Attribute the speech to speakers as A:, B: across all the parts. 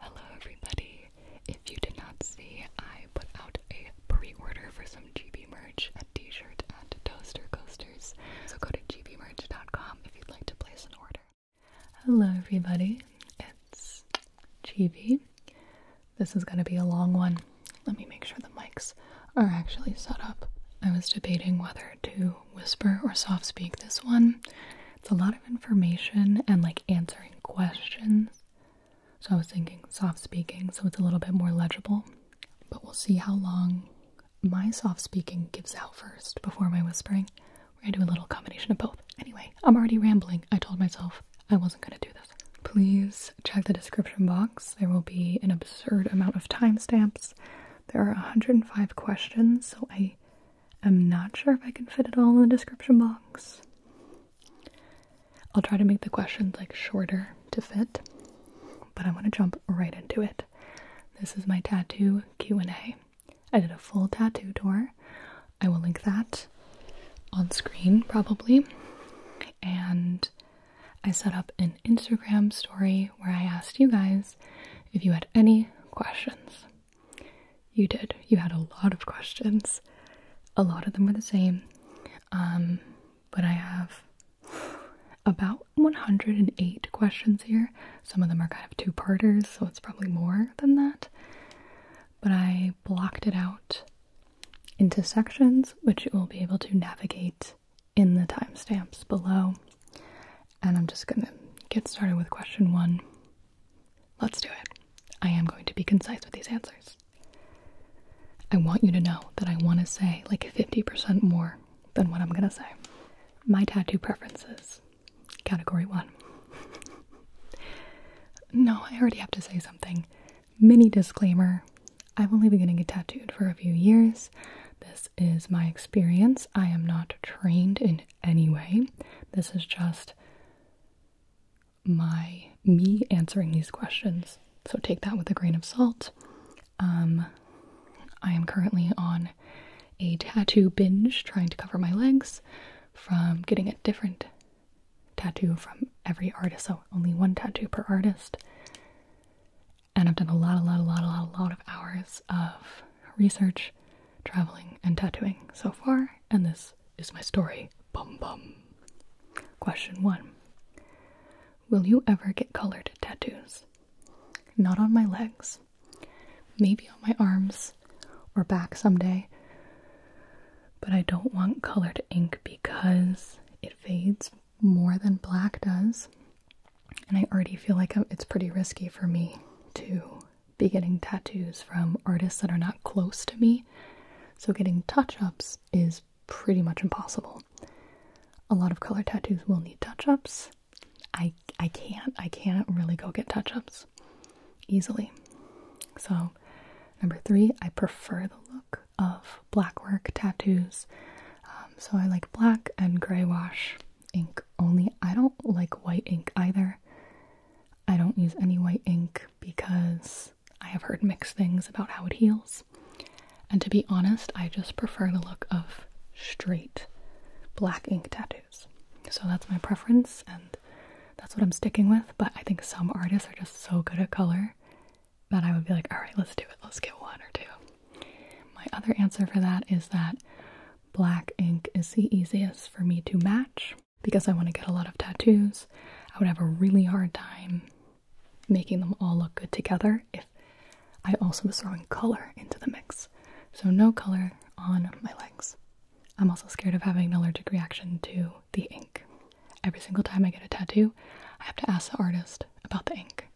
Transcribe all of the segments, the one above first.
A: Hello everybody! If you did not see, I put out a pre-order for some GB merch, a t-shirt and toaster coasters. So go to gbmerch.com if you'd like to place an order. Hello everybody, it's GB. This is gonna be a long one. Let me make sure the mics are actually set up. I was debating whether to whisper or soft speak this one, it's a lot of information and like answering questions. So I was thinking soft speaking, so it's a little bit more legible. But we'll see how long my soft speaking gives out first before my whispering. We're gonna do a little combination of both. Anyway, I'm already rambling. I told myself I wasn't gonna do this. Please check the description box. There will be an absurd amount of timestamps. There are 105 questions, so I I'm not sure if I can fit it all in the description box. I'll try to make the questions like shorter to fit, but I'm going to jump right into it. This is my tattoo Q&A. I did a full tattoo tour. I will link that on screen probably. And I set up an Instagram story where I asked you guys if you had any questions. You did. You had a lot of questions. A lot of them were the same. Um, but I have about 108 questions here. Some of them are kind of two parters, so it's probably more than that. But I blocked it out into sections, which you will be able to navigate in the timestamps below. And I'm just gonna get started with question one. Let's do it. I am going to be concise with these answers. I want you to know that I want to say like 50% more than what I'm going to say. My tattoo preferences. Category 1. no, I already have to say something. Mini disclaimer I've only been getting tattooed for a few years. This is my experience. I am not trained in any way. This is just my me answering these questions. So take that with a grain of salt. Um, I am currently on a tattoo binge trying to cover my legs from getting a different tattoo from every artist. So only one tattoo per artist. And I've done a lot, a lot, a lot, a lot, a lot of hours of research, traveling, and tattooing so far. And this is my story. Bum bum. Question one Will you ever get colored tattoos? Not on my legs. Maybe on my arms or back someday. But I don't want colored ink because it fades more than black does. And I already feel like it's pretty risky for me to be getting tattoos from artists that are not close to me, so getting touch ups is pretty much impossible. A lot of color tattoos will need touch ups. I, I can't, I can't really go get touch ups easily. So, number three, I prefer the look of black work tattoos. Um, so, I like black and gray wash ink only. I don't like white ink either. I don't use any white ink because I have heard mixed things about how it heals. And to be honest, I just prefer the look of straight black ink tattoos. So that's my preference and that's what I'm sticking with. But I think some artists are just so good at color that I would be like, all right, let's do it. Let's get one or two. My other answer for that is that black ink is the easiest for me to match because I want to get a lot of tattoos, I would have a really hard time making them all look good together if I also was throwing color into the mix. So, no color on my legs. I'm also scared of having an allergic reaction to the ink. Every single time I get a tattoo, I have to ask the artist about the ink.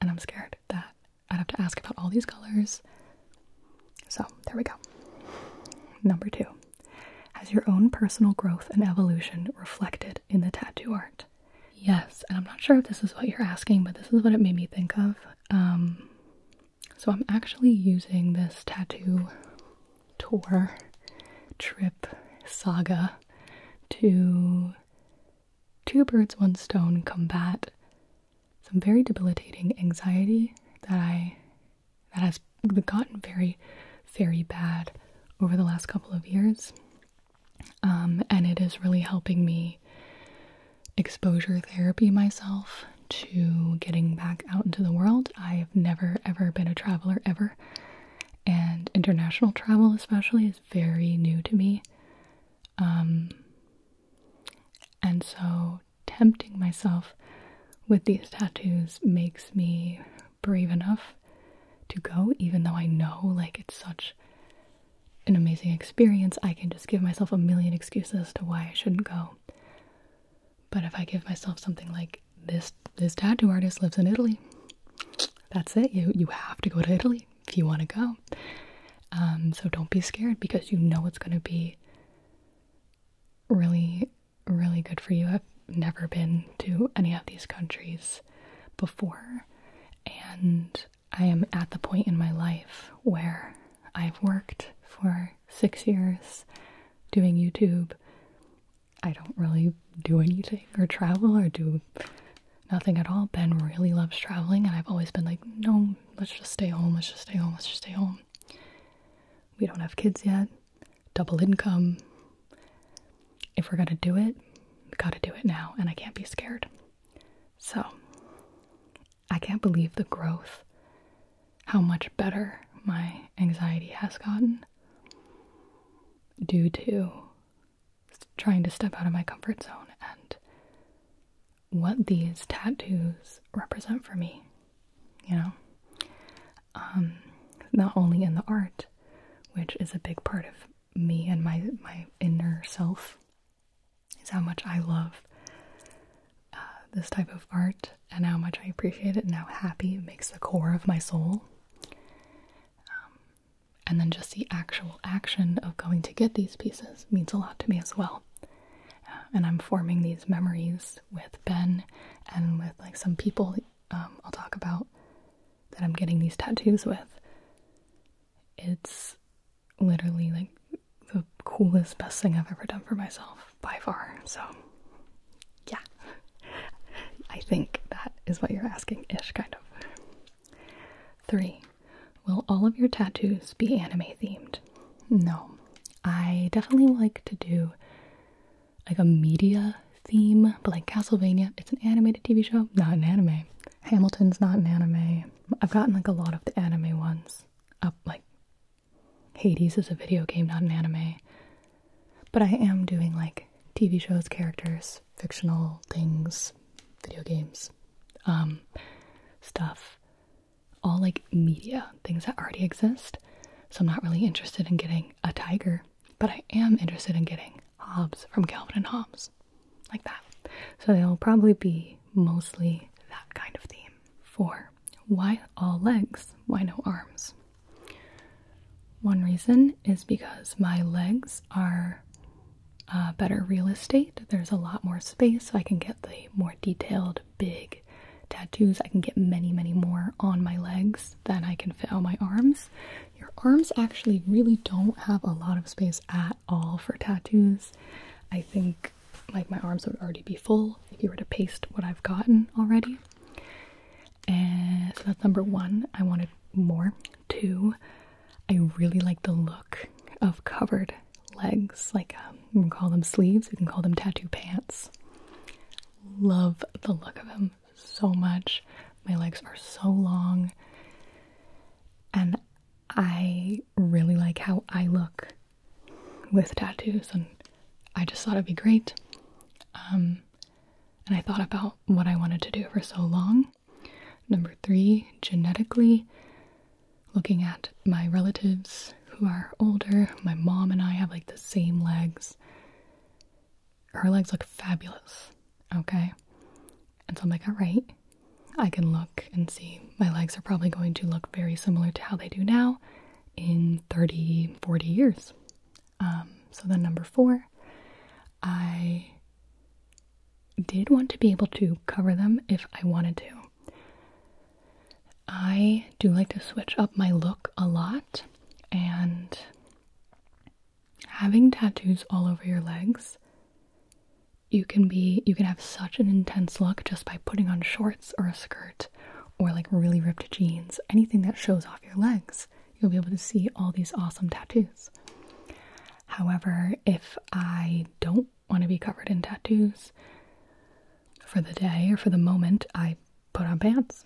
A: And I'm scared that I'd have to ask about all these colors, so there we go. Number two, has your own personal growth and evolution reflected in the tattoo art? Yes, and I'm not sure if this is what you're asking, but this is what it made me think of. Um, so I'm actually using this tattoo tour trip saga to two birds, one stone combat some very debilitating anxiety that I that has gotten very, very bad over the last couple of years. Um, and it is really helping me exposure therapy myself to getting back out into the world. I've never ever been a traveler ever, and international travel, especially, is very new to me. Um, and so tempting myself with these tattoos makes me brave enough to go, even though I know like it's such an amazing experience. I can just give myself a million excuses to why I shouldn't go. But if I give myself something like this this tattoo artist lives in Italy, that's it. You you have to go to Italy if you want to go. Um, so don't be scared because you know it's going to be really really good for you. I've never been to any of these countries before, and I am at the point in my life where I've worked for six years doing YouTube. I don't really do anything or travel or do nothing at all. Ben really loves traveling, and I've always been like, no, let's just stay home, let's just stay home, let's just stay home we don't have kids yet, double income. If we're gonna do it, gotta do it now, and I can't be scared. So, I can't believe the growth, how much better my anxiety has gotten due to trying to step out of my comfort zone and what these tattoos represent for me you know? Um, not only in the art, which is a big part of me and my, my inner self, is how much I love uh, this type of art and how much I appreciate it and how happy it makes the core of my soul. Um, and then just the actual action of going to get these pieces means a lot to me as well and I'm forming these memories with Ben and with like some people um, I'll talk about that I'm getting these tattoos with. It's literally like the coolest, best thing I've ever done for myself by far. So, yeah, I think that is what you're asking ish, kind of. Three, will all of your tattoos be anime themed? No, I definitely like to do like a media theme, but like Castlevania, it's an animated TV show, not an anime. Hamilton's not an anime. I've gotten like a lot of the anime ones up, like Hades is a video game, not an anime. But I am doing like TV shows, characters, fictional things, video games, um, stuff all like media, things that already exist. So I'm not really interested in getting a tiger, but I am interested in getting Hobbes from Calvin and Hobbes, like that. So they'll probably be mostly that kind of theme. For why all legs? Why no arms? One reason is because my legs are uh, better real estate. There's a lot more space, so I can get the more detailed big tattoos. I can get many, many more on my legs than I can fit on my arms. Your arms actually really don't have a lot of space at all for tattoos. I think like my arms would already be full if you were to paste what I've gotten already. And so that's number one. I wanted more. Two, I really like the look of covered legs. Like, um, we can call them sleeves, we can call them tattoo pants love the look of them so much. My legs are so long, and I really like how I look with tattoos, and I just thought it'd be great. Um, and I thought about what I wanted to do for so long. Number three, genetically, looking at my relatives who are older. My mom and I have like the same legs. Her legs look fabulous, okay? And so I'm like, all right, I can look and see. My legs are probably going to look very similar to how they do now in 30, 40 years. Um, so then, number four, I did want to be able to cover them if I wanted to. I do like to switch up my look a lot, and having tattoos all over your legs, you can be you can have such an intense look just by putting on shorts or a skirt or like really ripped jeans, anything that shows off your legs. You'll be able to see all these awesome tattoos. However, if I don't want to be covered in tattoos, for the day or for the moment, I put on pants,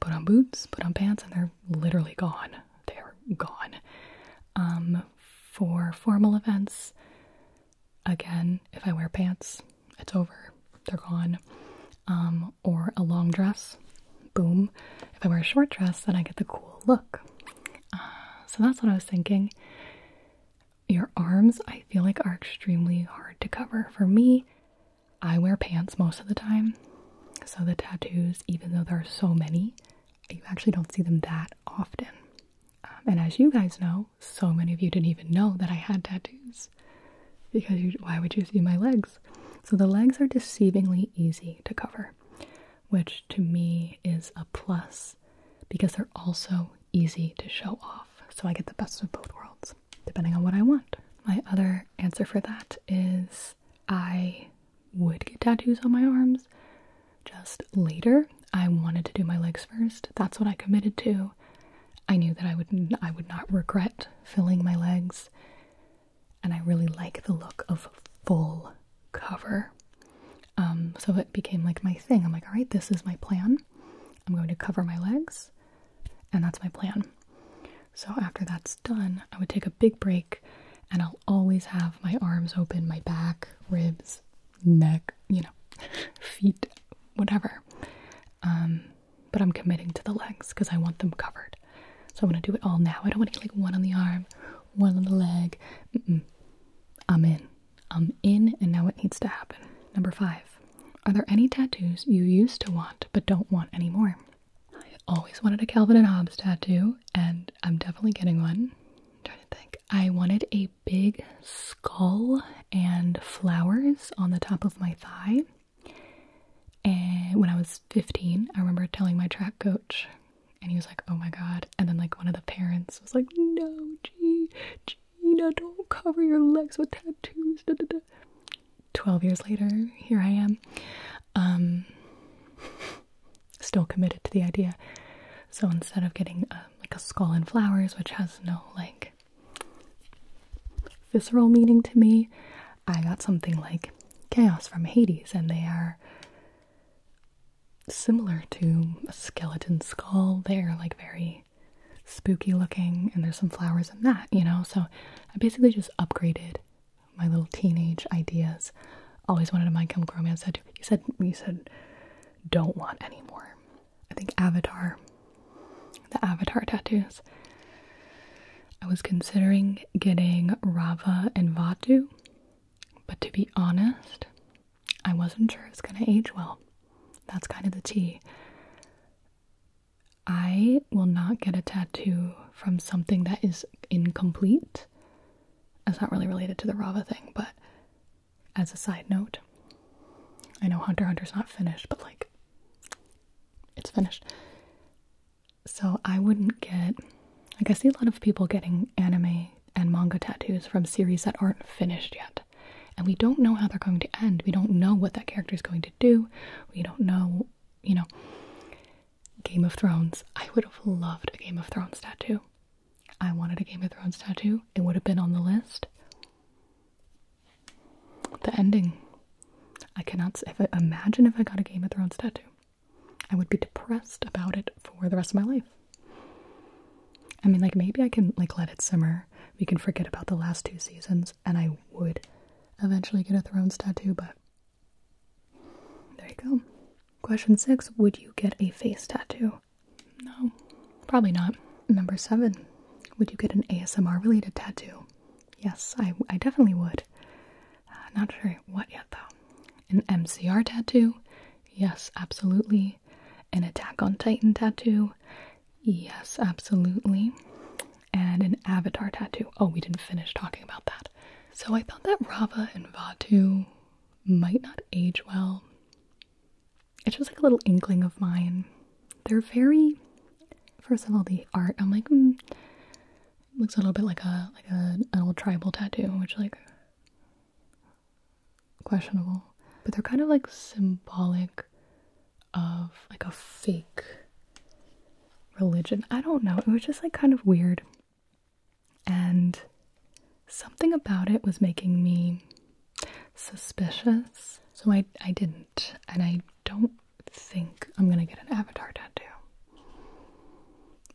A: put on boots, put on pants, and they're literally gone. They're gone. Um, for formal events, again, if I wear pants, it's over. They're gone. Um, or a long dress, boom. If I wear a short dress, then I get the cool look. Uh, so that's what I was thinking. Your arms, I feel like, are extremely hard to cover. For me, I wear pants most of the time, so the tattoos, even though there are so many, you actually don't see them that often. Um, and as you guys know, so many of you didn't even know that I had tattoos because why would you see my legs? So the legs are deceivingly easy to cover, which to me is a plus because they're also easy to show off so I get the best of both worlds, depending on what I want. My other answer for that is I would get tattoos on my arms just later. I wanted to do my legs first. That's what I committed to. I knew that I would I would not regret filling my legs. And I really like the look of full cover. Um, so it became like my thing. I'm like, all right, this is my plan. I'm going to cover my legs. And that's my plan. So after that's done, I would take a big break and I'll always have my arms open, my back, ribs, neck, you know, feet, whatever. Um, but I'm committing to the legs because I want them covered. So I'm gonna do it all now. I don't want to get like one on the arm, one on the leg. I'm in. I'm in, and now it needs to happen. Number five, are there any tattoos you used to want but don't want anymore? I always wanted a Calvin and Hobbes tattoo, and I'm definitely getting one. i trying to think. I wanted a big skull and flowers on the top of my thigh. And when I was 15, I remember telling my track coach, and he was like, Oh my god. And then, like, one of the parents was like, No, gee, gee Tina, don't cover your legs with tattoos. 12 years later, here I am. Um, still committed to the idea. So instead of getting uh, like a skull and flowers, which has no like visceral meaning to me, I got something like Chaos from Hades, and they are similar to a skeleton skull. They're like very spooky looking, and there's some flowers in that, you know? So I basically just upgraded my little teenage ideas. Always wanted a mind chemical romance tattoo. You said you said don't want anymore. I think Avatar, the Avatar tattoos. I was considering getting Rava and Vatu, but to be honest, I wasn't sure it's gonna age well. That's kind of the T. I will not get a tattoo from something that is incomplete. That's not really related to the Rava thing, but as a side note, I know Hunter Hunter's not finished, but like, it's finished. So I wouldn't get, like, I see a lot of people getting anime and manga tattoos from series that aren't finished yet. And we don't know how they're going to end. We don't know what that character is going to do we don't know, you know. Game of Thrones. I would have loved a Game of Thrones tattoo. I wanted a Game of Thrones tattoo. It would have been on the list. The ending. I cannot imagine if I got a Game of Thrones tattoo. I would be depressed about it for the rest of my life. I mean, like maybe I can like let it simmer. We can forget about the last two seasons and I would eventually get a Thrones tattoo, but there you go. Question six Would you get a face tattoo? No, probably not. Number seven Would you get an ASMR related tattoo? Yes, I, definitely would. Uh, not sure what yet, though. An MCR tattoo? Yes, absolutely. An Attack on Titan tattoo? Yes, absolutely. And an avatar tattoo. Oh, we didn't finish talking about that. So I thought that Rava and Vatu might not age well. It's just like a little inkling of mine. They're very first of all the art, I'm like hmm, looks a little bit like a like a, an old tribal tattoo, which like questionable. But they're kind of like symbolic of like a fake religion. I don't know. It was just like kind of weird. And something about it was making me suspicious. So I, I didn't. And I don't think I'm going to get an avatar tattoo.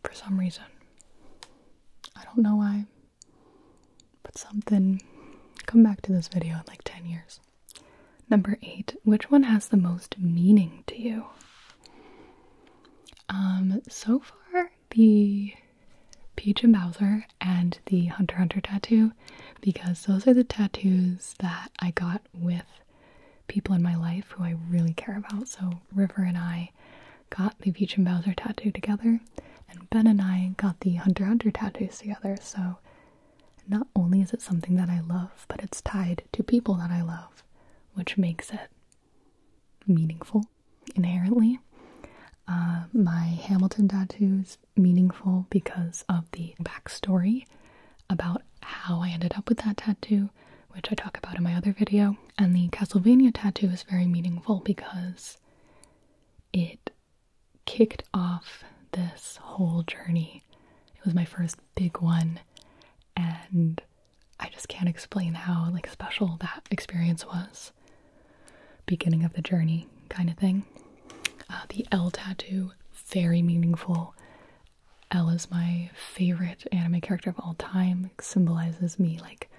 A: For some reason. I don't know why. But something. Come back to this video in like 10 years. Number eight, which one has the most meaning to you? Um, so far, the Peach and Bowser and the Hunter Hunter tattoo, because those are the tattoos that I got with people in my life who I really care about. So, River and I got the Peach and Bowser tattoo together, and Ben and I got the Hunter Hunter tattoos together. So, not only is it something that I love, but it's tied to people that I love, which makes it meaningful inherently. Uh, my Hamilton tattoo is meaningful because of the backstory about how I ended up with that tattoo, which I talk about in my other video. And the Castlevania tattoo is very meaningful because it kicked off this whole journey it was my first big one, and I just can't explain how like special that experience was. Beginning of the journey kind of thing. Uh, the L tattoo, very meaningful. L is my favorite anime character of all time. symbolizes me like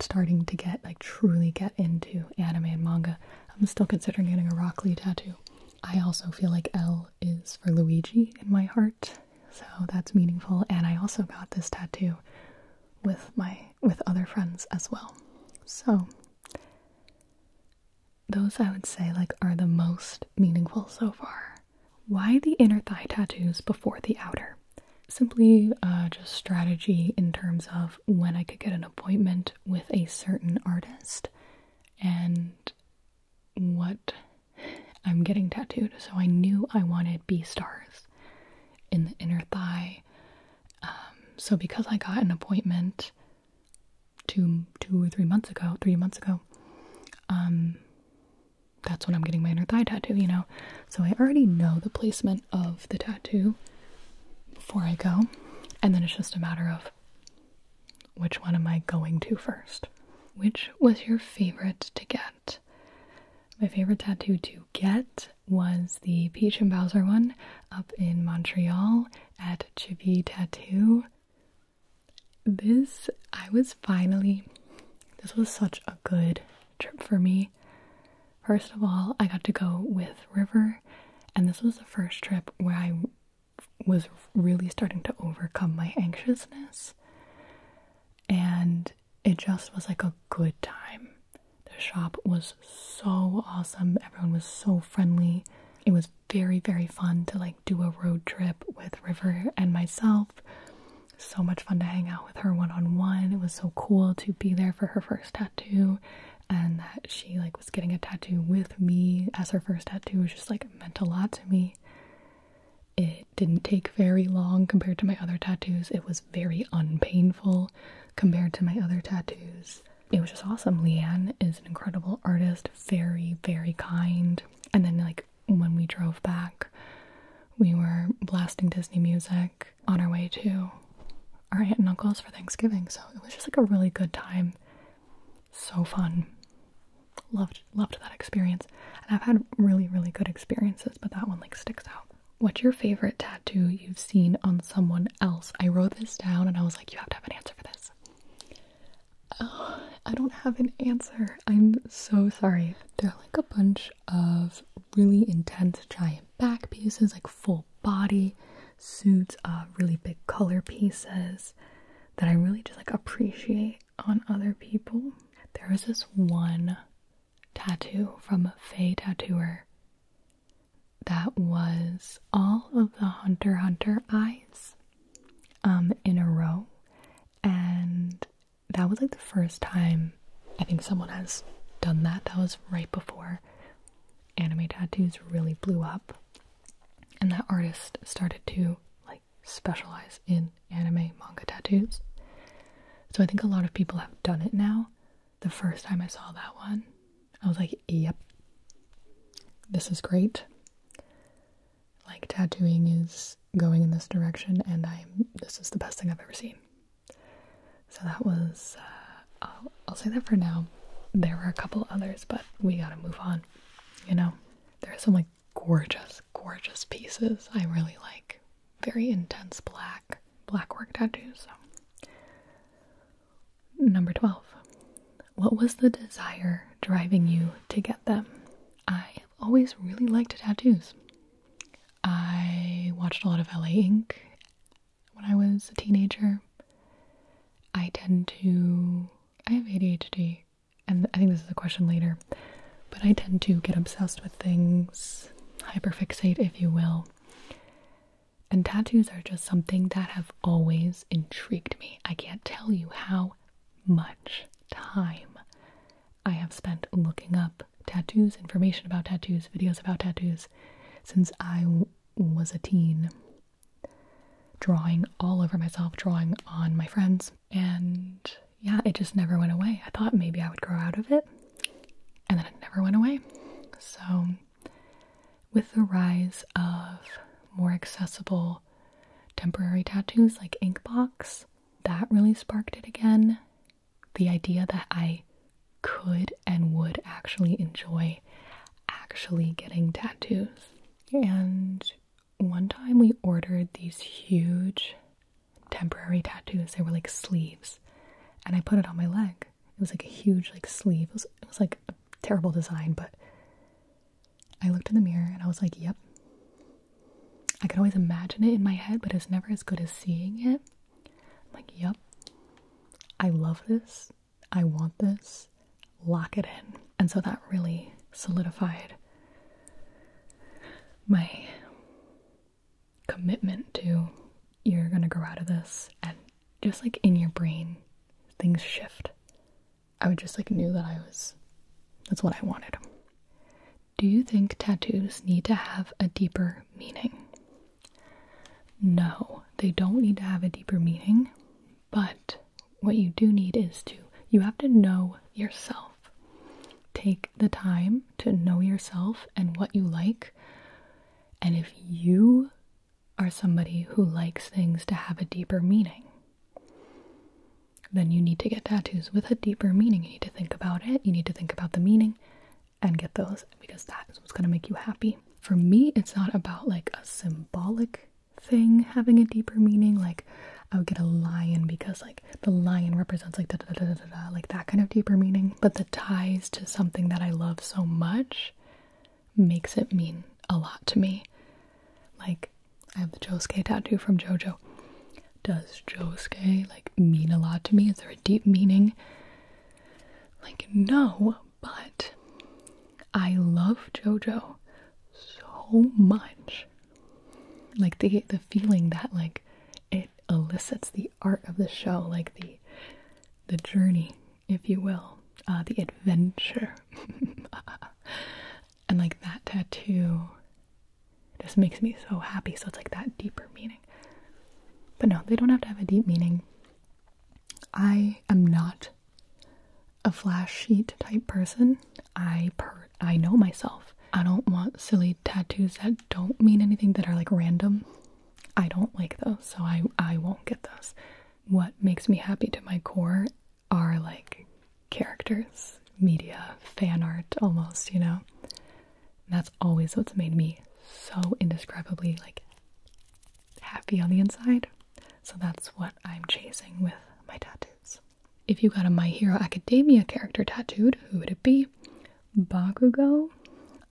A: starting to get like truly get into anime and manga. I'm still considering getting a Rock Lee tattoo. I also feel like L is for Luigi in my heart, so that's meaningful. And I also got this tattoo with my with other friends as well. So those I would say like are the most meaningful so far. Why the inner thigh tattoos before the outer? Simply uh, just strategy in terms of when I could get an appointment with a certain artist and what I'm getting tattooed. So I knew I wanted B stars in the inner thigh. Um, so because I got an appointment two, two or three months ago, three months ago, um, that's when I'm getting my inner thigh tattoo, you know. So I already know the placement of the tattoo before I go, and then it's just a matter of which one am I going to first? Which was your favorite to get? My favorite tattoo to get was the Peach and Bowser one up in Montreal at Chibi Tattoo. This, I was finally, this was such a good trip for me. First of all, I got to go with River, and this was the first trip where I was really starting to overcome my anxiousness. And it just was like a good time. The shop was so awesome. Everyone was so friendly. It was very, very fun to like do a road trip with River and myself. So much fun to hang out with her one on one. It was so cool to be there for her first tattoo and that she like was getting a tattoo with me as her first tattoo was just like meant a lot to me. It didn't take very long compared to my other tattoos. It was very unpainful compared to my other tattoos. It was just awesome. Leanne is an incredible artist, very, very kind. And then, like, when we drove back, we were blasting Disney music on our way to our aunt and uncle's for Thanksgiving. So it was just like a really good time so fun. Loved loved that experience. And I've had really, really good experiences, but that one like sticks out. What's your favorite tattoo you've seen on someone else? I wrote this down and I was like, you have to have an answer for this. Uh, I don't have an answer. I'm so sorry. They're like a bunch of really intense giant back pieces, like full body suits of really big color pieces that I really just like appreciate on other people. There was this one tattoo from a Faye Tattooer that was all of the Hunter Hunter eyes um, in a row, and that was like the first time I think someone has done that. That was right before anime tattoos really blew up and that artist started to like specialize in anime manga tattoos. So I think a lot of people have done it now. The first time I saw that one, I was like, "Yep. This is great." Like tattooing is going in this direction and I'm this is the best thing I've ever seen. So that was uh, I'll, I'll say that for now. There were a couple others, but we got to move on. You know, there are some like gorgeous, gorgeous pieces I really like. Very intense black, black work tattoos. Number 12. What was the desire driving you to get them? I have always really liked tattoos. I watched a lot of LA Ink when I was a teenager. I tend to I have ADHD, and I think this is a question later, but I tend to get obsessed with things, hyperfixate, if you will. And tattoos are just something that have always intrigued me. I can't tell you how much time I have spent looking up tattoos, information about tattoos, videos about tattoos since I was a teen drawing all over myself, drawing on my friends, and yeah, it just never went away. I thought maybe I would grow out of it, and then it never went away. So, with the rise of more accessible temporary tattoos like Inkbox, that really sparked it again. The idea that I could and would actually enjoy actually getting tattoos. And one time we ordered these huge temporary tattoos. They were like sleeves, and I put it on my leg. It was like a huge like sleeve. It was, like a terrible design, but I looked in the mirror and I was like, "Yep." I could always imagine it in my head, but it's never as good as seeing it. I'm like, "Yep." I love this. I want this lock it in. And so that really solidified my commitment to you're gonna grow out of this. And just like in your brain, things shift. I would just like knew that I was, that's what I wanted. Do you think tattoos need to have a deeper meaning? No, they don't need to have a deeper meaning. But what you do need is to, you have to know yourself. Take the time to know yourself and what you like. And if you are somebody who likes things to have a deeper meaning, then you need to get tattoos with a deeper meaning. You need to think about it, you need to think about the meaning and get those because that is what's going to make you happy. For me, it's not about like a symbolic thing having a deeper meaning, like I would get a lion because like the lion represents like da da da da da, like that kind of deeper meaning. But the ties to something that I love so much makes it mean a lot to me. Like I have the Josuke tattoo from JoJo. Does Josuke like mean a lot to me? Is there a deep meaning? Like no, but I love JoJo so much. Like the the feeling that like it elicits the art of the show, like the the journey, if you will, uh, the adventure, and like that tattoo just makes me so happy. So it's like that deeper meaning. But no, they don't have to have a deep meaning. I am not a flash sheet type person. I per I know myself. I don't want silly tattoos that don't mean anything that are like random. I don't like those, so I I won't get those. What makes me happy to my core are like characters, media, fan art almost, you know. that's always what's made me so indescribably like happy on the inside. So that's what I'm chasing with my tattoos. If you got a My Hero Academia character tattooed, who would it be? Bakugo,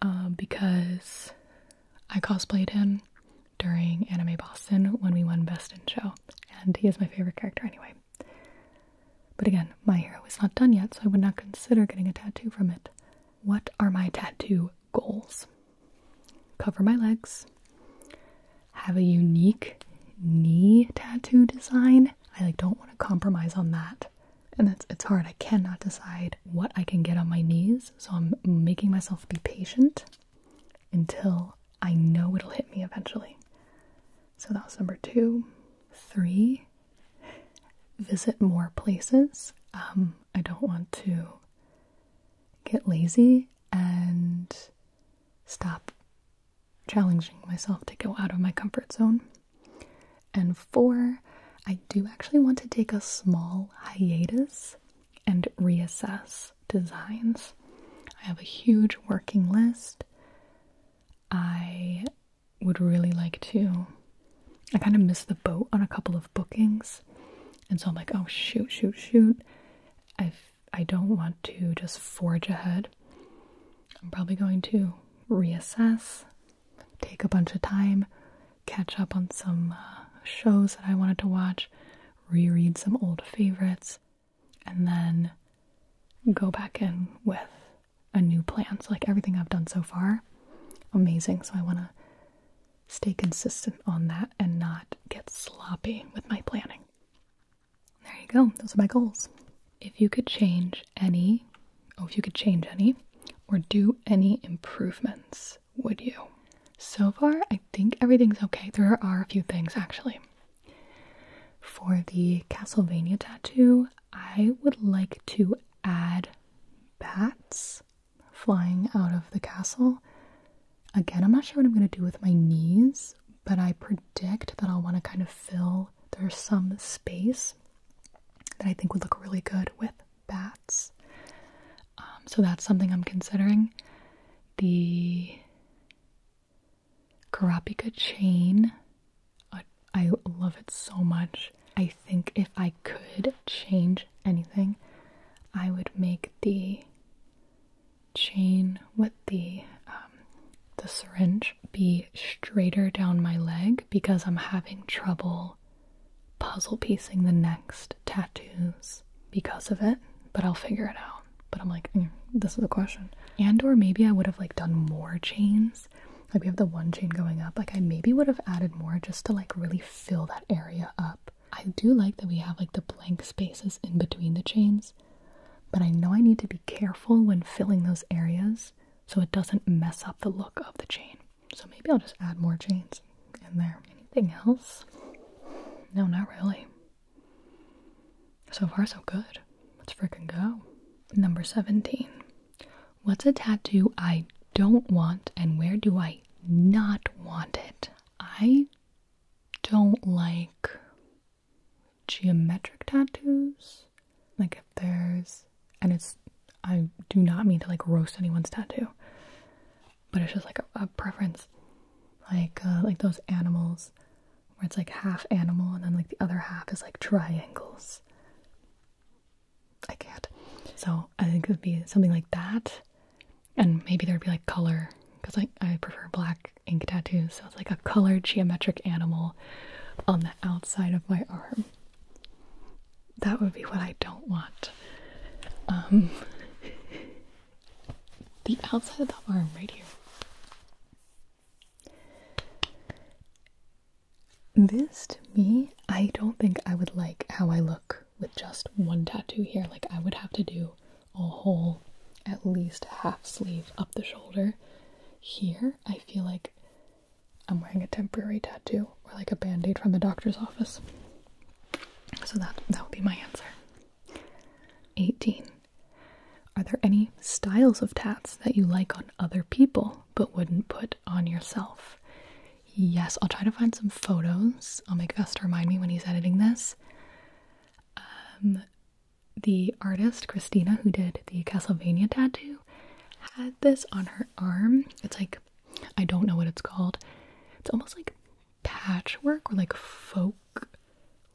A: uh, because I cosplayed him during Anime Boston when we won Best in Show, and he is my favorite character anyway. But again, my hero is not done yet, so I would not consider getting a tattoo from it. What are my tattoo goals? Cover my legs, have a unique knee tattoo design. I like don't want to compromise on that. And it's it's hard. I cannot decide what I can get on my knees, so I'm making myself be patient until I know it'll hit me eventually. So that was number two. Three, visit more places. Um, I don't want to get lazy and stop challenging myself to go out of my comfort zone. And four, I do actually want to take a small hiatus and reassess designs. I have a huge working list. I would really like to. I kind of missed the boat on a couple of bookings. And so I'm like, oh, shoot, shoot, shoot. I've I don't want to just forge ahead. I'm probably going to reassess, take a bunch of time, catch up on some uh, shows that I wanted to watch, reread some old favorites, and then go back in with a new plan. So, like everything I've done so far, amazing. So, I want to stay consistent on that and not get sloppy with my planning. There you go. Those are my goals. If you could change any, oh, if you could change any or do any improvements, would you? So far, I think everything's okay. There are a few things actually. For the Castlevania tattoo, I would like to add bats flying out of the castle Again, I'm not sure what I'm going to do with my knees, but I predict that I'll want to kind of fill there's some space that I think would look really good with bats. Um, so that's something I'm considering. The Karapika chain, I love it so much. I think if I could change anything, I would make the chain with the um, the syringe be straighter down my leg because I'm having trouble puzzle piecing the next tattoos because of it, but I'll figure it out. But I'm like, mm, this is a question. And or maybe I would have like done more chains. Like we have the one chain going up. Like I maybe would have added more just to like really fill that area up. I do like that we have like the blank spaces in between the chains but I know I need to be careful when filling those areas so it doesn't mess up the look of the chain. So maybe I'll just add more chains in there. Anything else? No, not really. So far, so good. Let's freaking go. Number 17. What's a tattoo I don't want and where do I not want it? I don't like geometric tattoos. Like if there's, and it's, I do not mean to like roast anyone's tattoo, but it's just like a, preference. Like, uh, like those animals where it's like half animal and then like the other half is like triangles. I can't. So I think it would be something like that. And maybe there'd be like color because like I prefer black ink tattoo, so it's like a colored geometric animal on the outside of my arm. That would be what I don't want. Um, the outside of the arm, right here. This to me, I don't think I would like how I look with just one tattoo here. Like, I would have to do a whole at least half sleeve up the shoulder. Here, I feel like I'm wearing a temporary tattoo or like a band aid from the doctor's office. So that, that would be my answer. 18. Are there any styles of tats that you like on other people but wouldn't put on yourself? Yes, I'll try to find some photos. I'll make Vest remind me when he's editing this. Um, the artist Christina, who did the Castlevania tattoo, had this on her arm. It's like, I don't know what it's called. It's almost like patchwork or like folk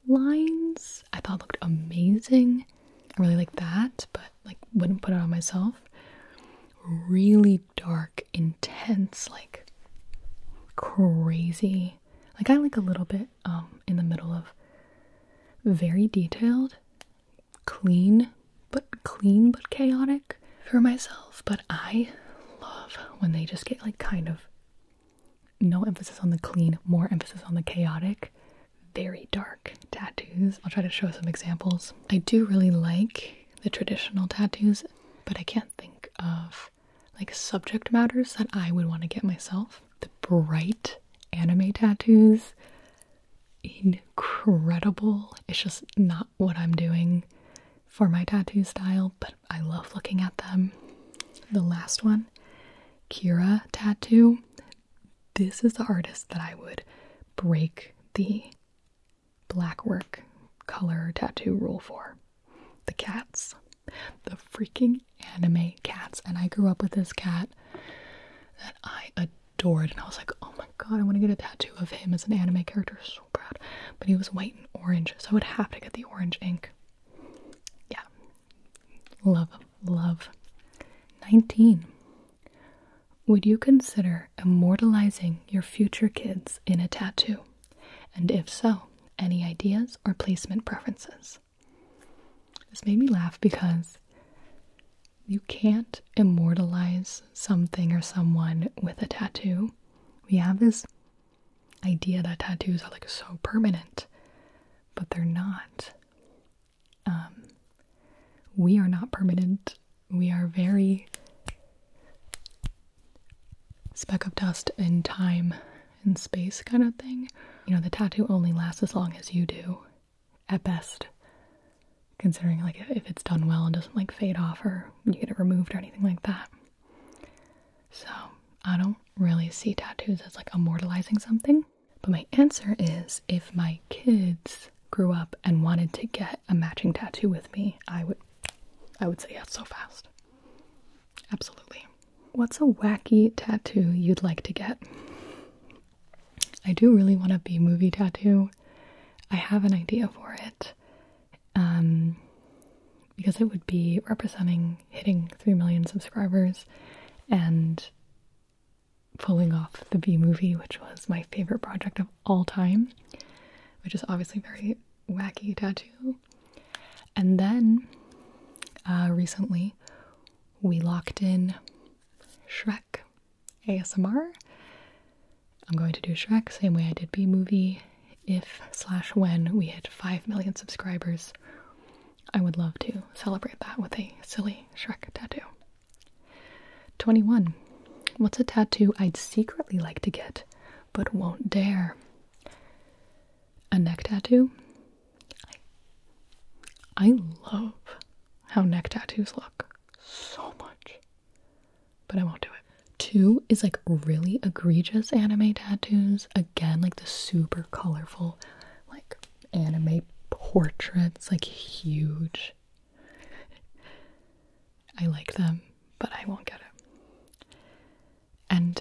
A: lines. I thought looked amazing. I really like that, but like wouldn't put it on myself. Really dark, intense, like crazy like I like a little bit um, in the middle of very detailed, clean, but clean but chaotic for myself, but I love when they just get like kind of no emphasis on the clean, more emphasis on the chaotic, very dark tattoos. I'll try to show some examples. I do really like the traditional tattoos, but I can't think of like subject matters that I would want to get myself. The bright anime tattoos, incredible. It's just not what I'm doing for my tattoo style, but I love looking at them. The last one, Kira tattoo. This is the artist that I would break the black work color tattoo rule for. The cats. The freaking anime cats, and I grew up with this cat that I adored, and I was like, oh my god, I want to get a tattoo of him as an anime character. So proud. But he was white and orange, so I would have to get the orange ink. Yeah, love, love. Nineteen. Would you consider immortalizing your future kids in a tattoo? And if so, any ideas or placement preferences? This made me laugh because you can't immortalize something or someone with a tattoo. We have this idea that tattoos are like so permanent, but they're not. Um, we are not permanent. We are very speck of dust in time in space kind of thing. You know, the tattoo only lasts as long as you do, at best. Considering, like, if it's done well and doesn't, like, fade off or you get it removed or anything like that. So, I don't really see tattoos as, like, immortalizing something. But my answer is if my kids grew up and wanted to get a matching tattoo with me, I would I would say yes so fast. Absolutely. What's a wacky tattoo you'd like to get? I do really want a B movie tattoo. I have an idea for it. Um, because it would be representing hitting 3 million subscribers and pulling off the B movie, which was my favorite project of all time, which is obviously very wacky tattoo. And then uh, recently we locked in Shrek ASMR. I'm going to do Shrek same way I did B movie if slash when we hit 5 million subscribers. I would love to celebrate that with a silly Shrek tattoo. 21. What's a tattoo I'd secretly like to get but won't dare? A neck tattoo? I, love how neck tattoos look so much, but I won't do it. Two is like really egregious anime tattoos. Again, like the super colorful, like anime portraits, like huge. I like them, but I won't get it. And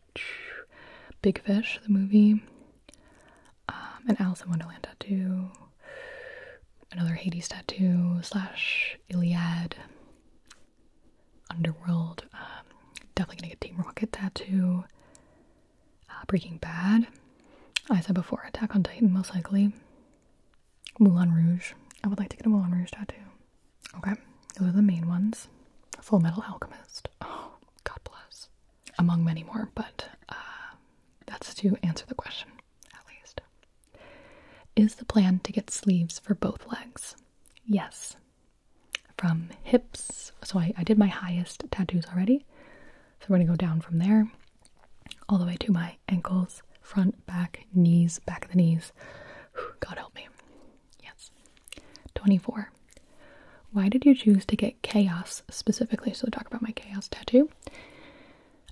A: Big Fish, the movie, um, an Alice in Wonderland tattoo, another Hades tattoo, slash Iliad, Underworld, um, definitely gonna get Team Rocket tattoo, uh, Breaking Bad, I said before, Attack on Titan, most likely, Moulin Rouge, I would like to get a Moulin Rouge tattoo. Okay, those are the main ones. Full Metal Alchemist. Oh, God bless. Among many more, but uh, that's to answer the question, at least. Is the plan to get sleeves for both legs? Yes. From hips, so I did my highest tattoos already. So we're gonna go down from there, all the way to my ankles, front, back, knees, back of the knees. God help me. Yes. 24. Why did you choose to get chaos specifically? So, talk about my chaos tattoo.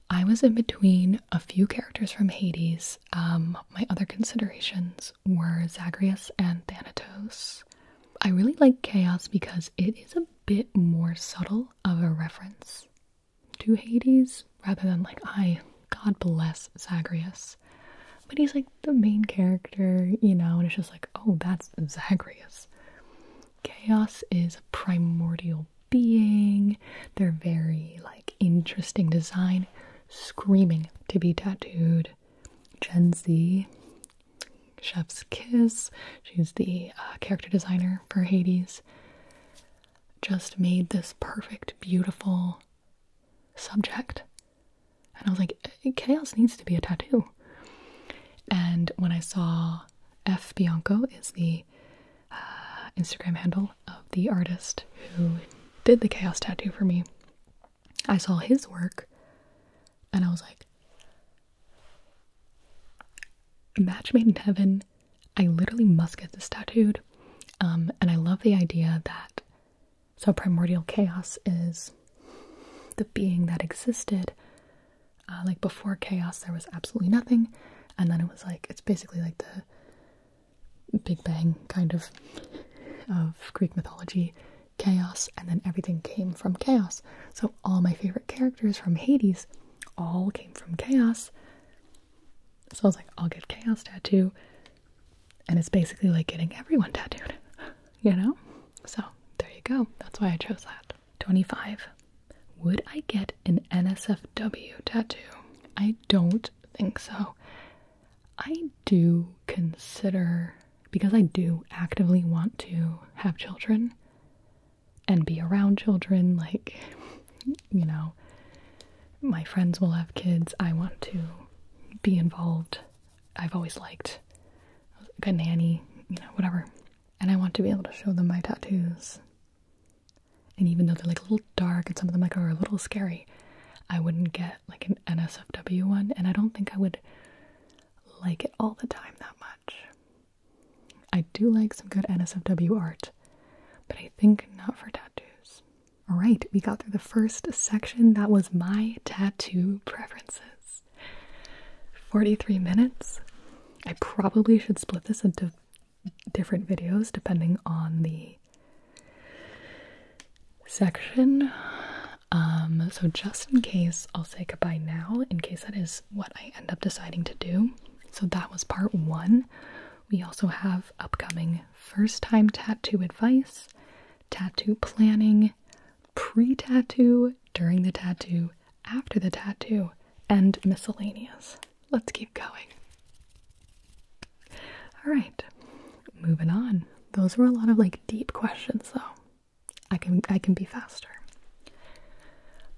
A: I was in between a few characters from Hades. Um, my other considerations were Zagreus and Thanatos. I really like chaos because it is a bit more subtle of a reference to Hades rather than like I God bless Zagreus. But he's like the main character, you know, and it's just like, oh, that's Zagreus. Chaos is a primordial being. They're very like interesting design, screaming to be tattooed. Gen Z, Chef's Kiss, she's the uh, character designer for Hades, just made this perfect, beautiful subject. And I was like, eh, chaos needs to be a tattoo. And when I saw F. Bianco is the uh, Instagram handle of the artist who did the chaos tattoo for me, I saw his work and I was like, match made in heaven. I literally must get this tattooed. Um, and I love the idea that so, primordial chaos is the being that existed. Uh, like before chaos, there was absolutely nothing, and then it was like it's basically like the Big Bang kind of of Greek mythology chaos, and then everything came from chaos. So, all my favorite characters from Hades all came from chaos. So, I was like, I'll get chaos tattoo and it's basically like getting everyone tattooed, you know? So there you go. That's why I chose that. 25. Would I get an NSFW tattoo? I don't think so. I do consider, because I do actively want to have children and be around children, like, you know, my friends will have kids. I want to be involved I've always liked. I was a nanny, you know, whatever. And I want to be able to show them my tattoos. And even though they're like a little dark and some of them like are a little scary, I wouldn't get like an NSFW one, and I don't think I would like it all the time that much. I do like some good NSFW art, but I think not for tattoos. All right, we got through the first section. That was my tattoo preferences. 43 minutes. I probably should split this into different videos depending on the section. Um, so, just in case, I'll say goodbye now, in case that is what I end up deciding to do. So, that was part one. We also have upcoming first time tattoo advice tattoo planning, pre tattoo, during the tattoo, after the tattoo, and miscellaneous. Let's keep going. All right, moving on. Those were a lot of like deep questions though. I can I can be faster.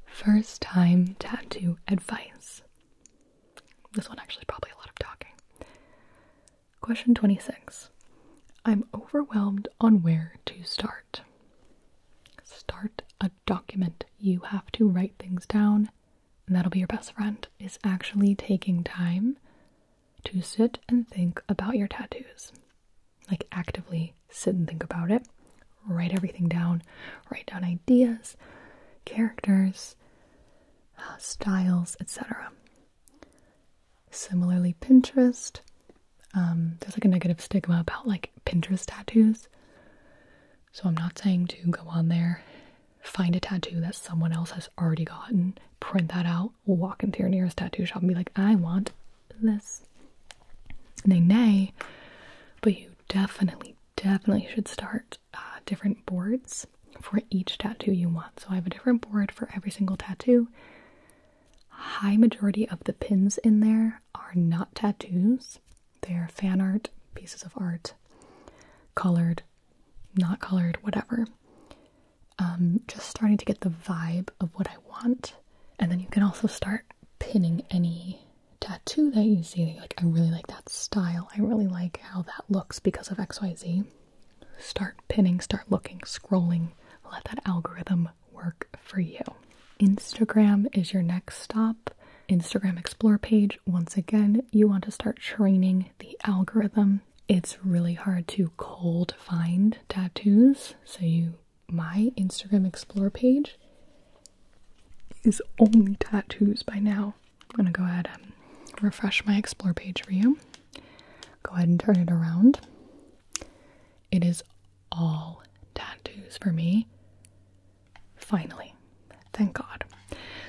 A: First time tattoo advice. This one actually probably a lot of talking. Question 26. I'm overwhelmed on where to start. Start a document. You have to write things down, and that'll be your best friend, is actually taking time to sit and think about your tattoos. Like, actively sit and think about it. Write everything down. Write down ideas, characters, uh, styles, etc. Similarly, Pinterest. Um, there's like a negative stigma about like Pinterest tattoos. So I'm not saying to go on there, find a tattoo that someone else has already gotten, print that out, walk into your nearest tattoo shop and be like, I want this. Nay, nay. But you definitely, definitely should start uh, different boards for each tattoo you want. So I have a different board for every single tattoo. High majority of the pins in there are not tattoos. They're fan art, pieces of art, colored, not colored, whatever. Um, just starting to get the vibe of what I want. And then you can also start pinning any tattoo that you see. Like, I really like that style. I really like how that looks because of XYZ. Start pinning, start looking, scrolling, let that algorithm work for you. Instagram is your next stop. Instagram Explore page, once again, you want to start training the algorithm. It's really hard to cold find tattoos, so you my Instagram Explore page is only tattoos by now. I'm gonna go ahead and refresh my Explore page for you go ahead and turn it around. It is all tattoos for me. Finally, thank God.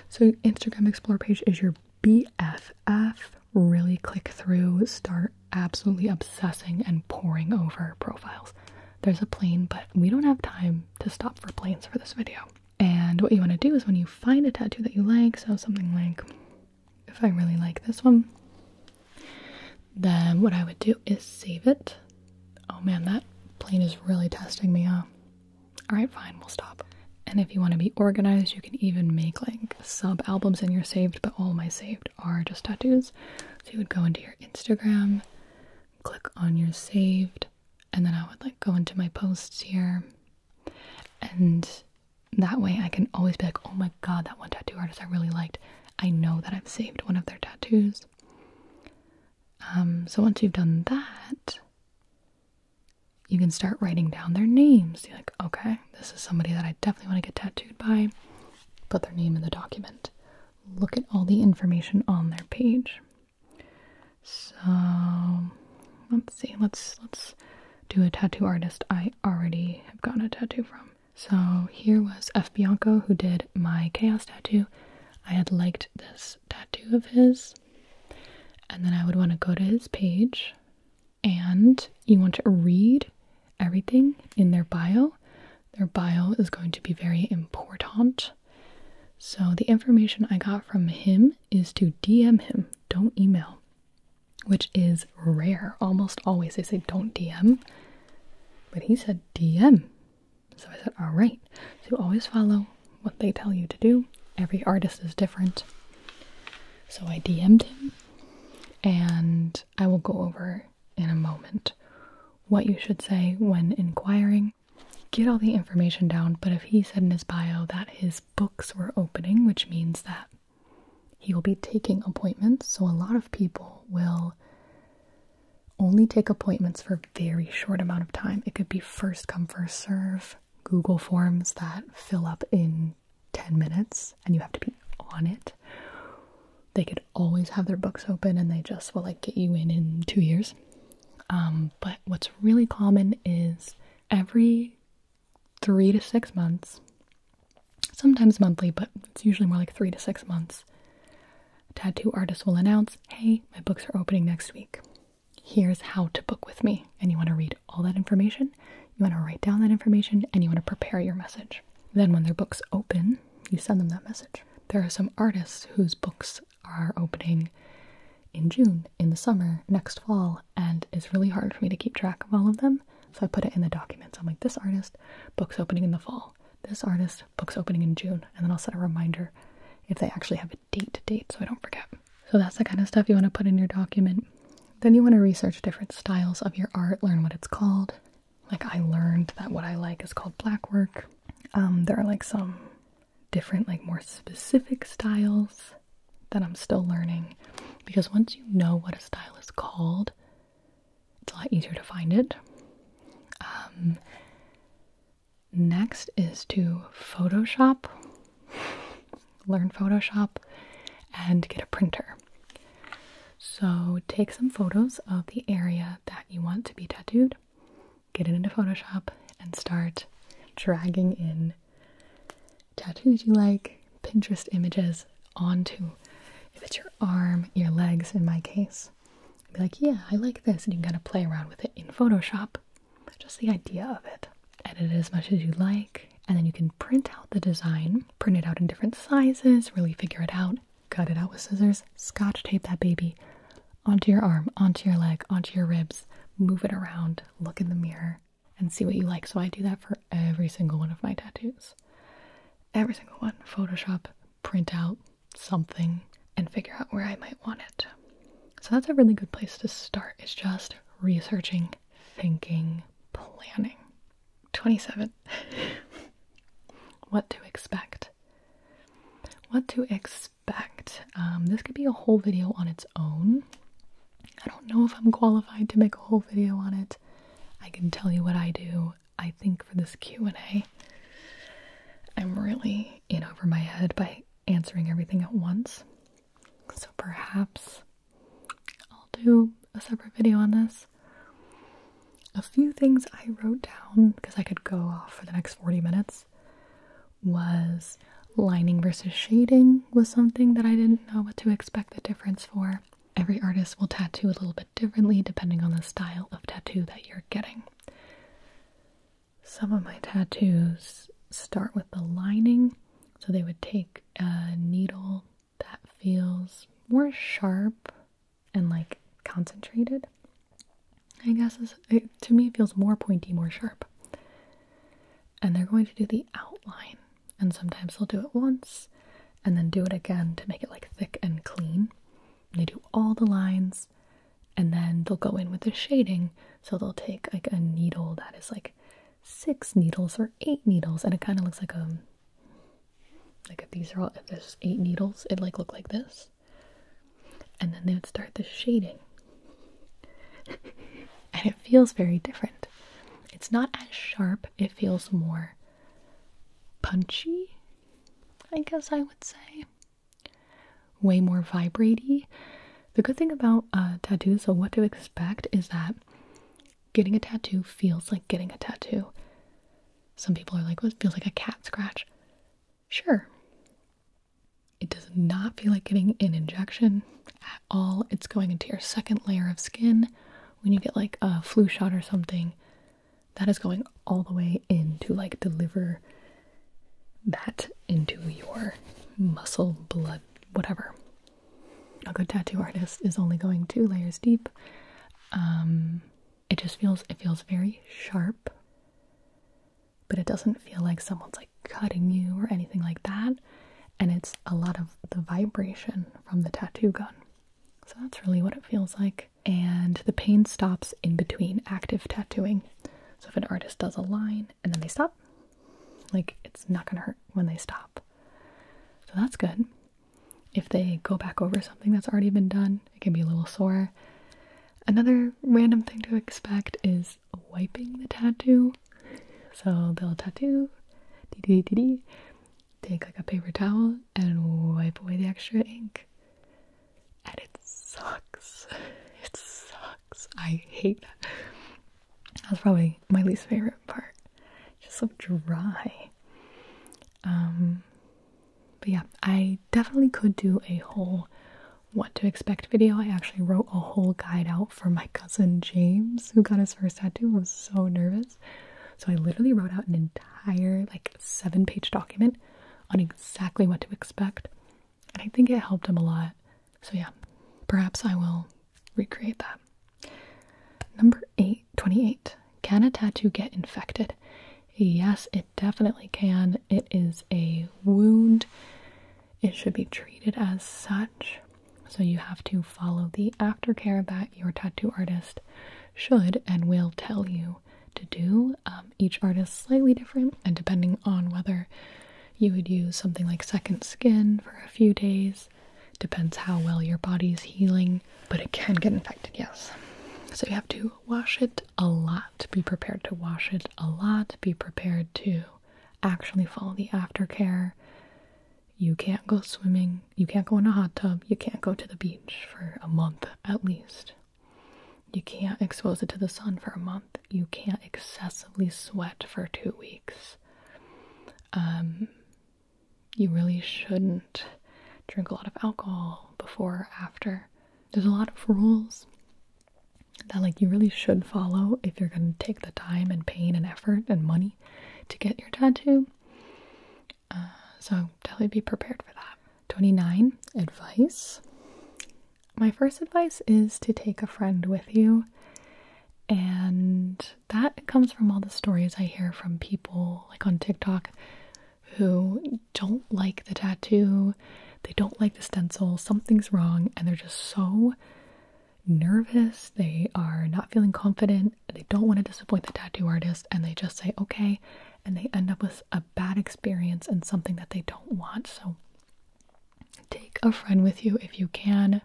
A: So, Instagram Explore page is your BFF. Really click through, start absolutely obsessing and poring over profiles. There's a plane, but we don't have time to stop for planes for this video. And what you want to do is when you find a tattoo that you like, so something like if I really like this one, then what I would do is save it. Oh man, that plane is really testing me, huh? Alright, fine, we'll stop. And if you want to be organized, you can even make like sub albums in your saved, but all my saved are just tattoos. So you would go into your Instagram, click on your saved, and then I would like go into my posts here and that way I can always be like, oh my god, that one tattoo artist I really liked. I know that I've saved one of their tattoos. Um, so once you've done that, you can start writing down their names. You're like, okay, this is somebody that I definitely want to get tattooed by. Put their name in the document. Look at all the information on their page. So let's see, let's let's to a tattoo artist I already have gotten a tattoo from. So here was F. Bianco who did my chaos tattoo. I had liked this tattoo of his, and then I would want to go to his page, and you want to read everything in their bio. Their bio is going to be very important. So, the information I got from him is to DM him, don't email which is rare. Almost always they say don't DM, but he said DM. So I said, all right. So always follow what they tell you to do. Every artist is different. So I DM'd him, and I will go over in a moment what you should say when inquiring. Get all the information down, but if he said in his bio that his books were opening, which means that he will be taking appointments, so a lot of people will only take appointments for a very short amount of time. It could be first come, first serve, Google Forms that fill up in 10 minutes and you have to be on it. They could always have their books open and they just will like get you in in two years. Um, but what's really common is every three to six months, sometimes monthly, but it's usually more like three to six months. tattoo artists will announce, Hey, my books are opening next week. Here's how to book with me. And you want to read all that information, you want to write down that information, and you want to prepare your message. Then, when their books open, you send them that message. There are some artists whose books are opening in June, in the summer, next fall, and it's really hard for me to keep track of all of them so I put it in the documents. I'm like, this artist, book's opening in the fall. This artist, book's opening in June. And then I'll set a reminder if they actually have a date to date so I don't forget. So that's the kind of stuff you want to put in your document. Then you want to research different styles of your art, learn what it's called. Like I learned that what I like is called black work. Um, there are like some different, like more specific styles that I'm still learning because once you know what a style is called, it's a lot easier to find it. Um, next is to Photoshop, learn Photoshop, and get a printer. So take some photos of the area that you want to be tattooed, get it into Photoshop, and start dragging in tattoos you like, Pinterest images onto if it's your arm, your legs in my case. Be like, yeah, I like this, and you can kind of play around with it in Photoshop. Just the idea of it. Edit it as much as you like, and then you can print out the design, print it out in different sizes, really figure it out, cut it out with scissors, scotch tape that baby onto your arm, onto your leg, onto your ribs, move it around, look in the mirror, and see what you like. So I do that for every single one of my tattoos. Every single one. Photoshop, print out something, and figure out where I might want it. So that's a really good place to start, It's just researching, thinking, planning. 27. what to expect. What to expect. Um, this could be a whole video on its own. I don't know if I'm qualified to make a whole video on it. I can tell you what I do. I think for this Q&A I'm really in over my head by answering everything at once. So perhaps I'll do a separate video on this. A few things I wrote down because I could go off for the next 40 minutes was lining versus shading was something that I didn't know what to expect the difference for. Every artist will tattoo a little bit differently depending on the style of tattoo that you're getting. Some of my tattoos start with the lining, so they would take a needle that feels more sharp and like concentrated. I guess it, to me, it feels more pointy, more sharp. And they're going to do the outline and sometimes they'll do it once and then do it again to make it like thick and clean. they do all the lines and then they'll go in with the shading. So they'll take like a needle that is like six needles or eight needles and it kind of looks like a um, like if these are all if there's eight needles it like look like this and then they would start the shading and it feels very different it's not as sharp it feels more punchy, I guess I would say. Way more vibratey. The good thing about uh, tattoos, so what to expect is that getting a tattoo feels like getting a tattoo. Some people are like, "What feels like a cat scratch. Sure. It does not feel like getting an injection at all. It's going into your second layer of skin when you get like a flu shot or something that is going all the way in to like deliver that into your muscle, blood, whatever. A good tattoo artist is only going two layers deep. Um, it just feels it feels very sharp, but it doesn't feel like someone's like cutting you or anything like that and it's a lot of the vibration from the tattoo gun. So that's really what it feels like. And the pain stops in between active tattooing. So if an artist does a line and then they stop, like it's not gonna hurt when they stop. So that's good. If they go back over something that's already been done, it can be a little sore. Another random thing to expect is wiping the tattoo. So they'll tattoo, dee dee take like a paper towel and wipe away the extra ink. And it sucks. It sucks. I hate that. That's probably my least favorite part. just so dry. Um but yeah, I definitely could do a whole what to expect video. I actually wrote a whole guide out for my cousin James who got his first tattoo. was so nervous. So I literally wrote out an entire like seven page document on exactly what to expect. And I think it helped him a lot. So yeah, perhaps I will recreate that. Number eight twenty-eight. Can a tattoo get infected? Yes, it definitely can. It is a wound. It should be treated as such. So you have to follow the aftercare that your tattoo artist should and will tell you to do. Um, each artist slightly different, and depending on whether you would use something like second skin for a few days, depends how well your body's healing, but it can get infected, yes. So you have to wash it a lot. Be prepared to wash it a lot. Be prepared to actually follow the aftercare. You can't go swimming, you can't go in a hot tub, you can't go to the beach for a month at least. You can't expose it to the sun for a month. You can't excessively sweat for two weeks. Um, you really shouldn't drink a lot of alcohol before after. There's a lot of rules that like you really should follow if you're going to take the time and pain and effort and money to get your tattoo. Uh, so definitely be prepared for that. 29. Advice. My first advice is to take a friend with you. And that comes from all the stories I hear from people like on TikTok who don't like the tattoo, they don't like the stencil, something's wrong, and they're just so nervous. They are not feeling confident they don't want to disappoint the tattoo artist and they just say okay and they end up with a bad experience and something that they don't want. So take a friend with you if you can.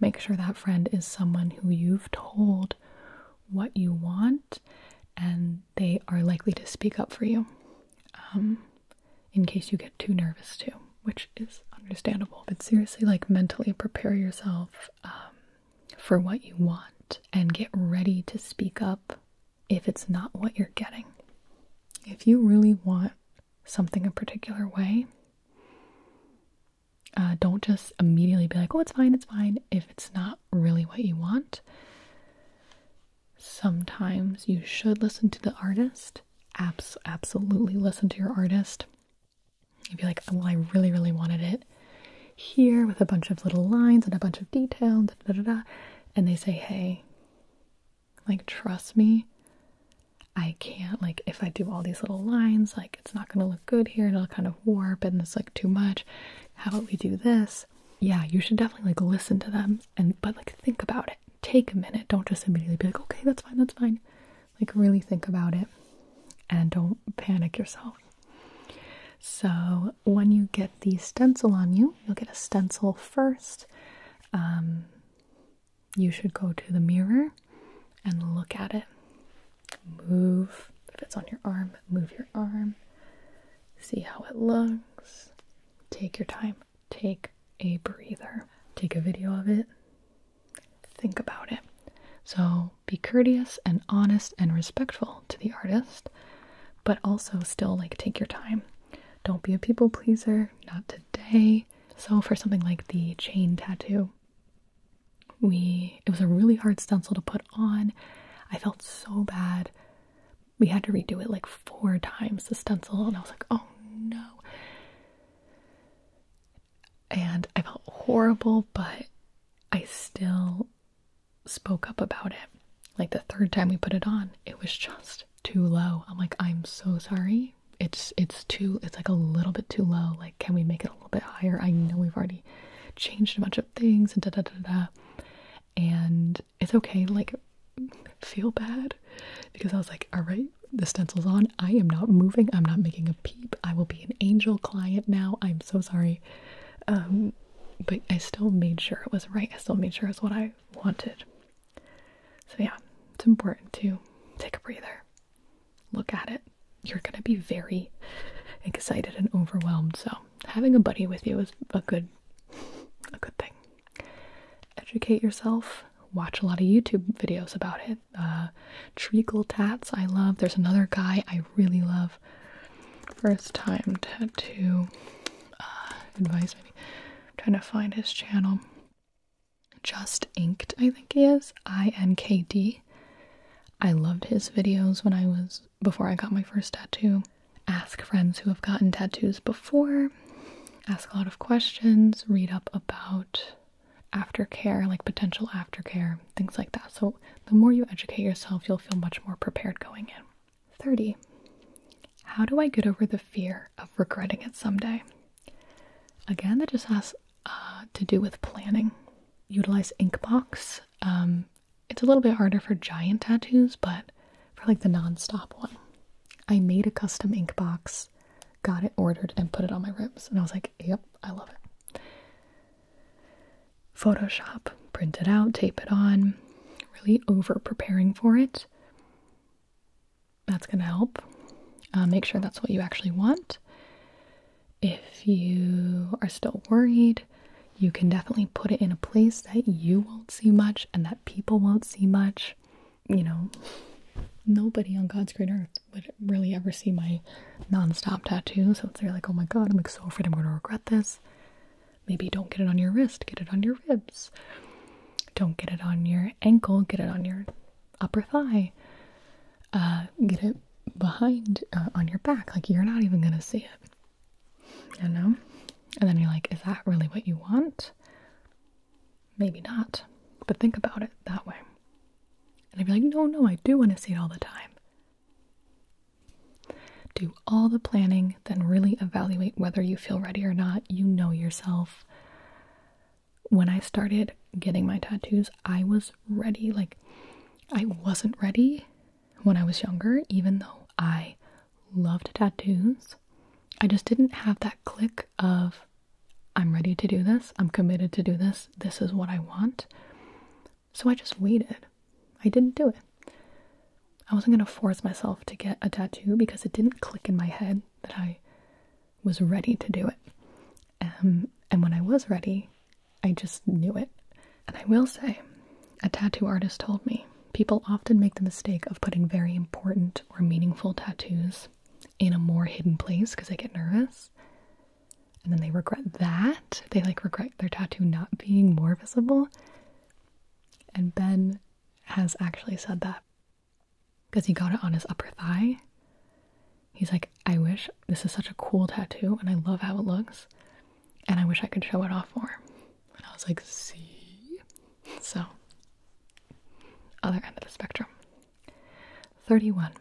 A: Make sure that friend is someone who you've told what you want and they are likely to speak up for you um, in case you get too nervous too, which is understandable. But seriously, like mentally prepare yourself. Um, for what you want and get ready to speak up if it's not what you're getting. If you really want something a particular way, uh, don't just immediately be like, oh, it's fine, it's fine, if it's not really what you want. Sometimes you should listen to the artist. absolutely listen to your artist. You'd be like, well, I really, really wanted it here with a bunch of little lines and a bunch of detail, and they say, hey, like, trust me, I can't, like, if I do all these little lines, like, it's not gonna look good here and it'll kind of warp and it's like too much. How about we do this? Yeah, you should definitely like listen to them and but like think about it. Take a minute. Don't just immediately be like, okay, that's fine, that's fine. Like, really think about it and don't panic yourself. So, when you get the stencil on you, you'll get a stencil first. Um, you should go to the mirror and look at it. Move, if it's on your arm, move your arm. See how it looks. Take your time. Take a breather. Take a video of it. Think about it. So, be courteous and honest and respectful to the artist, but also still like take your time. Don't be a people pleaser, not today. So for something like the chain tattoo, we it was a really hard stencil to put on. I felt so bad. We had to redo it like four times the stencil and I was like, "Oh no." and I felt horrible, but I still spoke up about it. Like the third time we put it on, it was just too low. I'm like, I'm so sorry. It's it's too it's like a little bit too low. Like, can we make it a little bit higher? I know we've already changed a bunch of things and da da da da. And it's okay, like feel bad because I was like, all right, the stencil's on. I am not moving. I'm not making a peep. I will be an angel client now. I'm so sorry. Um, but I still made sure it was right. I still made sure it's what I wanted. So yeah, it's important to take a breather. Look at it. You're going to be very excited and overwhelmed. So having a buddy with you is a good a good thing. Educate yourself. Watch a lot of YouTube videos about it. Uh, treacle tats I love. There's another guy I really love first time tattoo uh, advice. Maybe. I'm trying to find his channel. Just Inked, I think he is. I N K D. I loved his videos when I was before I got my first tattoo. Ask friends who have gotten tattoos before, ask a lot of questions, read up about aftercare, like potential aftercare, things like that. So the more you educate yourself, you'll feel much more prepared going in. 30. How do I get over the fear of regretting it someday? Again, that just has uh, to do with planning. Utilize Inkbox. Um, it's a little bit harder for giant tattoos, but for like the non-stop one, I made a custom Inkbox, got it ordered, and put it on my ribs, and I was like, "Yep, I love it." Photoshop, print it out, tape it on, really over preparing for it. That's going to help. Uh, make sure that's what you actually want. If you are still worried, you can definitely put it in a place that you won't see much and that people won't see much. You know, nobody on God's green earth would really ever see my non-stop tattoos, so it's like oh my god i'm like so afraid i'm going to regret this maybe don't get it on your wrist get it on your ribs don't get it on your ankle get it on your upper thigh uh, get it behind uh, on your back like you're not even going to see it you know and then you're like is that really what you want maybe not but think about it that way and i'd be like no no i do want to see it all the time do all the planning, then really evaluate whether you feel ready or not. You know yourself. When I started getting my tattoos, I was ready. Like, I wasn't ready when I was younger, even though I loved tattoos. I just didn't have that click of, I'm ready to do this, I'm committed to do this, this is what I want. So I just waited. I didn't do it. I wasn't going to force myself to get a tattoo because it didn't click in my head that I was ready to do it. Um, and when I was ready, I just knew it. And I will say, a tattoo artist told me people often make the mistake of putting very important or meaningful tattoos in a more hidden place because they get nervous and then they regret that. They like regret their tattoo not being more visible. And Ben has actually said that because he got it on his upper thigh. He's like, I wish this is such a cool tattoo and I love how it looks, and I wish I could show it off more. And I was like, see? So, other end of the spectrum. 31.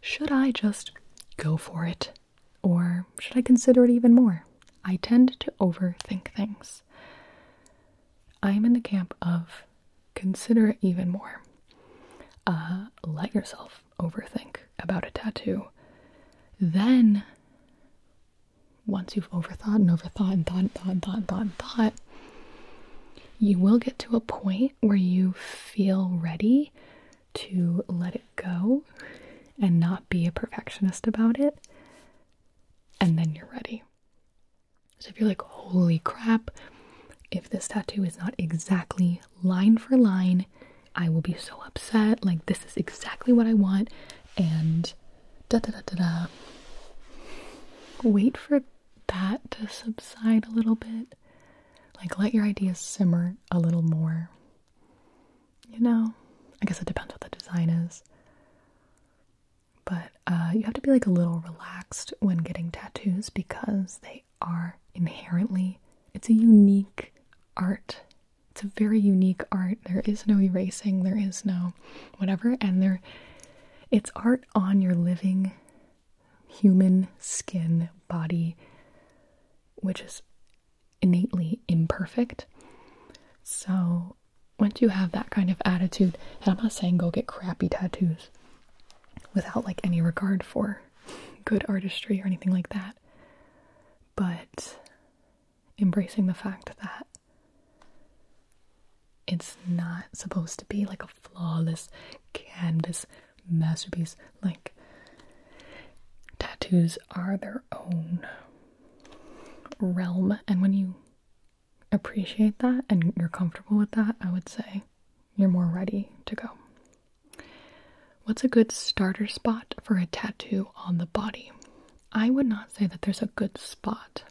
A: Should I just go for it? Or should I consider it even more? I tend to overthink things. I'm in the camp of consider it even more. Uh, let yourself overthink about a tattoo. Then, once you've overthought and overthought and thought and thought and thought and thought and thought, you will get to a point where you feel ready to let it go and not be a perfectionist about it, and then you're ready. So if you're like, holy crap, if this tattoo is not exactly line for line, I will be so upset. Like, this is exactly what I want, and da da da da da. Wait for that to subside a little bit. Like, let your ideas simmer a little more you know, I guess it depends what the design is. But uh, you have to be like a little relaxed when getting tattoos because they are inherently, it's a unique art. It's a very unique art. There is no erasing, there is no whatever, and there, it's art on your living human skin body, which is innately imperfect. So, once you have that kind of attitude, and I'm not saying go get crappy tattoos without like any regard for good artistry or anything like that, but embracing the fact that it's not supposed to be like a flawless canvas masterpiece. Like, tattoos are their own realm, and when you appreciate that and you're comfortable with that, I would say you're more ready to go. What's a good starter spot for a tattoo on the body? I would not say that there's a good spot.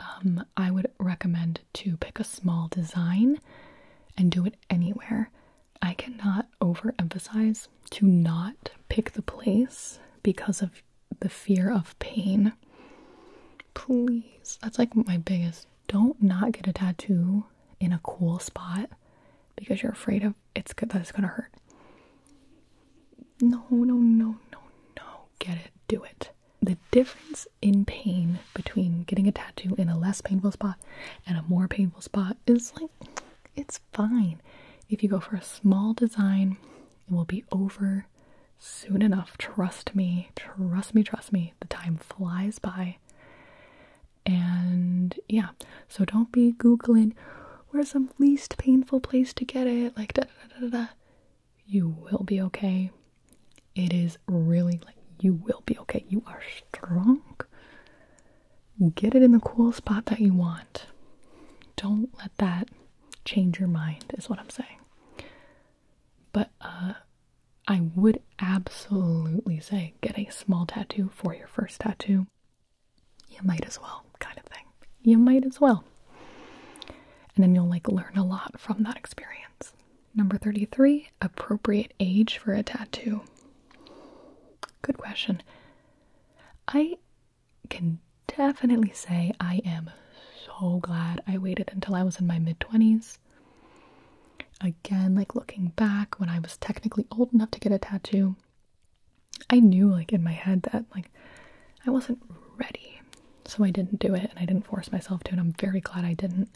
A: Um, I would recommend to pick a small design and do it anywhere I cannot overemphasize to not pick the place because of the fear of pain. Please, that's like my biggest. Don't not get a tattoo in a cool spot because you're afraid of it's good that it's gonna hurt. No, no, no, no, no. Get it, do it. The difference in pain between getting a tattoo in a less painful spot and a more painful spot is like it's fine. If you go for a small design, it will be over soon enough. Trust me, trust me, trust me. The time flies by. And yeah, so don't be Googling where's the least painful place to get it, like da da da da. da. You will be okay. It is really like you will be okay. You are strong get it in the cool spot that you want. Don't let that change your mind, is what I'm saying. But uh, I would absolutely say get a small tattoo for your first tattoo. You might as well, kind of thing. You might as well. And then you'll like learn a lot from that experience. Number 33, appropriate age for a tattoo. Good question. I can definitely say I am so glad I waited until I was in my mid 20s. Again, like looking back when I was technically old enough to get a tattoo, I knew like in my head that like I wasn't ready. So I didn't do it and I didn't force myself to and I'm very glad I didn't.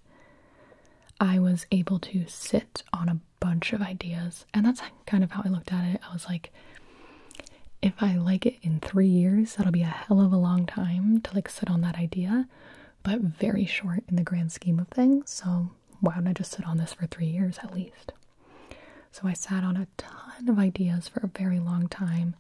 A: I was able to sit on a bunch of ideas, and that's kind of how I looked at it. I was like, if I like it in three years, that'll be a hell of a long time to like sit on that idea, but very short in the grand scheme of things. So, why don't I just sit on this for three years at least? So, I sat on a ton of ideas for a very long time.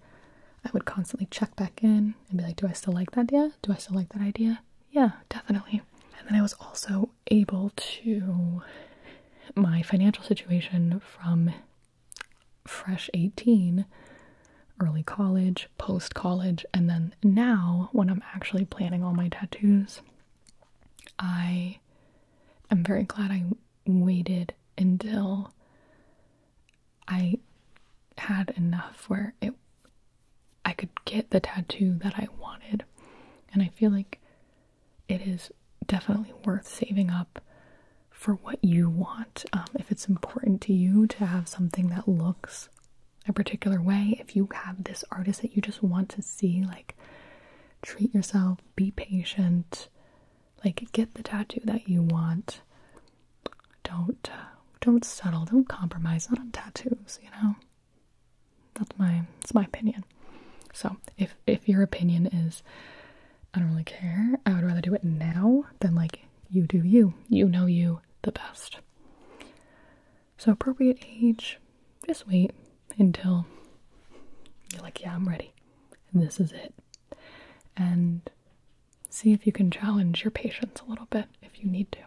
A: I would constantly check back in and be like, do I still like that idea? Do I still like that idea? Yeah, definitely. And then I was also able to my financial situation from fresh 18 early college post college and then now when i'm actually planning all my tattoos i am very glad i waited until i had enough where it i could get the tattoo that i wanted and i feel like it is definitely worth saving up for what you want. Um, if it's important to you to have something that looks a particular way, if you have this artist that you just want to see, like treat yourself, be patient, like get the tattoo that you want. Don't uh, don't settle, don't compromise, on tattoos, you know. That's my it's my opinion. So if if your opinion is I don't really care, I would rather do it now than like you do you. You know you the best. So appropriate age, just wait until you're like, yeah, I'm ready. and This is it. And see if you can challenge your patience a little bit if you need to.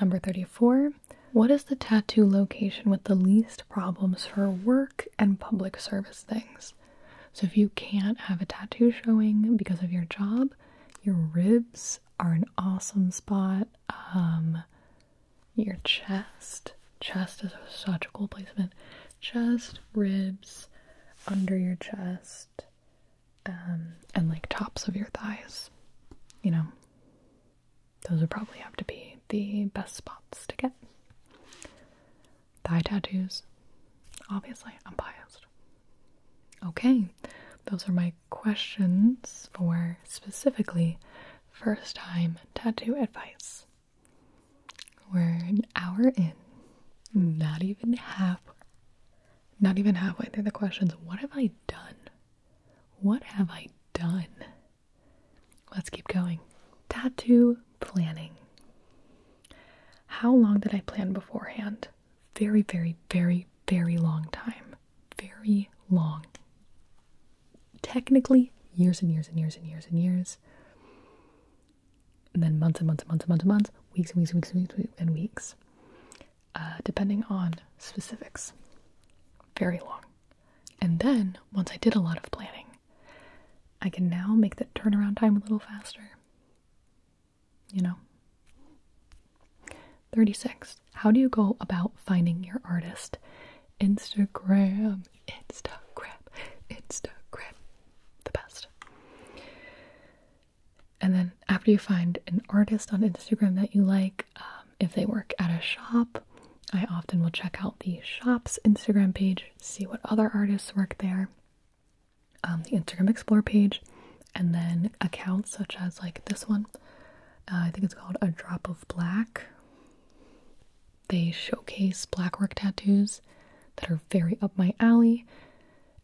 A: Number 34 what is the tattoo location with the least problems for work and public service things? So, if you can't have a tattoo showing because of your job, your ribs are an awesome spot. Um, your chest, chest is such a cool placement. Chest, ribs, under your chest, um, and like tops of your thighs. You know, those would probably have to be the best spots to get. Thigh tattoos. Obviously, I'm biased. Okay, those are my questions for specifically first time tattoo advice. We're an hour in, not even half, not even halfway through the questions. What have I done? What have I done? Let's keep going. Tattoo planning. How long did I plan beforehand? Very, very, very, very long time. Very long. Technically, years and years and years and years and years. And then months and months and months and months and months, weeks and weeks and weeks and weeks and weeks, uh, depending on specifics. Very long. And then, once I did a lot of planning, I can now make that turnaround time a little faster. You know? 36. How do you go about finding your artist? Instagram, Instagram, Instagram. The best. And then after you find an artist on Instagram that you like, um, if they work at a shop, I often will check out the shop's Instagram page, see what other artists work there, um, the Instagram Explore page, and then accounts such as like this one. Uh, I think it's called A Drop of Black. They showcase black work tattoos that are very up my alley.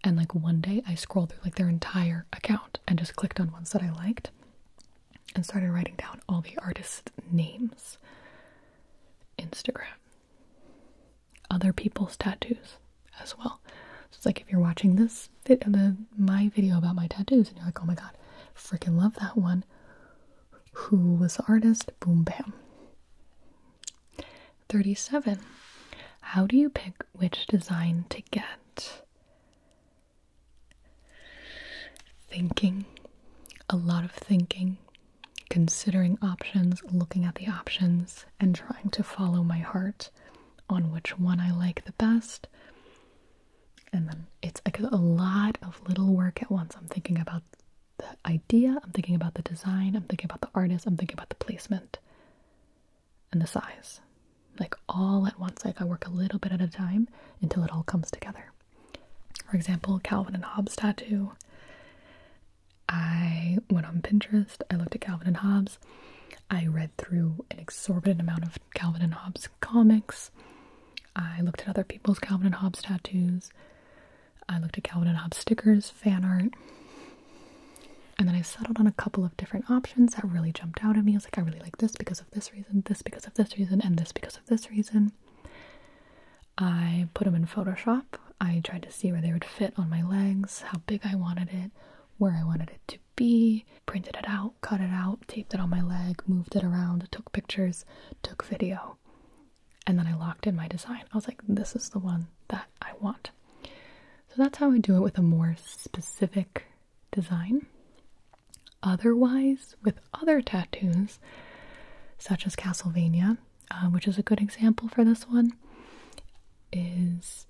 A: And like one day I scrolled through like their entire account and just clicked on ones that I liked and started writing down all the artists' names. Instagram. Other people's tattoos as well. So it's like if you're watching this, the, my video about my tattoos, and you're like, oh my god, freaking love that one. Who was the artist? Boom, bam. 37. How do you pick which design to get? Thinking, a lot of thinking, considering options, looking at the options, and trying to follow my heart on which one I like the best. And then it's like a lot of little work at once. I'm thinking about the idea, I'm thinking about the design, I'm thinking about the artist, I'm thinking about the placement and the size. Like all at once. Like I work a little bit at a time until it all comes together. For example, Calvin and Hobbes tattoo. I went on Pinterest, I looked at Calvin and Hobbes, I read through an exorbitant amount of Calvin and Hobbes comics, I looked at other people's Calvin and Hobbes tattoos, I looked at Calvin and Hobbes stickers, fan art, and then I settled on a couple of different options that really jumped out at me. I was like, I really like this because of this reason, this because of this reason, and this because of this reason. I put them in Photoshop. I tried to see where they would fit on my legs, how big I wanted it, where I wanted it to be, printed it out, cut it out, taped it on my leg, moved it around, took pictures, took video. And then I locked in my design. I was like, this is the one that I want. So that's how I do it with a more specific design. Otherwise, with other tattoos, such as Castlevania, uh, which is a good example for this one, is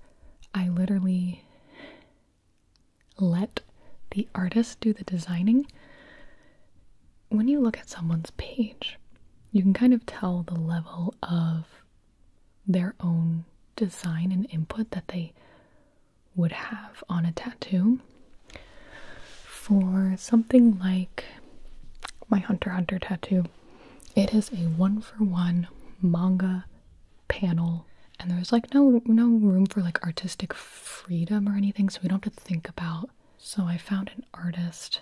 A: I literally let the artist do the designing. When you look at someone's page, you can kind of tell the level of their own design and input that they would have on a tattoo for something like my Hunter Hunter tattoo. It is a one for one manga panel, and there's like no no room for like artistic freedom or anything, so we don't have to think about. So I found an artist,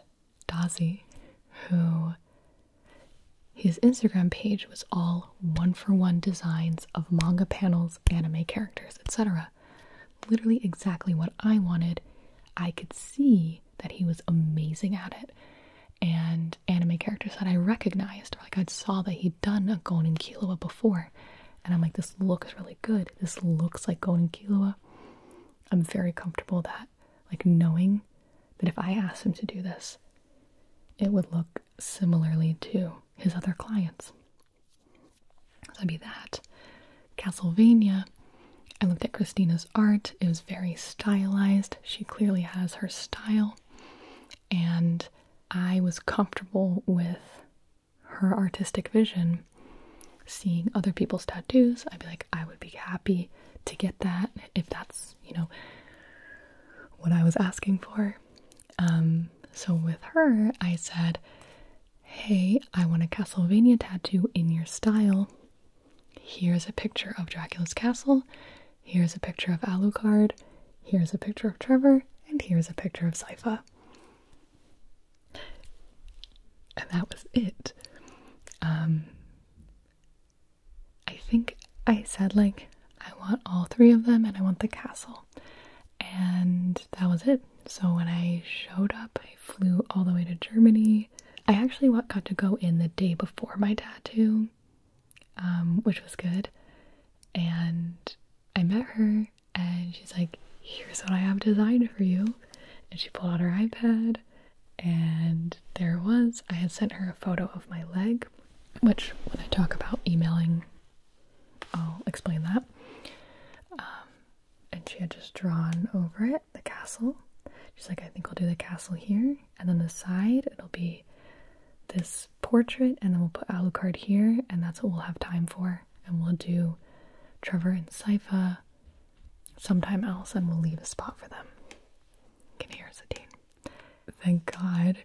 A: Dazi, who his Instagram page was all one for one designs of manga panels, anime characters, etc. Literally exactly what I wanted. I could see that he was amazing at it. And anime characters that I recognized, like I saw that he'd done a Gonin Killua before. And I'm like, this looks really good. This looks like Gonin Killua. I'm very comfortable that, like, knowing that if I asked him to do this, it would look similarly to his other clients that'd be that. Castlevania. I looked at Christina's art. It was very stylized. She clearly has her style. And I was comfortable with her artistic vision. Seeing other people's tattoos, I'd be like, I would be happy to get that if that's, you know, what I was asking for. Um, so with her, I said, hey, I want a Castlevania tattoo in your style. Here's a picture of Dracula's castle. Here's a picture of Alucard. Here's a picture of Trevor. And here's a picture of Sypha. And that was it. Um, I think I said, like, I want all three of them and I want the castle and that was it. So when I showed up, I flew all the way to Germany. I actually got to go in the day before my tattoo, um, which was good. And I met her, and she's like, Here's what I have designed for you. And she pulled out her iPad, and there was. I had sent her a photo of my leg, which when I talk about emailing, I'll explain that. Um, and she had just drawn over it the castle. She's like, I think I'll do the castle here, and then the side it'll be this portrait, and then we'll put Alucard here, and that's what we'll have time for. And we'll do Trevor and Sypha sometime else, and we'll leave a spot for them. Can hear Adine. Thank God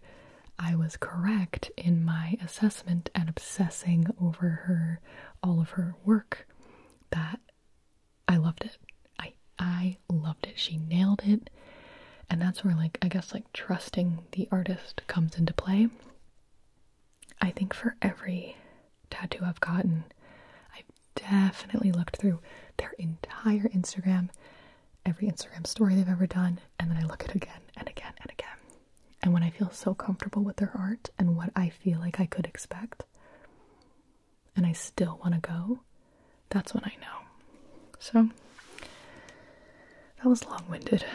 A: I was correct in my assessment and obsessing over her all of her work that I loved it. I I loved it. She nailed it. And that's where like I guess like trusting the artist comes into play. I think for every tattoo I've gotten, I've definitely looked through their entire Instagram, every Instagram story they've ever done, and then I look at it again and again and again. And when I feel so comfortable with their art and what I feel like I could expect, and I still want to go, that's when I know. So that was long winded.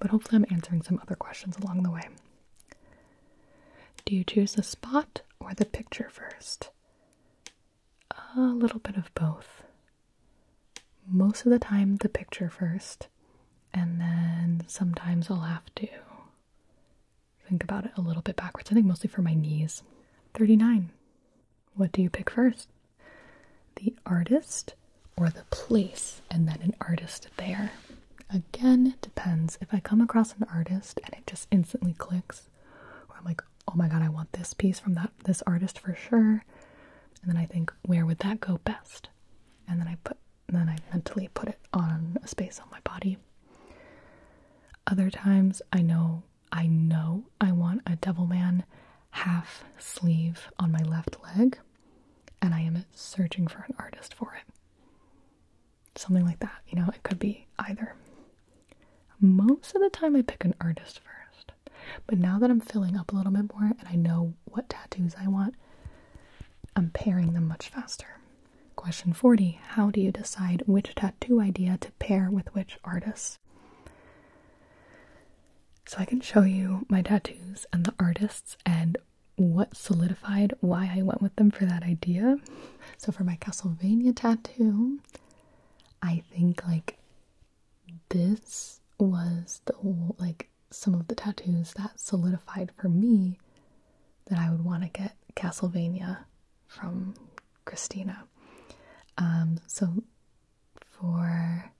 A: But hopefully, I'm answering some other questions along the way. Do you choose the spot or the picture first? A little bit of both. Most of the time, the picture first, and then sometimes I'll have to think about it a little bit backwards. I think mostly for my knees. 39. What do you pick first? The artist or the place, and then an artist there. Again, it depends. If I come across an artist and it just instantly clicks, or I'm like, oh my god, I want this piece from that this artist for sure. And then I think, where would that go best? And then I put and then I mentally put it on a space on my body. Other times I know I know I want a Devilman half sleeve on my left leg and I am searching for an artist for it. Something like that, you know, it could be either. Most of the time I pick an artist first. But now that I'm filling up a little bit more and I know what tattoos I want, I'm pairing them much faster. Question 40 How do you decide which tattoo idea to pair with which artist? So I can show you my tattoos and the artists and what solidified why I went with them for that idea. So for my Castlevania tattoo, I think like this was the whole like some of the tattoos, that solidified for me that I would want to get Castlevania from Christina. Um, so for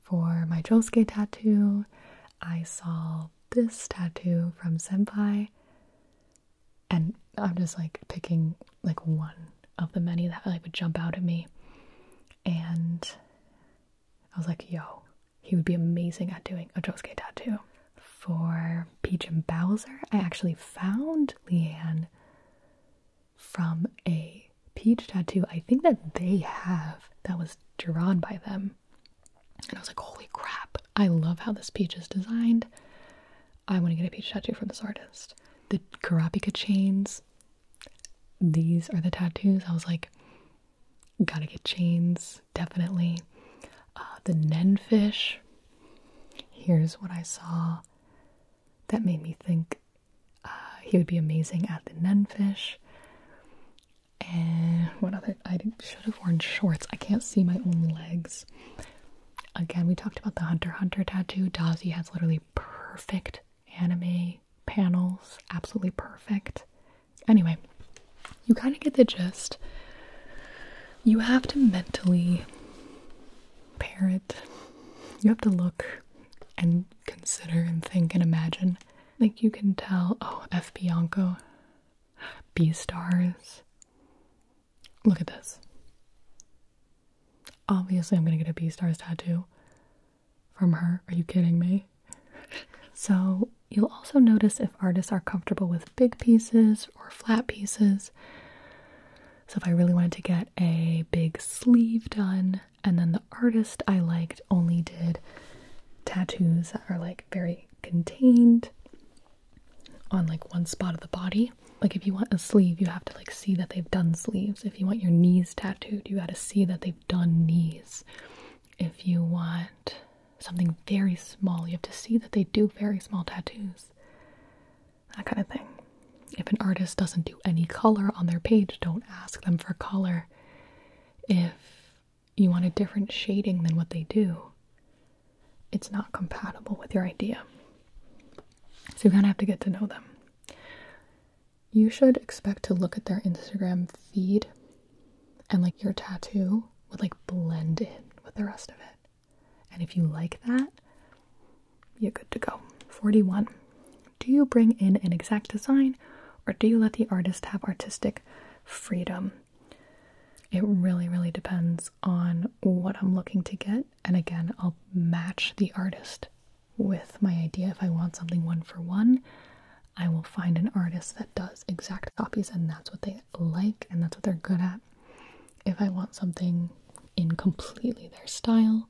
A: for my Josuke tattoo, I saw this tattoo from Senpai, and I'm just like picking like one of the many that like would jump out at me, and I was like, "Yo, he would be amazing at doing a Josuke tattoo. For Peach and Bowser, I actually found Leanne from a Peach tattoo I think that they have that was drawn by them. And I was like, holy crap, I love how this peach is designed. I want to get a peach tattoo from this artist. The Karapika chains these are the tattoos. I was like, gotta get chains, definitely. Uh, the Nenfish. Here's what I saw that made me think uh, he would be amazing at the Nenfish. And what other? I should have worn shorts. I can't see my own legs. Again, we talked about the Hunter Hunter tattoo. Dazi has literally perfect anime panels absolutely perfect. Anyway, you kind of get the gist. You have to mentally pair it. You have to look and consider and think and imagine. Like you can tell, oh, F. Bianco, B stars. Look at this. Obviously, I'm gonna get a B stars tattoo from her. Are you kidding me? so, you'll also notice if artists are comfortable with big pieces or flat pieces. So, if I really wanted to get a big sleeve done, and then the artist I liked only did tattoos that are like very contained on like one spot of the body. Like if you want a sleeve, you have to like see that they've done sleeves. If you want your knees tattooed, you got to see that they've done knees. If you want something very small, you have to see that they do very small tattoos. That kind of thing. If an artist doesn't do any color on their page, don't ask them for color. If you want a different shading than what they do, it's not compatible with your idea. So you kind of have to get to know them you should expect to look at their Instagram feed and like your tattoo would like blend in with the rest of it. And if you like that, you're good to go. 41. Do you bring in an exact design or do you let the artist have artistic freedom? It really, really depends on what I'm looking to get. And again, I'll match the artist with my idea if I want something one for one. I will find an artist that does exact copies and that's what they like and that's what they're good at. If I want something in completely their style,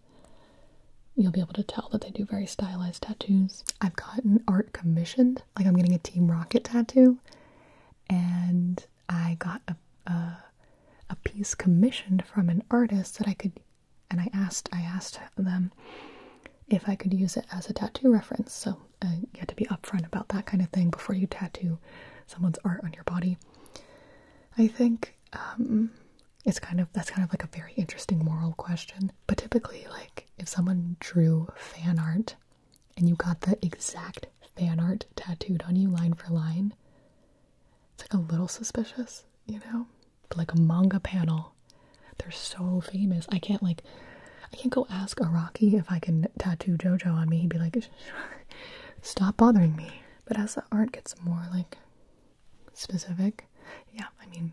A: you'll be able to tell that they do very stylized tattoos. I've gotten art commissioned, like I'm getting a Team Rocket tattoo, and I got a, a, piece commissioned from an artist that I could, and I asked, I asked them if I could use it as a tattoo reference. So uh, you have to be upfront about that kind of thing before you tattoo someone's art on your body. I think um, it's kind of that's kind of like a very interesting moral question. But typically, like if someone drew fan art and you got the exact fan art tattooed on you line for line, it's like a little suspicious, you know? But like a manga panel they're so famous. I can't like I can't go ask Araki if I can tattoo Jojo on me. He'd be like, "Stop bothering me." But as the art gets more like specific, yeah, I mean,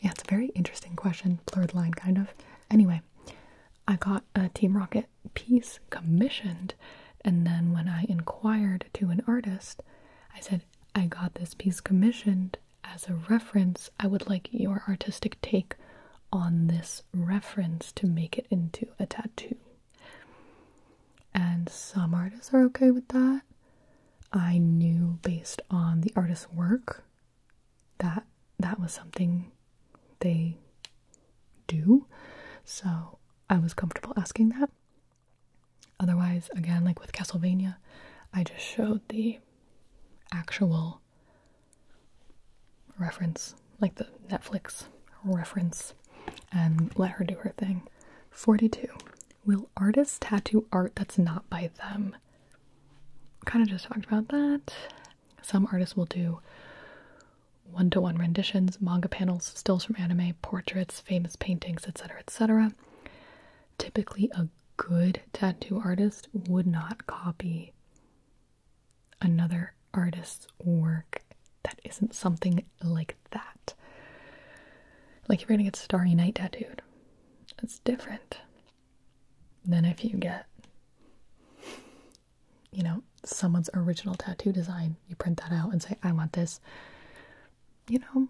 A: yeah, it's a very interesting question, blurred line kind of. Anyway, I got a Team Rocket piece commissioned, and then when I inquired to an artist, I said, "I got this piece commissioned as a reference, I would like your artistic take on this reference to make it into a tattoo. And some artists are okay with that. I knew based on the artist's work that that was something they do. So I was comfortable asking that. Otherwise, again, like with Castlevania, I just showed the actual reference, like the Netflix reference, and let her do her thing. 42. Will artists tattoo art that's not by them? Kind of just talked about that. Some artists will do one to one renditions, manga panels, stills from anime, portraits, famous paintings, etc., etc. Typically, a good tattoo artist would not copy another artist's work that isn't something like that. Like if you're gonna get Starry Night tattooed, that's different than if you get, you know, someone's original tattoo design. You print that out and say, I want this, you know.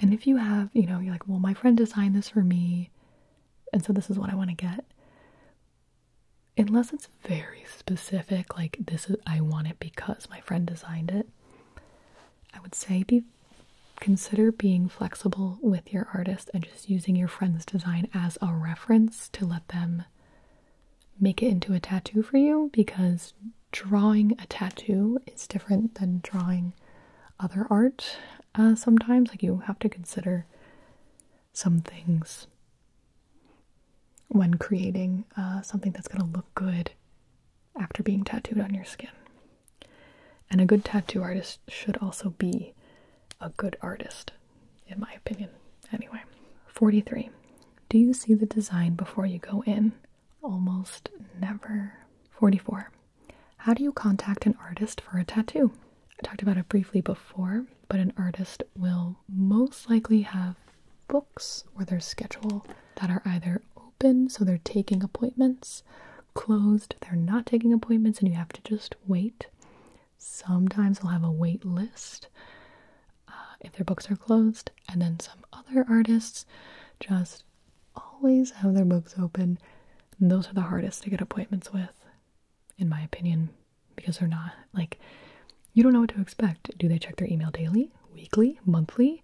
A: And if you have, you know, you're like, well, my friend designed this for me and so this is what I want to get. Unless it's very specific, like this is I want it because my friend designed it. I would say be consider being flexible with your artist and just using your friend's design as a reference to let them make it into a tattoo for you because drawing a tattoo is different than drawing other art uh, sometimes. Like, you have to consider some things when creating uh, something that's going to look good after being tattooed on your skin. And a good tattoo artist should also be a good artist, in my opinion. Anyway, 43. Do you see the design before you go in? Almost never. 44. How do you contact an artist for a tattoo? I talked about it briefly before, but an artist will most likely have books or their schedule that are either open, so they're taking appointments, closed, they're not taking appointments, and you have to just wait. Sometimes they'll have a wait list uh, if their books are closed, and then some other artists just always have their books open. those are the hardest to get appointments with, in my opinion, because they're not like you don't know what to expect. Do they check their email daily, weekly, monthly?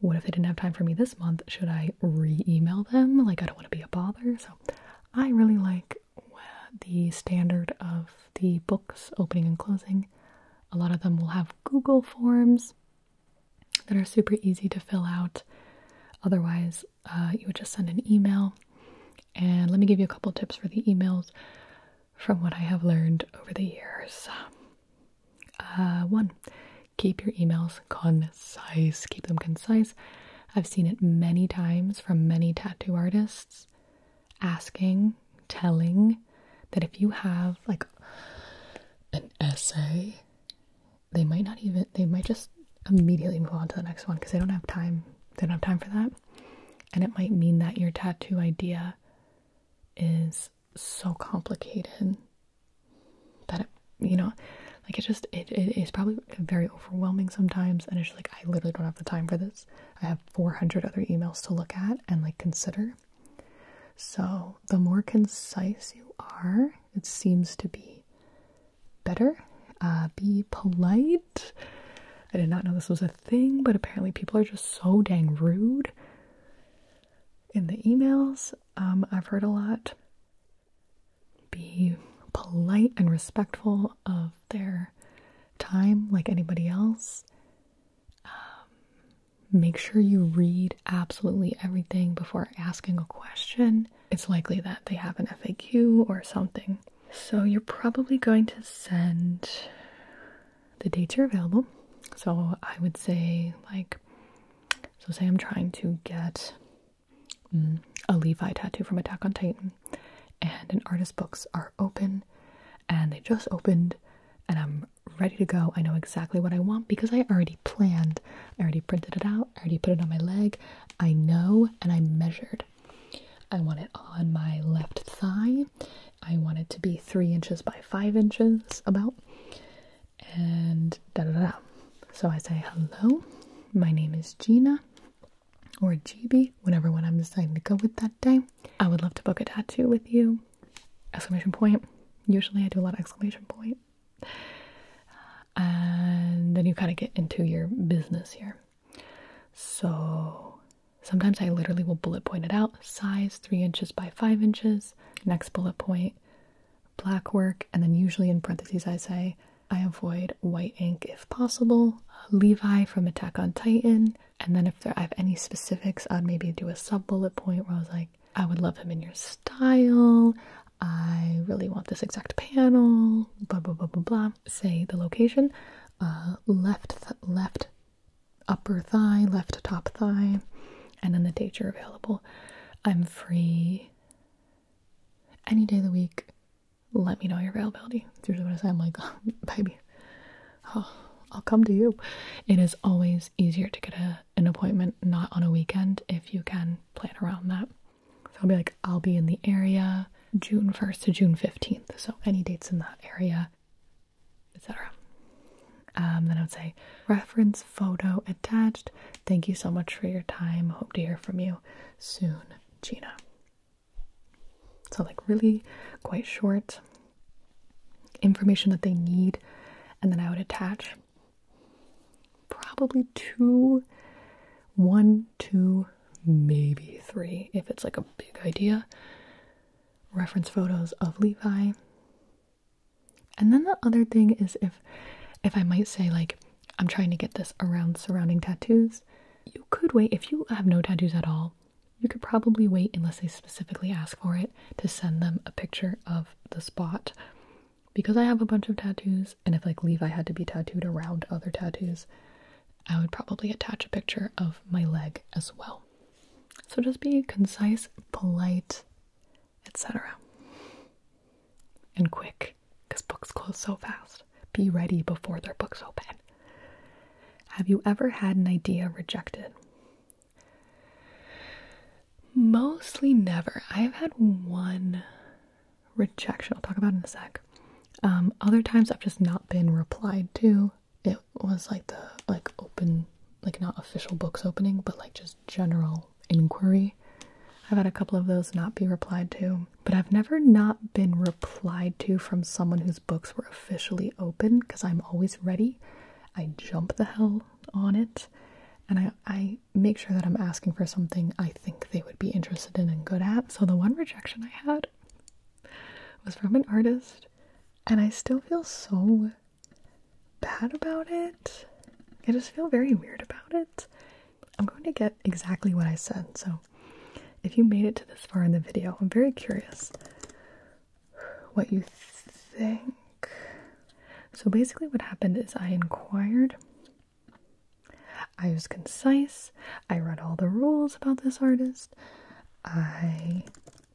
A: What if they didn't have time for me this month? Should I re email them? Like, I don't want to be a bother. So, I really like the standard of the books opening and closing. A lot of them will have Google forms that are super easy to fill out. Otherwise, uh, you would just send an email. And let me give you a couple tips for the emails from what I have learned over the years. Uh, one, keep your emails concise, keep them concise. I've seen it many times from many tattoo artists asking, telling that if you have like an essay, they might not even they might just immediately move on to the next one because they don't have time they don't have time for that and it might mean that your tattoo idea is so complicated that it you know like it just it, it is probably very overwhelming sometimes and it's like i literally don't have the time for this i have 400 other emails to look at and like consider so the more concise you are it seems to be better. Uh, be polite. I did not know this was a thing, but apparently people are just so dang rude in the emails. Um, I've heard a lot. Be polite and respectful of their time, like anybody else. Um, make sure you read absolutely everything before asking a question it's likely that they have an FAQ or something. So you're probably going to send the dates you're available. So I would say, like, so say I'm trying to get mm, a Levi tattoo from Attack on Titan, and an artist's books are open, and they just opened, and I'm ready to go. I know exactly what I want because I already planned I already printed it out, I already put it on my leg. I know and I measured. I want it on my left thigh. I want it to be three inches by five inches, about. And da da da. So I say, hello, my name is Gina or GB, whichever one I'm deciding to go with that day. I would love to book a tattoo with you. Exclamation point. Usually I do a lot of exclamation point and then you kind of get into your business here. So sometimes I literally will bullet point it out size three inches by five inches, next bullet point, black work, and then usually in parentheses I say, I avoid white ink if possible, Levi from Attack on Titan, and then if I have any specifics, I'd maybe do a sub bullet point where I was like, I would love him in your style. I really want this exact panel, blah blah blah blah blah. Say the location, uh, left left upper thigh, left top thigh, and then the dates are available. I'm free any day of the week. Let me know your availability. Seriously, what I say. I'm like, oh, baby, I'll come to you. It is always easier to get an appointment not on a weekend if you can plan around that. So I'll be like, I'll be in the area June 1st to June 15th. So any dates in that area, etc. Um, then I would say, reference photo attached. Thank you so much for your time. Hope to hear from you soon, Gina. So, like, really quite short information that they need, and then I would attach probably two, one, two, maybe three, if it's like a big idea. Reference photos of Levi. And then the other thing is if if I might say like I'm trying to get this around surrounding tattoos, you could wait if you have no tattoos at all. You could probably wait unless they specifically ask for it to send them a picture of the spot because I have a bunch of tattoos, and if like Levi had to be tattooed around other tattoos, I would probably attach a picture of my leg as well. So just be concise, polite, etc. And quick, because books close so fast. Be ready before their books open. Have you ever had an idea rejected? Mostly never. I've had one rejection. I'll talk about in a sec. Um, other times I've just not been replied to. It was like the like open like not official books opening, but like just general inquiry. I've had a couple of those not be replied to, but I've never not been replied to from someone whose books were officially open because I'm always ready. I jump the hell on it, and I I make sure that I'm asking for something I think they would be interested in and good at. So the one rejection I had was from an artist, and I still feel so bad about it. I just feel very weird about it. I'm going to get exactly what I said. So if you made it to this far in the video, I'm very curious what you think. So basically what happened is I inquired I was concise. I read all the rules about this artist. I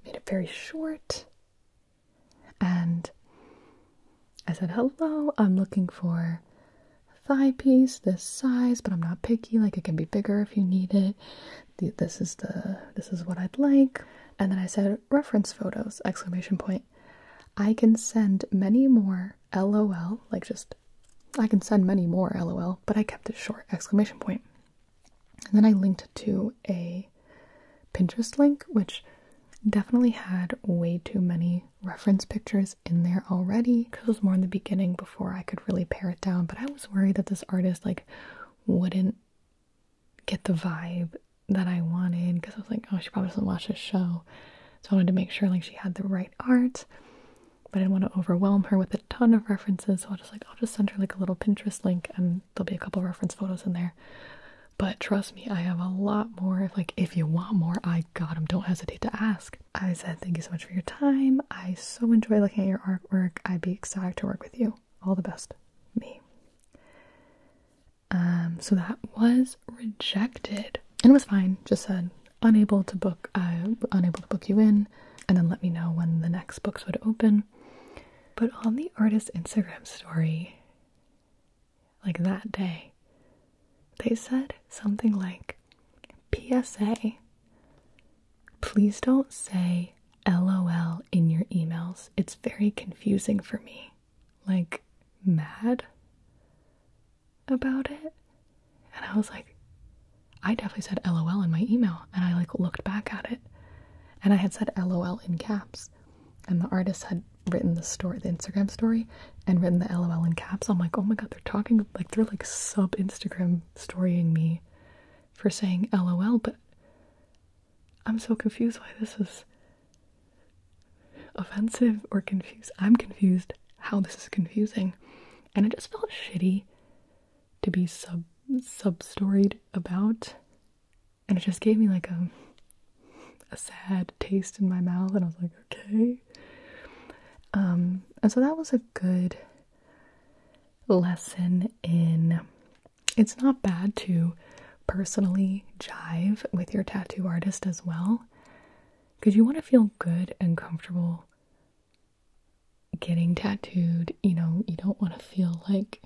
A: made it very short. And I said, Hello, I'm looking for a thigh piece this size, but I'm not picky. Like, it can be bigger if you need it. this is the this is what I'd like. And then I said reference photos exclamation point. I can send many more LOL, like just I can send many more, lol, but I kept it short, exclamation point. And then I linked to a Pinterest link, which definitely had way too many reference pictures in there already because it was more in the beginning before I could really pare it down. But I was worried that this artist like wouldn't get the vibe that I wanted because I was like, oh, she probably doesn't watch this show. So I wanted to make sure like she had the right art but I didn't want to overwhelm her with a ton of references, so I will just like I'll just send her like a little Pinterest link, and there'll be a couple reference photos in there. But trust me, I have a lot more. like if you want more, I got them. Don't hesitate to ask. I said thank you so much for your time. I so enjoy looking at your artwork. I'd be excited to work with you. All the best, me. Um, so that was rejected and it was fine. Just said unable to book uh, unable to book you in and then let me know when the next books would open but on the artist instagram story like that day they said something like psa please don't say lol in your emails it's very confusing for me like mad about it. And I was like, I definitely said LOL in my email. And I like looked back at it and I had said LOL in caps. And the artist had written the story, the Instagram story, and written the LOL in caps. I'm like, oh my god, they're talking like they're like sub Instagram storying me for saying LOL, but I'm so confused why this is offensive or confused. I'm confused how this is confusing. And it just felt shitty to be sub sub-storied about. And it just gave me like a a sad taste in my mouth and I was like, okay. Um and so that was a good lesson in it's not bad to personally jive with your tattoo artist as well because you want to feel good and comfortable getting tattooed. You know, you don't want to feel like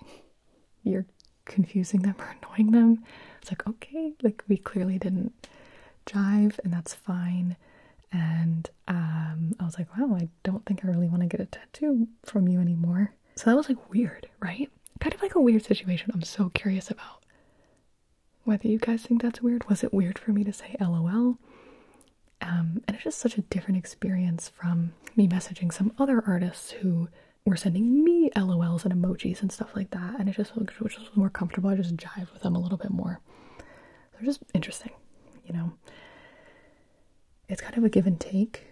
A: you're confusing them or annoying them. It's like, okay, like we clearly didn't jive, and that's fine. And um, I was like, wow, I don't think I really want to get a tattoo from you anymore. So that was like weird, right? Kind of like a weird situation I'm so curious about whether you guys think that's weird. Was it weird for me to say LOL? Um, and it's just such a different experience from me messaging some other artists who were sending me LOLs and emojis and stuff like that. And it just was, which was more comfortable. I just jive with them a little bit more. They're just interesting, you know. It's kind of a give and take.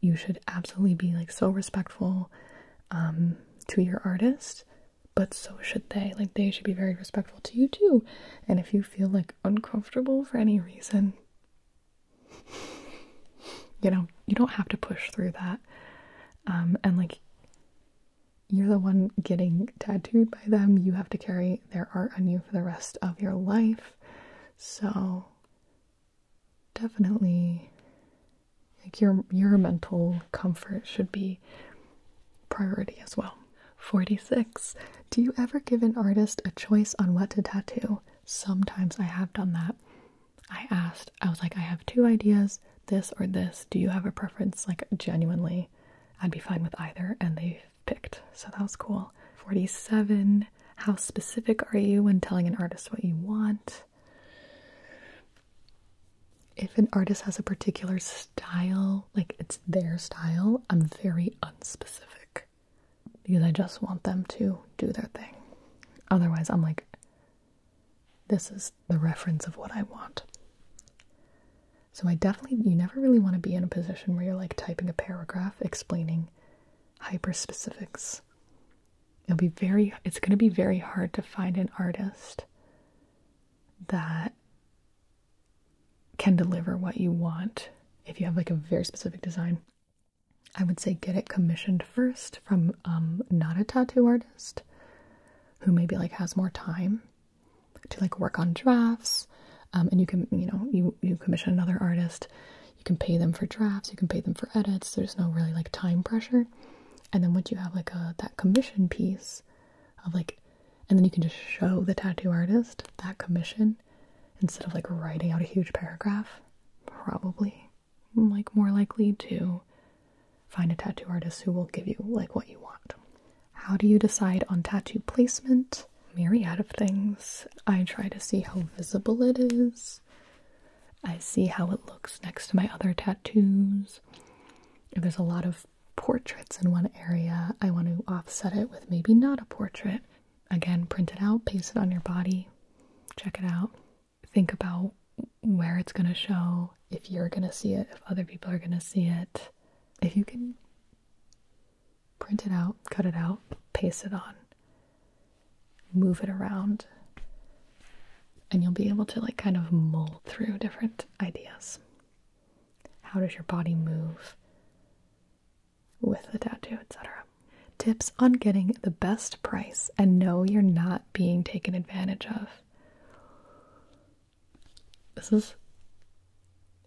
A: You should absolutely be like so respectful um, to your artist but so should they. Like, they should be very respectful to you too. And if you feel like uncomfortable for any reason, you know, you don't have to push through that. Um, and like, you're the one getting tattooed by them. You have to carry their art on you for the rest of your life. So definitely like your your mental comfort should be priority as well. 46. Do you ever give an artist a choice on what to tattoo? Sometimes I have done that. I asked, I was like, I have two ideas, this or this. Do you have a preference? Like, genuinely, I'd be fine with either. And they picked. So that was cool. 47. How specific are you when telling an artist what you want? if an artist has a particular style, like it's their style, I'm very unspecific because I just want them to do their thing. Otherwise, I'm like, this is the reference of what I want. So, I definitely, you never really want to be in a position where you're like typing a paragraph explaining hyper specifics. It'll be very, it's going to be very hard to find an artist that can deliver what you want if you have like a very specific design i would say get it commissioned first from um not a tattoo artist who maybe like has more time to like work on drafts um, and you can you know you you commission another artist you can pay them for drafts you can pay them for edits there's no really like time pressure and then once you have like a that commission piece of like and then you can just show the tattoo artist that commission instead of like writing out a huge paragraph. Probably like more likely to find a tattoo artist who will give you like what you want. How do you decide on tattoo placement? out of things. I try to see how visible it is. I see how it looks next to my other tattoos. there's a lot of portraits in one area, I want to offset it with maybe not a portrait. Again, print it out, paste it on your body, check it out. Think about where it's going to show, if you're going to see it, if other people are going to see it. If you can print it out, cut it out, paste it on, move it around, and you'll be able to like kind of mold through different ideas. How does your body move with the tattoo, etc.? Tips on getting the best price and know you're not being taken advantage of. This is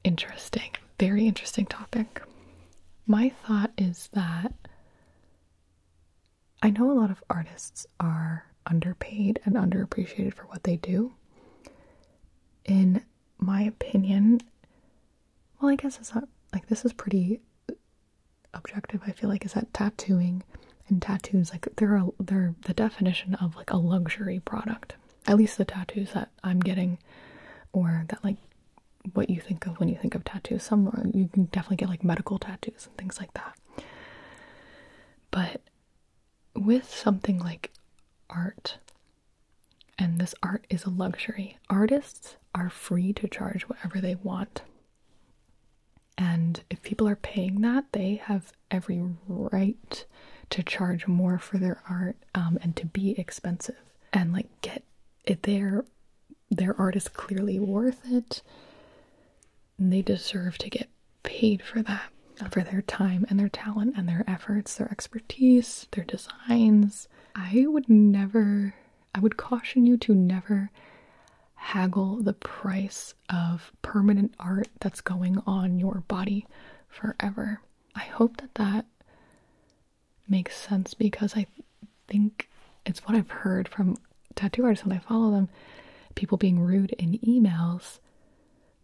A: interesting, very interesting topic. My thought is that I know a lot of artists are underpaid and underappreciated for what they do. In my opinion, well, I guess it's not like this is pretty objective. I feel like is that tattooing and tattoos like they're they're the definition of like a luxury product. At least the tattoos that I'm getting, or that like what you think of when you think of tattoos. Some you can definitely get like medical tattoos and things like that. But with something like art, and this art is a luxury, artists are free to charge whatever they want. And if people are paying that, they have every right to charge more for their art um, and to be expensive and like get it their their art is clearly worth it. And they deserve to get paid for that, for their time and their talent and their efforts, their expertise, their designs. I would never, I would caution you to never haggle the price of permanent art that's going on your body forever. I hope that that makes sense because I think it's what I've heard from tattoo artists when I follow them, people being rude in emails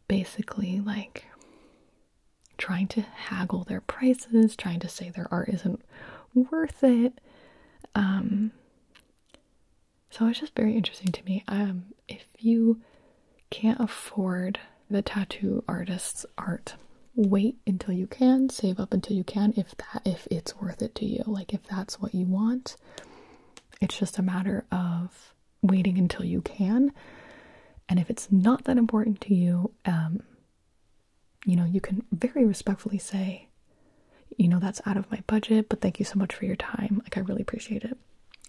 A: basically like trying to haggle their prices, trying to say their art isn't worth it. Um, so it's just very interesting to me. Um, if you can't afford the tattoo artist's art, wait until you can, save up until you can if that if it's worth it to you. Like if that's what you want. It's just a matter of waiting until you can. And if it's not that important to you, um, you know, you can very respectfully say, you know, that's out of my budget, but thank you so much for your time. Like, I really appreciate it.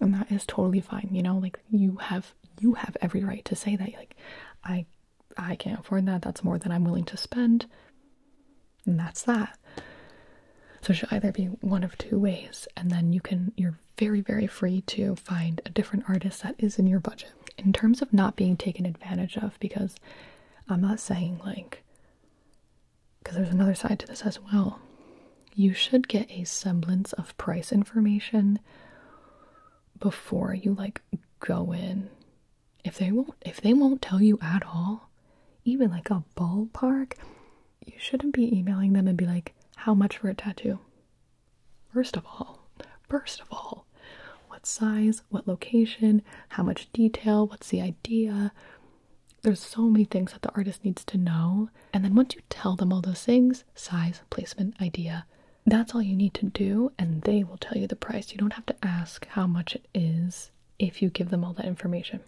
A: And that is totally fine. You know, like you have, you have every right to say that. Like, I, I can't afford that. That's more than I'm willing to spend. And that's that. So it should either be one of two ways. And then you can, you're very, very free to find a different artist that is in your budget. In terms of not being taken advantage of, because I'm not saying like, because there's another side to this as well, you should get a semblance of price information before you like go in. If they won't, if they won't tell you at all, even like a ballpark, you shouldn't be emailing them and be like, how much for a tattoo? First of all, first of all, what size, what location, how much detail, what's the idea? There's so many things that the artist needs to know. And then once you tell them all those things size, placement, idea that's all you need to do, and they will tell you the price. You don't have to ask how much it is if you give them all that information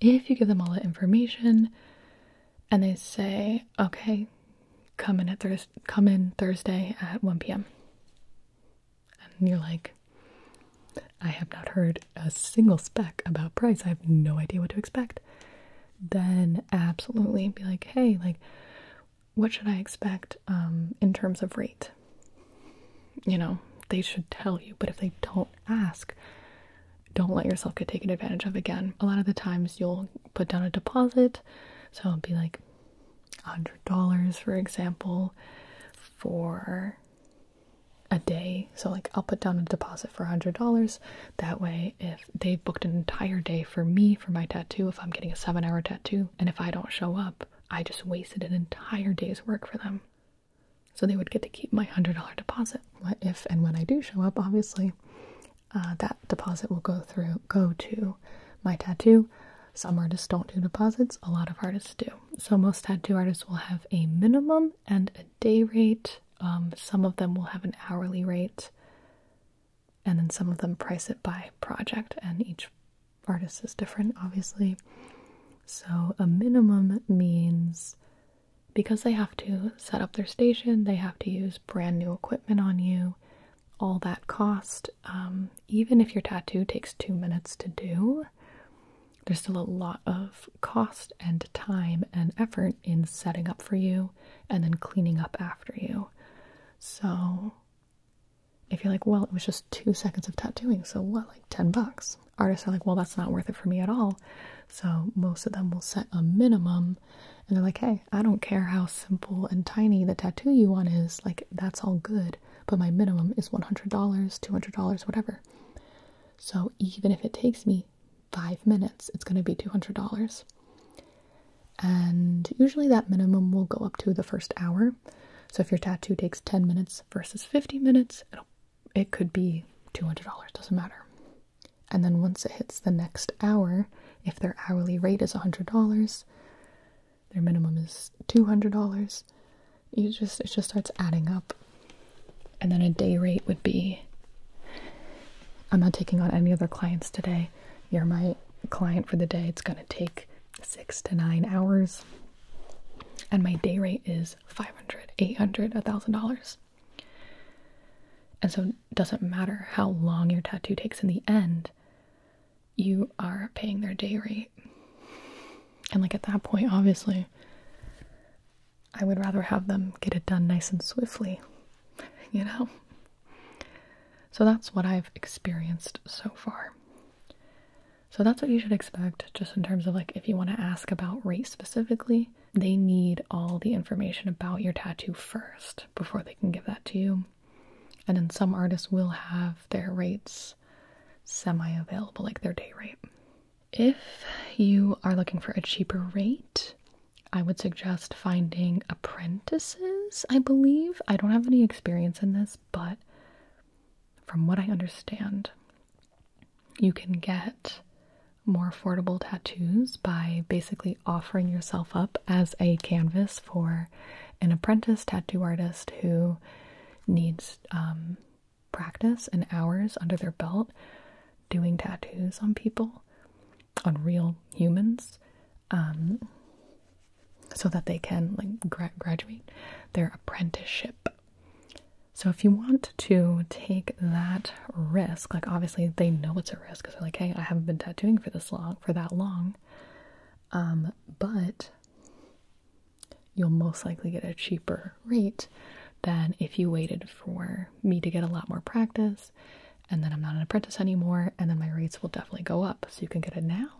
A: if you give them all that information and they say, okay, come in at Thurs come in Thursday at 1 p.m. And you're like, I have not heard a single spec about price. I have no idea what to expect. Then absolutely be like, hey, like, what should I expect um, in terms of rate? You know, they should tell you, but if they don't ask, don't let yourself get taken advantage of again. A lot of the times you'll put down a deposit, so it'll be like $100 for example for a day. So like I'll put down a deposit for $100. That way if they booked an entire day for me for my tattoo, if I'm getting a 7-hour tattoo and if I don't show up, I just wasted an entire day's work for them. So they would get to keep my $100 deposit. What if and when I do show up, obviously, uh, that deposit will go through go to my tattoo. Some artists don't do deposits, a lot of artists do. So most tattoo artists will have a minimum and a day rate. Um, some of them will have an hourly rate, and then some of them price it by project, and each artist is different, obviously. So a minimum means because they have to set up their station, they have to use brand new equipment on you, all that cost. Um, even if your tattoo takes two minutes to do, there's still a lot of cost and time and effort in setting up for you and then cleaning up after you. So, if you're like, well, it was just two seconds of tattooing, so what, like 10 bucks? Artists are like, well, that's not worth it for me at all. So most of them will set a minimum and they're like, hey, I don't care how simple and tiny the tattoo you want is, like, that's all good, but my minimum is $100, $200, whatever. So even if it takes me five minutes, it's going to be $200. And usually that minimum will go up to the first hour. So if your tattoo takes 10 minutes versus 50 minutes, it could be $200, doesn't matter. And then once it hits the next hour, if their hourly rate is $100, their minimum is $200. You just it just starts adding up. And then a day rate would be I'm not taking on any other clients today. You're my client for the day. It's going to take 6 to 9 hours. And my day rate is 500, 800, $1000. And so doesn't matter how long your tattoo takes in the end you are paying their day rate and like at that point obviously i would rather have them get it done nice and swiftly you know so that's what i've experienced so far so that's what you should expect just in terms of like if you want to ask about rate specifically they need all the information about your tattoo first before they can give that to you. And then some artists will have their rates semi available, like their day rate. If you are looking for a cheaper rate, I would suggest finding apprentices, I believe. I don't have any experience in this, but from what I understand, you can get more affordable tattoos by basically offering yourself up as a canvas for an apprentice tattoo artist who needs um, practice and hours under their belt doing tattoos on people, on real humans, um, so that they can like graduate their apprenticeship. So if you want to take that risk, like obviously they know it's a because I'm like, hey, I haven't been tattooing for this long for that long. Um, but you'll most likely get a cheaper rate than if you waited for me to get a lot more practice and then I'm not an apprentice anymore, and then my rates will definitely go up. So you can get it now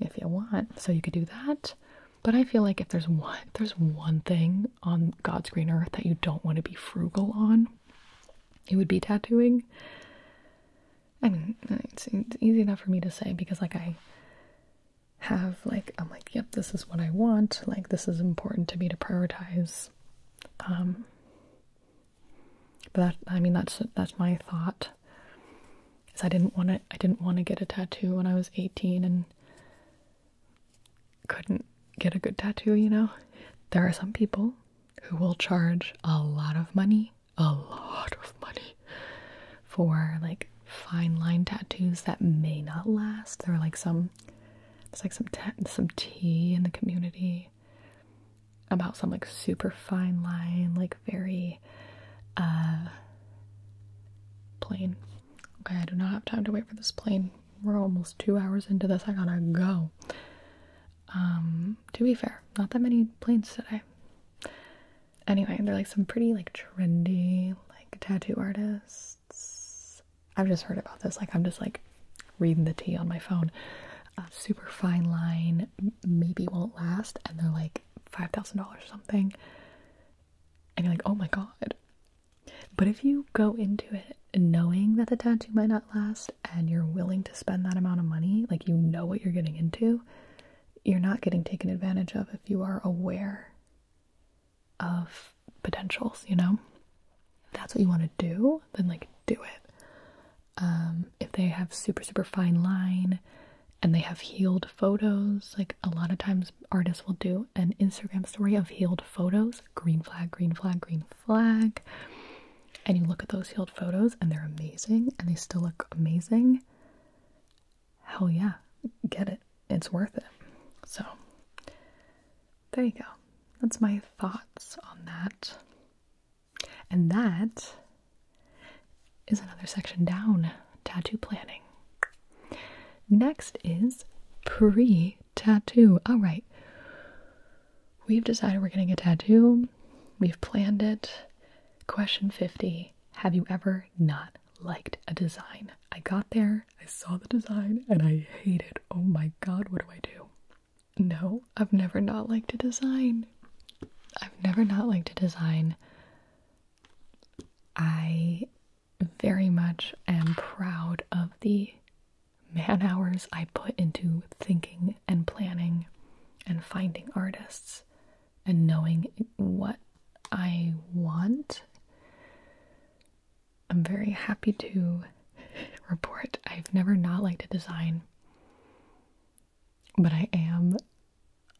A: if you want. So you could do that. But I feel like if there's one if there's one thing on God's green earth that you don't want to be frugal on, it would be tattooing. I mean, it's, easy enough for me to say because, like, I have, like, I'm like, yep, this is what I want. Like, this is important to me to prioritize. Um, but that, I mean, that's that's my thought. Is I didn't want to, I didn't want to get a tattoo when I was 18, and couldn't get a good tattoo, you know? There are some people who will charge a lot of money, a lot of money, for like fine line tattoos that may not last. There are like some, it's like some, some tea in the community about some like super fine line, like very uh, plain. Okay, I do not have time to wait for this plane we're almost two hours into this. I gotta go. Um, to be fair, not that many planes today. Anyway, they're like some pretty like trendy like tattoo artists. I've just heard about this. Like I'm just like reading the tea on my phone. Uh, super fine line maybe won't last, and they're like five thousand dollars something. And you're like, oh my god. But if you go into it knowing that the tattoo might not last and you're willing to spend that amount of money, like you know what you're getting into, you're not getting taken advantage of if you are aware of potentials, you know? If that's what you want to do, then like do it. Um, if they have super, super fine line and they have healed photos, like a lot of times artists will do an Instagram story of healed photos, green flag, green flag, green flag. And you look at those healed photos and they're amazing and they still look amazing. Hell yeah, get it. It's worth it. So, there you go. That's my thoughts on that. And that is another section down tattoo planning. Next is pre tattoo. All right. We've decided we're getting a tattoo. We've planned it. Question 50 Have you ever not liked a design? I got there, I saw the design, and I hate it. Oh my god, what do I do? No, I've never not liked a design. I've never not liked a design. I very much am proud of the man hours I put into thinking and planning and finding artists and knowing what I want. I'm very happy to report I've never not liked a design, but I am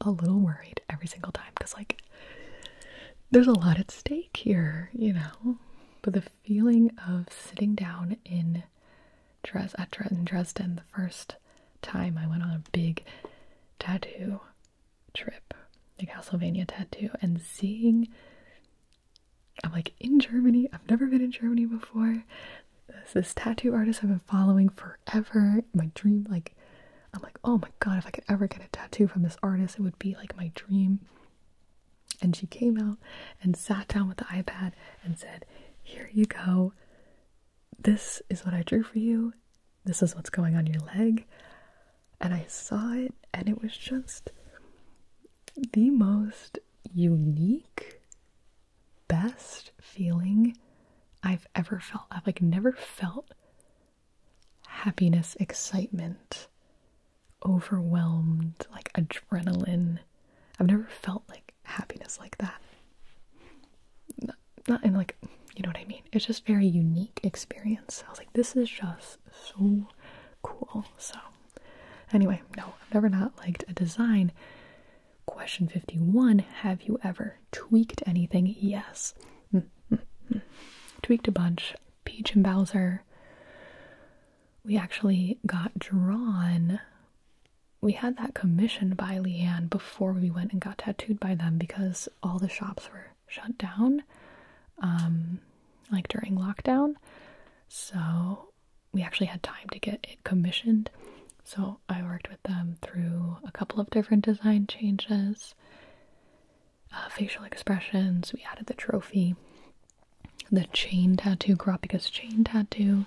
A: a little worried every single time because, like, there's a lot at stake here, you know? But the feeling of sitting down in in Dres at Dresden the first time I went on a big tattoo trip, the Castlevania tattoo, and seeing I'm like in Germany. I've never been in Germany before. This, this tattoo artist I've been following forever. My dream, like, I'm like, oh my god, if I could ever get a tattoo from this artist, it would be like my dream. And she came out and sat down with the iPad and said, Here you go. This is what I drew for you. This is what's going on your leg. And I saw it, and it was just the most unique, best feeling I've ever felt. I've like never felt happiness, excitement overwhelmed, like adrenaline. I've never felt like happiness like that. Not, not in like, you know what I mean? It's just very unique experience. I was like, this is just so cool. So anyway, no, I've never not liked a design. Question 51, have you ever tweaked anything? Yes. Mm, mm, mm. Tweaked a bunch. Peach and Bowser we actually got drawn. We had that commissioned by Leanne before we went and got tattooed by them because all the shops were shut down, um, like during lockdown. So we actually had time to get it commissioned. So I worked with them through a couple of different design changes, uh, facial expressions. We added the trophy, the chain tattoo, Karapika's chain tattoo.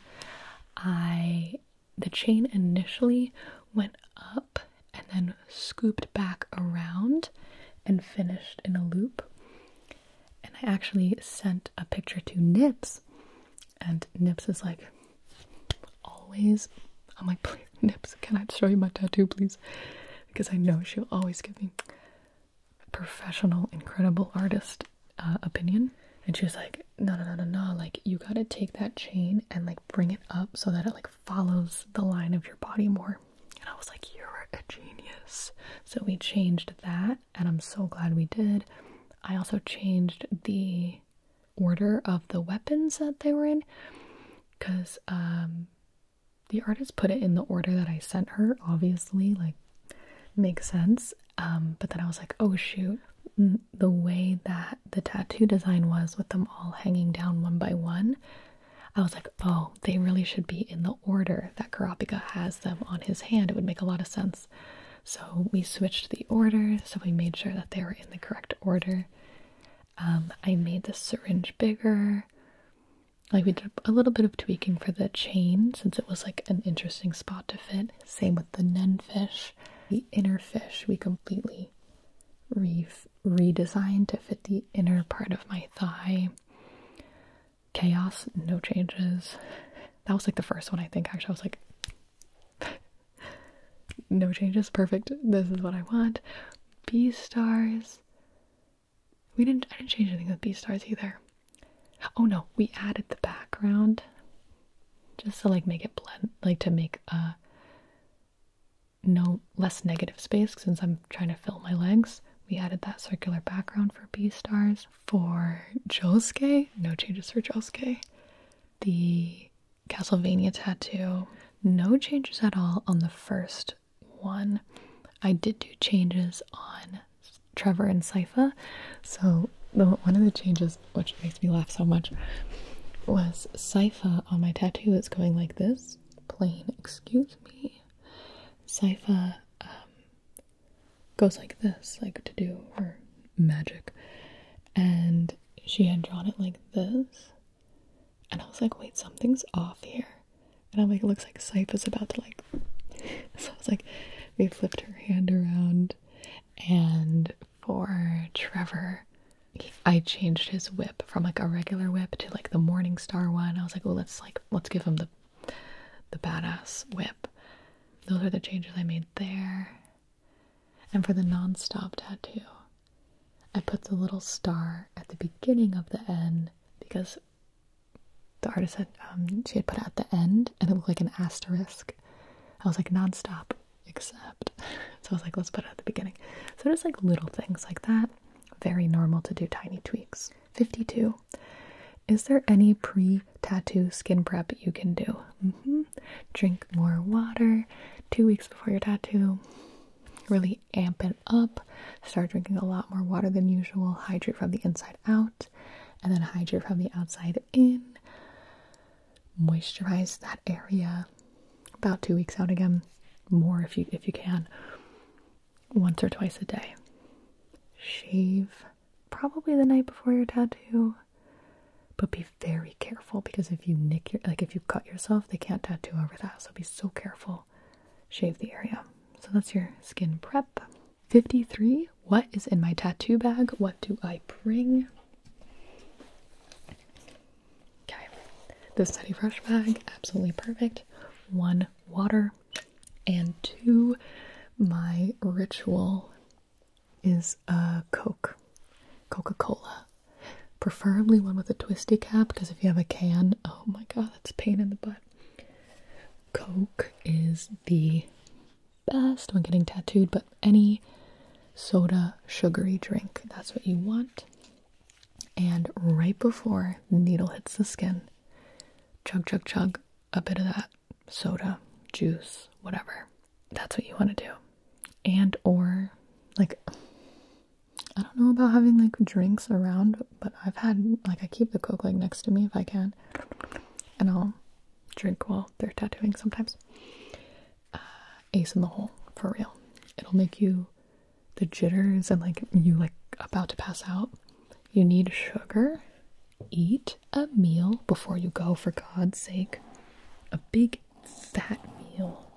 A: I the chain initially went up and then scooped back around and finished in a loop. And I actually sent a picture to Nips, and Nips is like, always. I'm like, Nips, can I show you my tattoo, please? Because I know she'll always give me professional, incredible artist uh, opinion. And she was like, no, no, no, no, no. Like, you gotta take that chain and like bring it up so that it like follows the line of your body more. And I was like, you're a genius. So we changed that, and I'm so glad we did. I also changed the order of the weapons that they were in because um, the artist put it in the order that I sent her, obviously, like makes sense. Um, but then I was like, oh shoot, mm, the way that the tattoo design was with them all hanging down one by one, I was like, oh, they really should be in the order that Karapika has them on his hand. It would make a lot of sense. So we switched the order, so we made sure that they were in the correct order. Um, I made the syringe bigger. Like we did a little bit of tweaking for the chain since it was like an interesting spot to fit. Same with the nen fish. The inner fish we completely redesigned to fit the inner part of my thigh. Chaos, no changes. That was like the first one I think actually I was like no changes, perfect. This is what I want. B stars. We didn't I didn't change anything with B stars either. Oh no, we added the background just to like make it blend, like to make a uh, no less negative space since I'm trying to fill my legs. We added that circular background for B stars. For Josuke, no changes for Josuke. The Castlevania tattoo, no changes at all on the first one. I did do changes on Trevor and Sypha. So the, one of the changes, which makes me laugh so much, was Sypha on my tattoo is going like this, plain, excuse me. Sypha um, goes like this, like to do her magic. And she had drawn it like this. And I was like, wait, something's off here. And I'm like, it looks like Sypha's about to like so I was like we flipped her hand around and for Trevor I changed his whip from like a regular whip to like the Morning Star one. I was like, well let's like let's give him the the badass whip. Those are the changes I made there. And for the non-stop tattoo, I put the little star at the beginning of the N because the artist said um, she had put at the end, and it looked like an asterisk. I was like nonstop, except. So I was like, let's put it at the beginning. So just like little things like that. Very normal to do tiny tweaks. 52. Is there any pre tattoo skin prep you can do? Mm-hmm. Drink more water two weeks before your tattoo. Really amp it up. Start drinking a lot more water than usual. Hydrate from the inside out and then hydro from the outside in. Moisturize that area about two weeks out again, more if you if you can, once or twice a day. Shave probably the night before your tattoo, but be very careful because if you nick your like if you cut yourself, they can't tattoo over that. So be so careful. Shave the area. So that's your skin prep. 53. What is in my tattoo bag? What do I bring? Okay, the Study Fresh bag, absolutely perfect. One water, and two, my ritual is a Coke, Coca Cola. Preferably one with a twisty cap because if you have a can, oh my god, that's pain in the butt. Coke is the best when getting tattooed, but any soda sugary drink, that's what you want. And right before the needle hits the skin, chug, chug, chug a bit of that soda, juice, whatever. That's what you want to do. And, or like, I don't know about having like drinks around, but I've had like I keep the Coke like next to me if I can, and I'll drink while they're tattooing sometimes. Uh, ace in the hole, for real. It'll make you the jitters and like you like about to pass out. You need sugar. Eat a meal before you go, for God's sake. A big fat meal.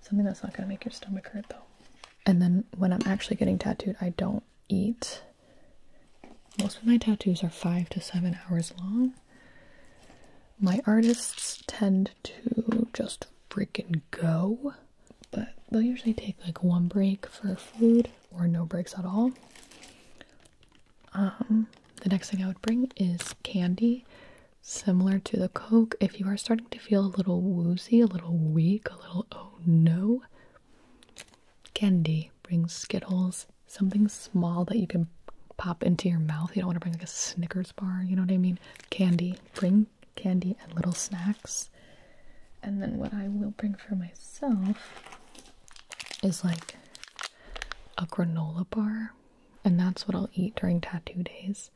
A: Something that's not gonna make your stomach hurt though. And then when I'm actually getting tattooed, I don't eat. Most of my tattoos are five to seven hours long. My artists tend to just freaking go, but they'll usually take like one break for food or no breaks at all. Um, the next thing I would bring is candy, similar to the Coke. If you are starting to feel a little woozy, a little weak, a little oh no, Candy, bring Skittles, something small that you can pop into your mouth. You don't want to bring like a Snickers bar, you know what I mean? Candy, bring candy and little snacks. And then what I will bring for myself is like a granola bar, and that's what I'll eat during tattoo days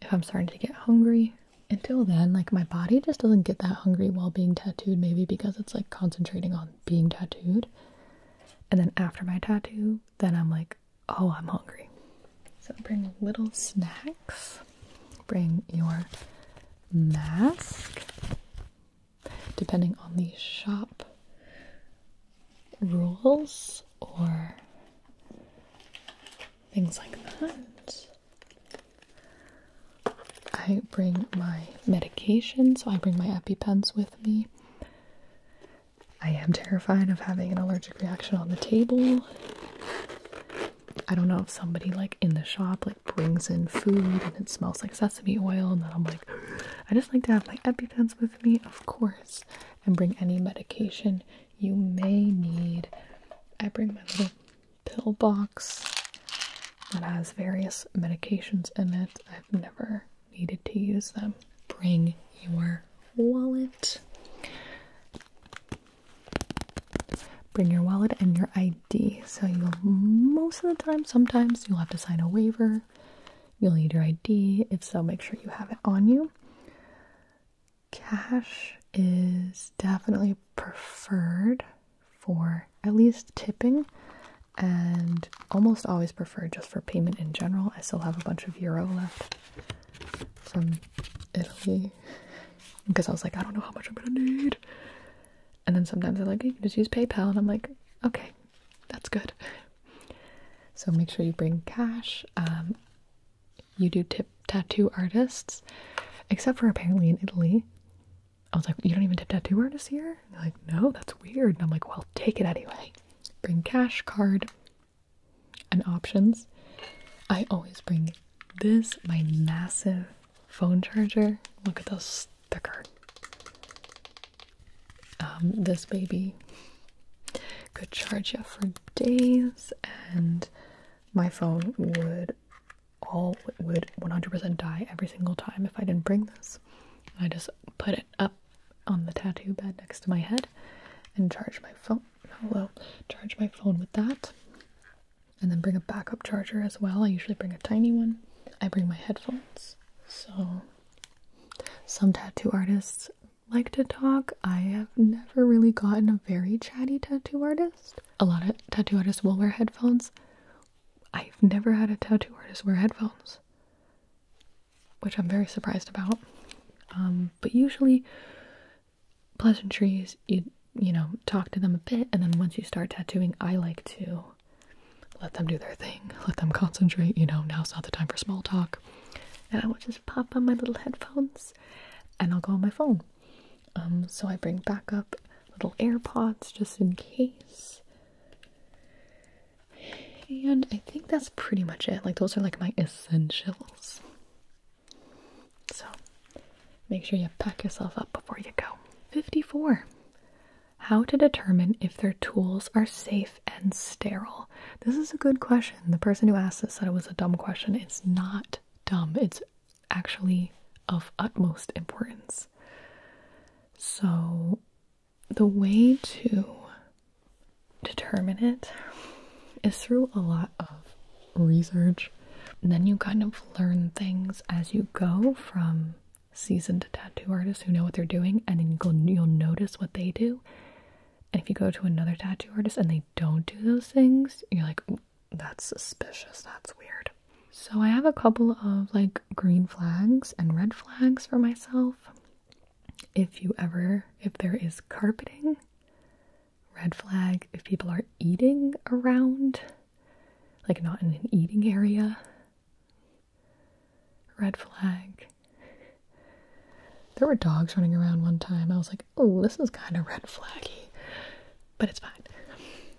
A: if I'm starting to get hungry. Until then, like my body just doesn't get that hungry while being tattooed, maybe because it's like concentrating on being tattooed. And then after my tattoo, then I'm like, oh, I'm hungry. So bring little snacks. Bring your mask. Depending on the shop rules or things like that. I bring my medication, so I bring my EpiPens with me. I am terrified of having an allergic reaction on the table. I don't know if somebody like in the shop like brings in food and it smells like sesame oil and then I'm like I just like to have my EpiPens with me, of course, and bring any medication you may need. I bring my little pill box that has various medications in it. I've never needed to use them. Bring your wallet. Bring your wallet and your ID. So you'll most of the time, sometimes you'll have to sign a waiver. You'll need your ID. If so, make sure you have it on you. Cash is definitely preferred for at least tipping and almost always prefer just for payment in general. I still have a bunch of euro left from Italy because I was like, I don't know how much I'm gonna need. And then sometimes they're like, you can just use PayPal, and I'm like, okay, that's good. So make sure you bring cash. Um, you do tip tattoo artists, except for apparently in Italy, I was like, you don't even tip tattoo artists here? And they're like, no, that's weird. And I'm like, well, take it anyway. Bring cash, card, and options. I always bring this, my massive phone charger. Look at those thicker. Um, this baby could charge you for days, and my phone would all would 100% die every single time if I didn't bring this. I just put it up on the tattoo bed next to my head and charge my phone. Hello, charge my phone with that. And then bring a backup charger as well. I usually bring a tiny one. I bring my headphones. So, some tattoo artists like to talk. I have never really gotten a very chatty tattoo artist. A lot of tattoo artists will wear headphones, I've never had a tattoo artist wear headphones, which I'm very surprised about. Um, but usually, pleasantries, you you know, talk to them a bit, and then once you start tattooing, I like to let them do their thing, let them concentrate. You know, now's not the time for small talk, and I will just pop on my little headphones, and I'll go on my phone. Um, so I bring backup little AirPods just in case. And I think that's pretty much it. Like, those are like my essentials. So, make sure you pack yourself up before you go. 54. How to determine if their tools are safe and sterile. This is a good question. The person who asked this said it was a dumb question. It's not dumb, it's actually of utmost importance. So, the way to determine it is through a lot of research. then you kind of learn things as you go from seasoned tattoo artists who know what they're doing, and then you'll notice what they do. And if you go to another tattoo artist and they don't do those things, you're like, that's suspicious, that's weird. So I have a couple of like green flags and red flags for myself. If you ever, if there is carpeting, red flag. If people are eating around, like not in an eating area, red flag. There were dogs running around one time. I was like, oh, this is kind of red flaggy, but it's fine.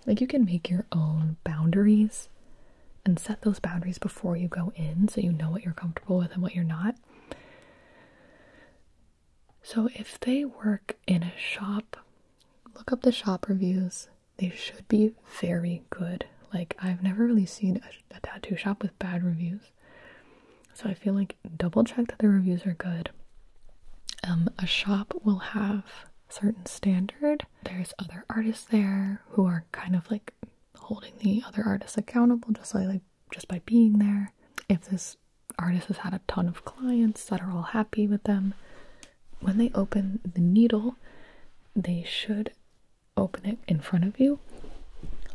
A: Like, you can make your own boundaries and set those boundaries before you go in so you know what you're comfortable with and what you're not. So, if they work in a shop, look up the shop reviews. They should be very good. Like, I've never really seen a, tattoo shop with bad reviews. So, I feel like double check that the reviews are good. Um, a shop will have certain standard there's other artists there who are kind of like holding the other artists accountable just like, like just by being there. If this artist has had a ton of clients that are all happy with them, when they open the needle, they should open it in front of you.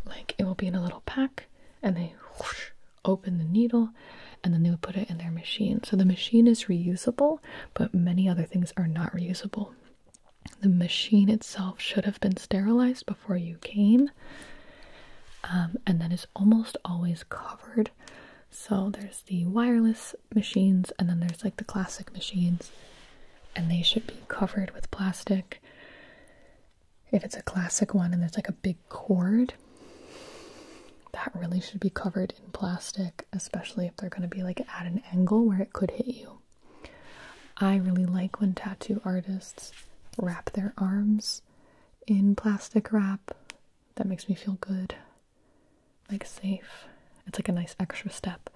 A: Like it will be in a little pack and they open the needle and then they would put it in their machine. So the machine is reusable, but many other things are not reusable. The machine itself should have been sterilized before you came, um, and then is almost always covered. So there's the wireless machines, and then there's like the classic machines, and they should be covered with plastic. If it's a classic one and there's like a big cord, that really should be covered in plastic, especially if they're going to be like at an angle where it could hit you. I really like when tattoo artists wrap their arms in plastic wrap. That makes me feel good, like safe. It's like a nice extra step.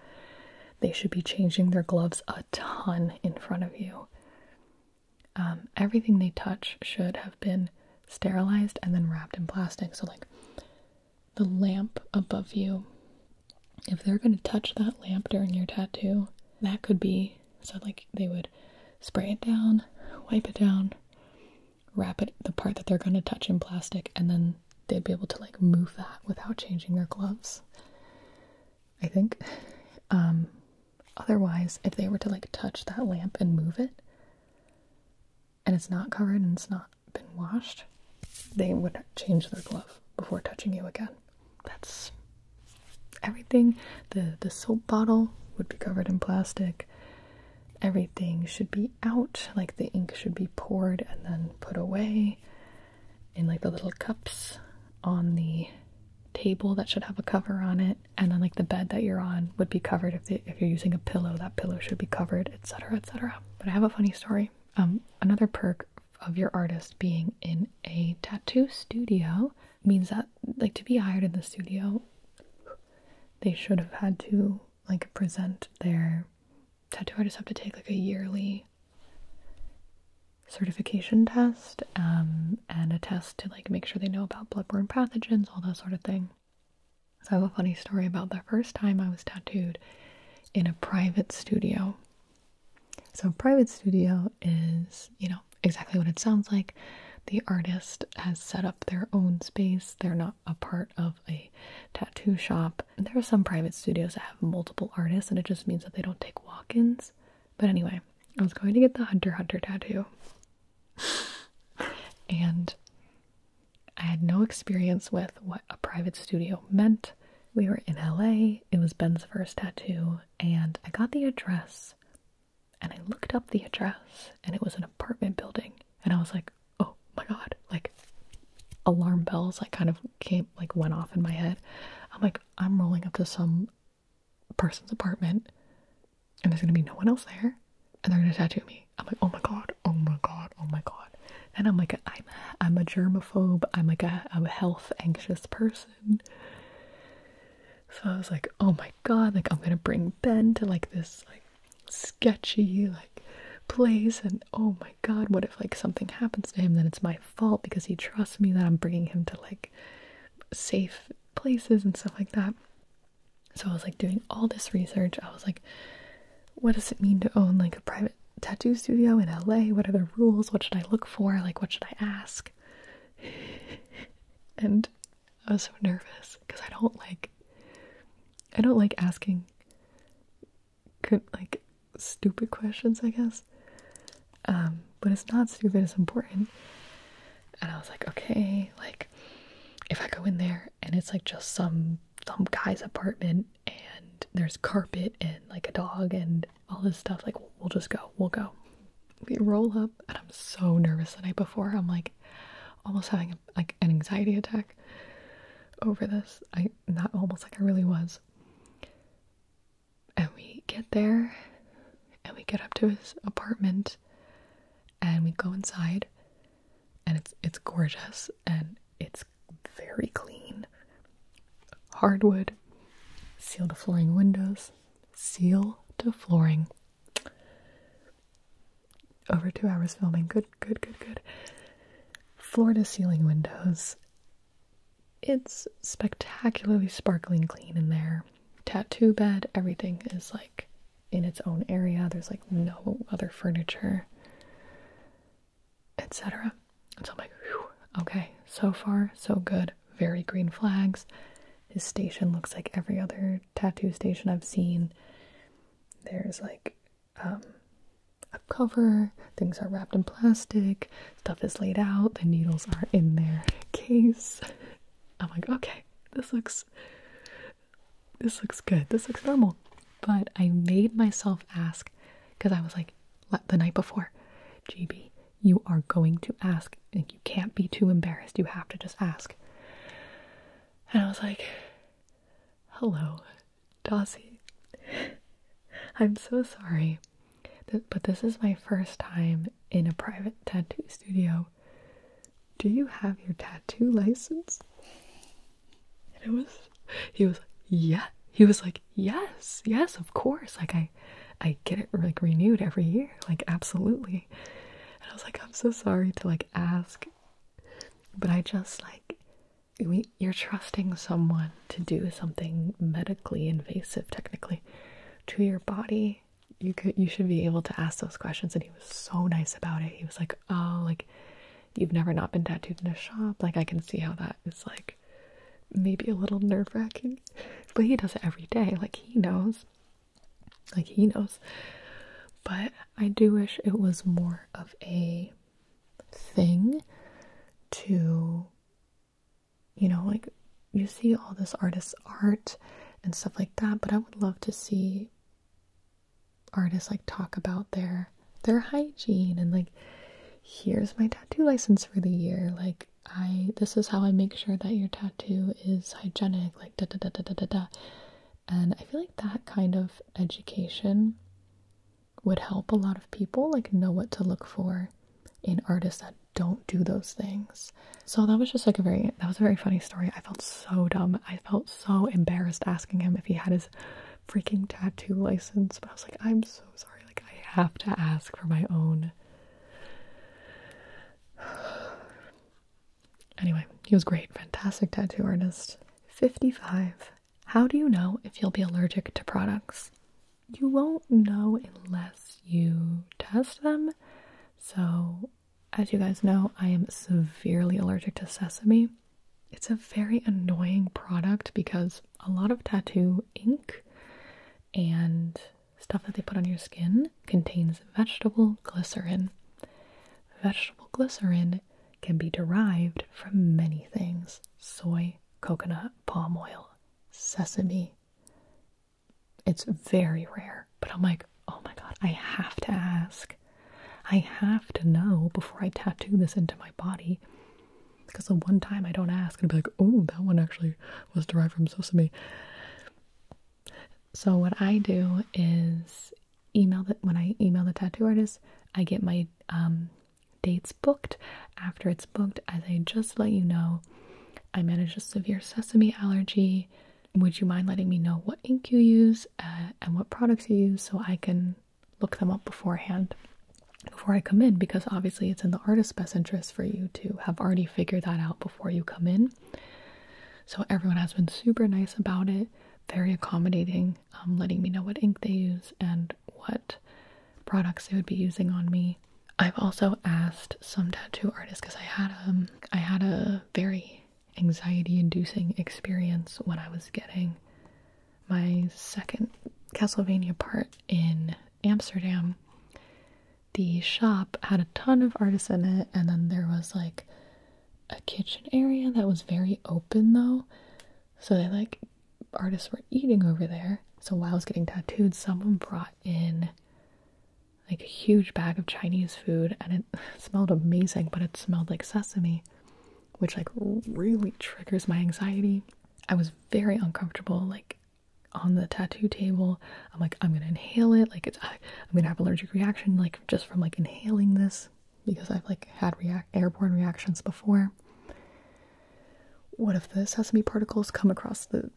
A: They should be changing their gloves a ton in front of you. Um, everything they touch should have been sterilized and then wrapped in plastic. So, like, the lamp above you. If they're going to touch that lamp during your tattoo, that could be so like they would spray it down, wipe it down, wrap it the part that they're going to touch in plastic and then they'd be able to like move that without changing their gloves. I think um otherwise if they were to like touch that lamp and move it and it's not covered and it's not been washed, they would change their glove before touching you again. That's everything. The the soap bottle would be covered in plastic. Everything should be out, like the ink should be poured and then put away in like the little cups on the table that should have a cover on it and then like the bed that you're on would be covered if, they, if you're using a pillow that pillow should be covered etc etc but i have a funny story um, another perk of your artist being in a tattoo studio means that, like, to be hired in the studio, they should have had to, like, present their tattoo artist have to take, like, a yearly certification test um, and a test to, like, make sure they know about bloodborne pathogens, all that sort of thing. So I have a funny story about the first time I was tattooed in a private studio. So, private studio is, you know, exactly what it sounds like. The artist has set up their own space. They're not a part of a tattoo shop. There are some private studios that have multiple artists, and it just means that they don't take walk ins. But anyway, I was going to get the Hunter Hunter tattoo, and I had no experience with what a private studio meant. We were in LA, it was Ben's first tattoo, and I got the address and I looked up the address and it was an apartment building and I was like, oh my god, like alarm bells like kind of came like went off in my head. I'm like, I'm rolling up to some person's apartment and there's gonna be no one else there and they're gonna tattoo me. I'm like, oh my god, oh my god, oh my god and I'm like, I'm I'm a germaphobe. I'm like a, a health anxious person. So I was like, oh my god, like I'm gonna bring Ben to like this like sketchy like place, and oh my god, what if like something happens to him? Then it's my fault because he trusts me that I'm bringing him to like safe places and stuff like that. So I was like doing all this research. I was like, what does it mean to own like a private tattoo studio in LA? What are the rules? What should I look for? Like, what should I ask? and I was so nervous because I don't like, I don't like asking, like stupid questions, I guess. Um, but it's not stupid; it's important. And I was like, okay, like if I go in there and it's like just some some guy's apartment and there's carpet and like a dog and all this stuff. Like, we'll just go, we'll go. We roll up, and I'm so nervous the night before. I'm like almost having like an anxiety attack over this. I not almost like I really was. And we get there and we get up to his apartment and we go inside and it's it's gorgeous and it's very clean. Hardwood, seal to flooring windows, seal to flooring. Over two hours filming. Good, good, good, good. Floor to ceiling windows. It's spectacularly sparkling clean in there. Tattoo bed, everything is like in its own area. There's like no other furniture etc. so I'm like, okay, so far, so good. Very green flags. His station looks like every other tattoo station I've seen. There's like um, a cover, things are wrapped in plastic, stuff is laid out, the needles are in their case. I'm like, okay, this looks this looks good. This looks normal. But I made myself ask because I was like, the night before, GB, you are going to ask. and you can't be too embarrassed. You have to just ask. And I was like, hello, Dossie. I'm so sorry, but this is my first time in a private tattoo studio. Do you have your tattoo license? and it was he was like yeah he was like yes yes of course like i i get it like renewed every year like absolutely and i was like i'm so sorry to like ask but i just like you're trusting someone to do something medically invasive technically to your body you could you should be able to ask those questions and he was so nice about it he was like oh like you've never not been tattooed in a shop like i can see how that is like maybe a little nerve wracking, but he does it every day. Like, he knows. Like, he knows. But I do wish it was more of a thing to, you know, like you see all this artist's art and stuff like that, but I would love to see artists like talk about their their hygiene and like here's my tattoo license for the year like i this is how i make sure that your tattoo is hygienic like da da da da da da, da. and i feel like that kind of education would help a lot of people like know what to look for in artists that don't do those things so that was just like a very that was a very funny story i felt so dumb i felt so embarrassed asking him if he had his freaking tattoo license. But I was like, I'm so sorry. Like, I have to ask for my own. Anyway, he was great. Fantastic tattoo artist. 55. How do you know if you'll be allergic to products? You won't know unless you test them. So, as you guys know, I am severely allergic to sesame. It's a very annoying product because a lot of tattoo ink and stuff that they put on your skin contains vegetable glycerin. Vegetable glycerin can be derived from many things soy, coconut, palm oil, sesame. It's very rare, but I'm like, oh my god, I have to ask. I have to know before I tattoo this into my body because the one time I don't ask, and be like, oh, that one actually was derived from sesame. So what I do is email that when I email the tattoo artist, I get my um, dates booked. After it's booked, as I just let you know, I manage a severe sesame allergy. Would you mind letting me know what ink you use uh, and what products you use so I can look them up beforehand before I come in because obviously it's in the artist's best interest for you to have already figured that out before you come in. So everyone has been super nice about it, very accommodating, um, letting me know what ink they use and what products they would be using on me. I've also asked some tattoo artists because I had um I had a very anxiety-inducing experience when I was getting my second Castlevania part in Amsterdam, the shop had a ton of artists in it, and then there was like a kitchen area that was very open though. So they like artists were eating over there. So while I was getting tattooed, someone brought in like a huge bag of Chinese food and it smelled amazing, but it smelled like sesame, which like really triggers my anxiety. I was very uncomfortable, like on the tattoo table. I'm like, I'm gonna inhale it, like it's I, am gonna have allergic reaction, like just from like inhaling this because I've like had react airborne reactions before. What if the sesame particles come across the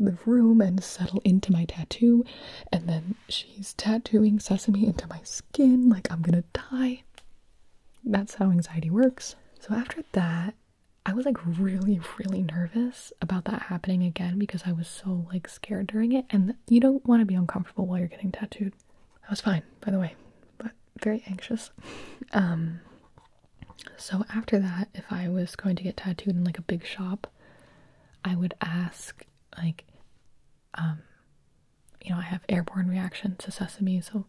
A: the room and settle into my tattoo and then she's tattooing sesame into my skin like I'm gonna die. That's how anxiety works. So after that, I was like really, really nervous about that happening again because I was so like scared during it. And you don't want to be uncomfortable while you're getting tattooed. I was fine, by the way, but very anxious. Um, so after that, if I was going to get tattooed in like a big shop, I would ask like, um, you know, I have airborne reactions to sesame, so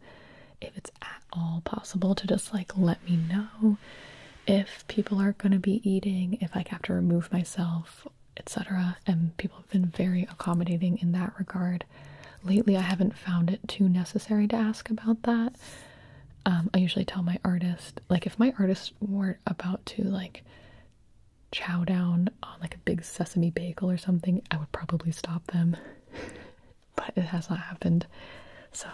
A: if it's at all possible to just like let me know if people are going to be eating, if I have to remove myself, etc. And people have been very accommodating in that regard. Lately, I haven't found it too necessary to ask about that. Um, I usually tell my artist, like, if my artist were about to like chow down on like a big sesame bagel or something, I would probably stop them but it has not happened. So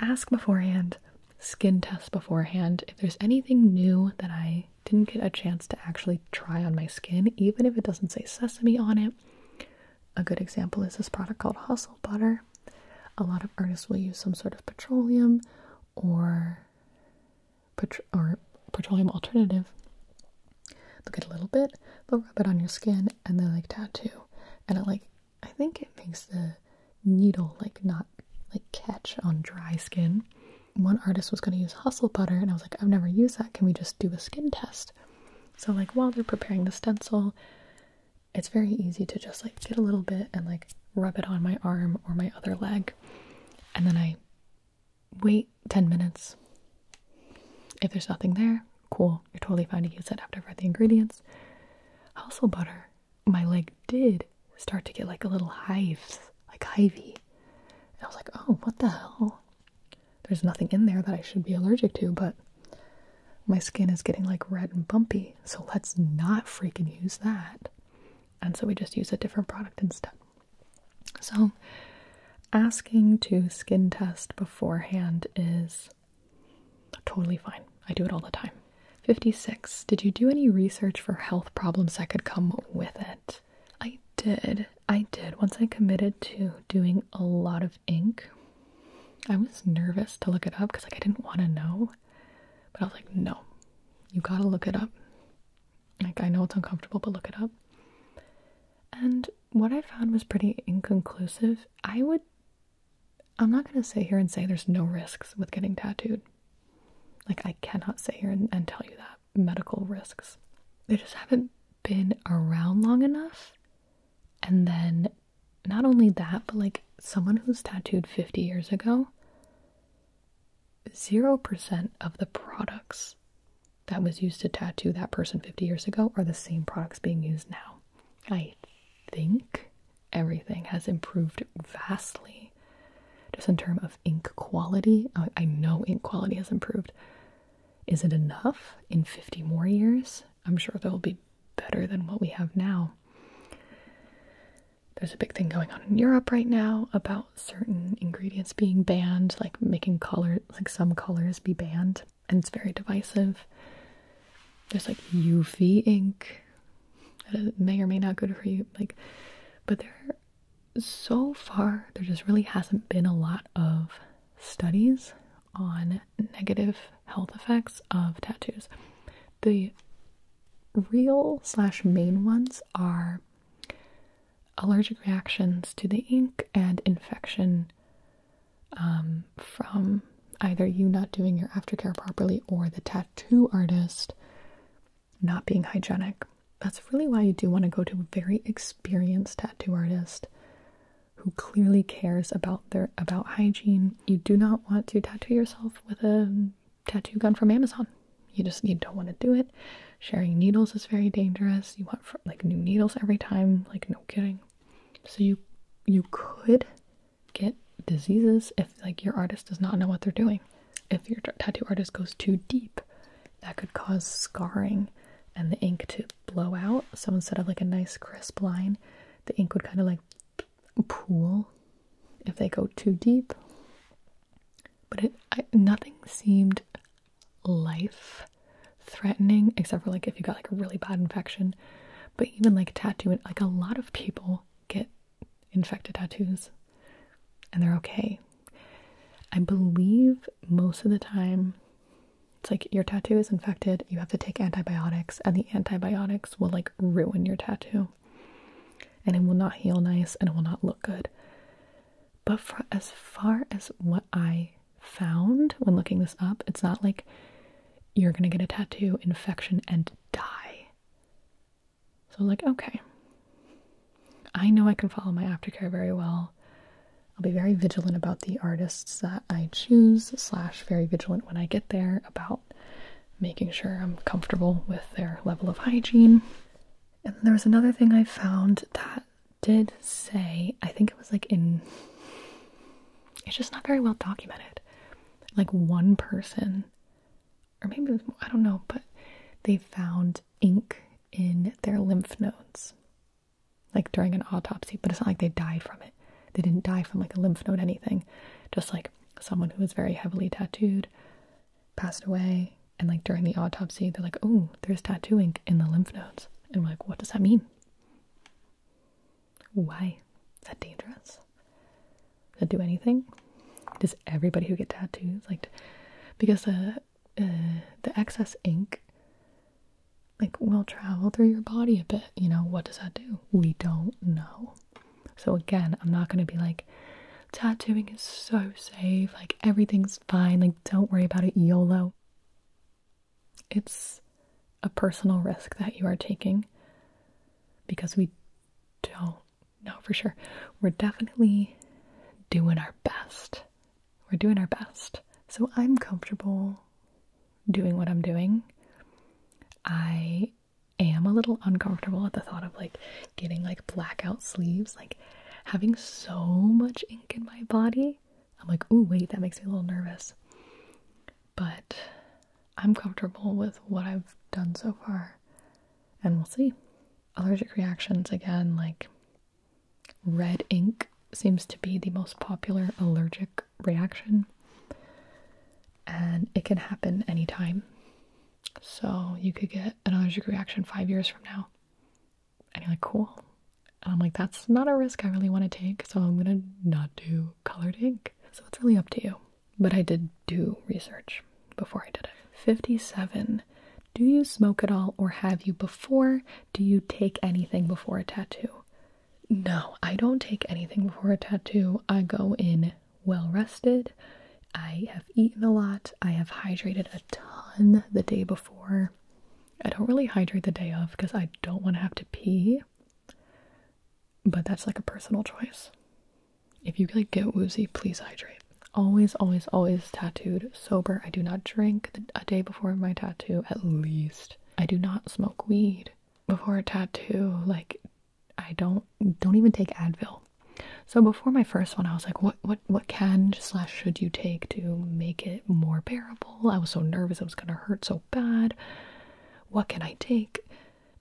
A: ask beforehand, skin test beforehand if there's anything new that I didn't get a chance to actually try on my skin, even if it doesn't say sesame on it. A good example is this product called Hustle Butter. A lot of artists will use some sort of petroleum or or petroleum alternative. They'll get a little bit, They'll rub it on your skin and then like tattoo, and it like I think it makes the needle like not like catch on dry skin. One artist was going to use hustle butter, and I was like, I've never used that. Can we just do a skin test? So like while they're preparing the stencil, it's very easy to just like get a little bit and like rub it on my arm or my other leg, and then I wait 10 minutes. If there's nothing there, Cool. You're totally fine to use it after i read the ingredients. Also, butter. My leg did start to get like a little hives, like ivy. And I was like, oh, what the hell? There's nothing in there that I should be allergic to, but my skin is getting like red and bumpy. So let's not freaking use that. And so we just use a different product instead. So asking to skin test beforehand is totally fine. I do it all the time. 56. Did you do any research for health problems that could come with it? I did. I did. Once I committed to doing a lot of ink, I was nervous to look it up because like I didn't want to know. But I was like, no, you gotta look it up. Like I know it's uncomfortable, but look it up. And what I found was pretty inconclusive. I would, I'm not going to sit here and say there's no risks with getting tattooed. Like, I cannot sit here and, tell you that medical risks. They just haven't been around long enough. And then, not only that, but like someone who's tattooed 50 years ago, 0% of the products that was used to tattoo that person 50 years ago are the same products being used now. I think everything has improved vastly just in terms of ink quality. I know ink quality has improved. Is it enough in 50 more years? I'm sure they'll be better than what we have now. There's a big thing going on in Europe right now about certain ingredients being banned, like making color like some colors be banned and it's very divisive. There's like UV ink that may or may not good for you, like, but there so far there just really hasn't been a lot of studies on negative health effects of tattoos. The real slash main ones are allergic reactions to the ink and infection um, from either you not doing your aftercare properly or the tattoo artist not being hygienic. That's really why you do want to go to a very experienced tattoo artist who clearly cares about their about hygiene. You do not want to tattoo yourself with a tattoo gun from Amazon. You just you don't want to do it. Sharing needles is very dangerous. You want like new needles every time, like no kidding. So you you could get diseases if like your artist does not know what they're doing. If your tattoo artist goes too deep, that could cause scarring and the ink to blow out. So instead of like a nice crisp line, the ink would kind of like pool if they go too deep. But it nothing seemed life threatening, except for like if you got like a really bad infection. But even like tattooing, like a lot of people get infected tattoos and they're okay. I believe most of the time it's like your tattoo is infected, you have to take antibiotics, and the antibiotics will like ruin your tattoo. And it will not heal nice and it will not look good. But for as far as what I found when looking this up. It's not like you're gonna get a tattoo infection and die. So, like, okay, I know I can follow my aftercare very well. I'll be very vigilant about the artists that I choose, slash, very vigilant when I get there about making sure I'm comfortable with their level of hygiene. And there was another thing I found that did say, I think it was like in it's just not very well documented. Like one person, or maybe I don't know, but they found ink in their lymph nodes, like during an autopsy. But it's not like they died from it. They didn't die from like a lymph node anything. Just like someone who was very heavily tattooed passed away, and like during the autopsy, they're like, "Oh, there's tattoo ink in the lymph nodes," and we're like, "What does that mean?" Why? Is that dangerous? Does it do anything? Does everybody who get tattoos like? Because the uh, the excess ink like will travel through your body a bit. You know what does that do? We don't know. So again, I'm not gonna be like tattooing is so safe. Like everything's fine. Like don't worry about it. YOLO. It's a personal risk that you are taking because we don't know for sure. We're definitely doing our best. We're doing our best. So I'm comfortable doing what I'm doing. I am a little uncomfortable at the thought of like getting like blackout sleeves, like having so much ink in my body. I'm like, oh wait, that makes me a little nervous but I'm comfortable with what I've done so far, and we'll see. Allergic reactions again, like red ink seems to be the most popular allergic reaction, and it can happen any time. So you could get an allergic reaction five years from now, and you're like, cool, and I'm like, that's not a risk I really want to take, so I'm gonna not do colored ink. So it's really up to you. But I did do research before I did it. 57. Do you smoke at all or have you before? Do you take anything before a tattoo? No, I don't take anything before a tattoo. I go in well rested. I have eaten a lot. I have hydrated a ton the day before. I don't really hydrate the day of because I don't want to have to pee. But that's like a personal choice. If you like get woozy, please hydrate. Always, always, always tattooed sober. I do not drink a day before my tattoo, at least. I do not smoke weed before a tattoo. Like, I don't don't even take Advil. So before my first one, I was like, what what what can slash should you take to make it more bearable? I was so nervous it was gonna hurt so bad what can I take?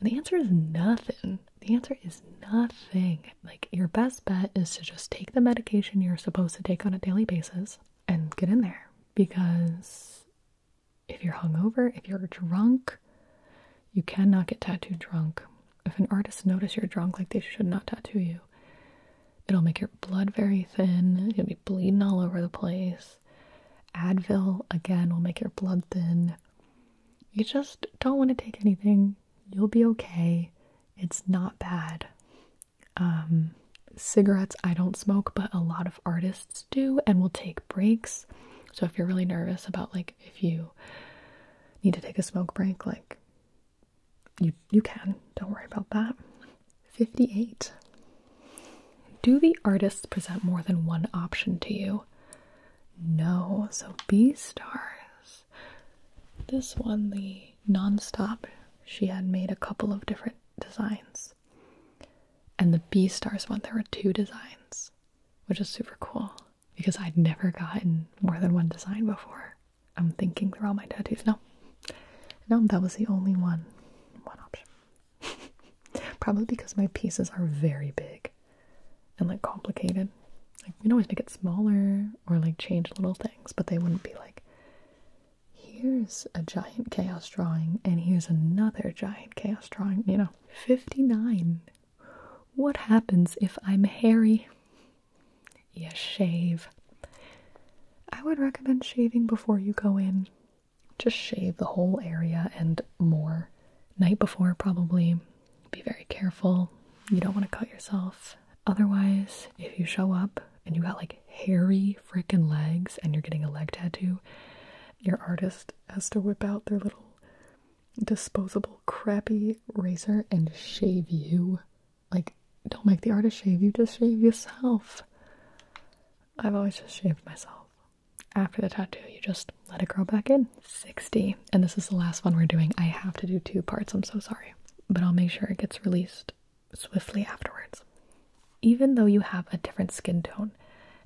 A: the answer is nothing. The answer is nothing. Like, your best bet is to just take the medication you're supposed to take on a daily basis and get in there. Because if you're hungover, if you're drunk, you cannot get tattooed drunk. If an artist notice you're drunk, like they should not tattoo you. It'll make your blood very thin. You'll be bleeding all over the place this. Advil, again, will make your blood thin. You just don't want to take anything. You'll be okay. It's not bad. Um, cigarettes, I don't smoke, but a lot of artists do and will take breaks. So if you're really nervous about like if you need to take a smoke break, like you you can. Don't worry about that. 58. Do the artists present more than one option to you? No. So B stars. This one, the non-stop. she had made a couple of different designs. And the B stars one, there were two designs, which is super cool because I'd never gotten more than one design before. I'm thinking through all my tattoos. No, no, that was the only one. One option. Probably because my pieces are very big and like complicated. Like, you can always make it smaller or like change little things, but they wouldn't be like, here's a giant chaos drawing and here's another giant chaos drawing, you know. 59. What happens if I'm hairy? Yes, shave. I would recommend shaving before you go in just shave the whole area and more. Night before, probably. Be very careful. You don't want to cut yourself. Otherwise, if you show up and you got like hairy freaking legs and you're getting a leg tattoo, your artist has to whip out their little disposable crappy razor and shave you. Like, don't make the artist shave you, just shave yourself. I've always just shaved myself after the tattoo, you just let it grow back in. 60. And this is the last one we're doing. I have to do two parts, I'm so sorry. But I'll make sure it gets released swiftly afterwards. Even though you have a different skin tone,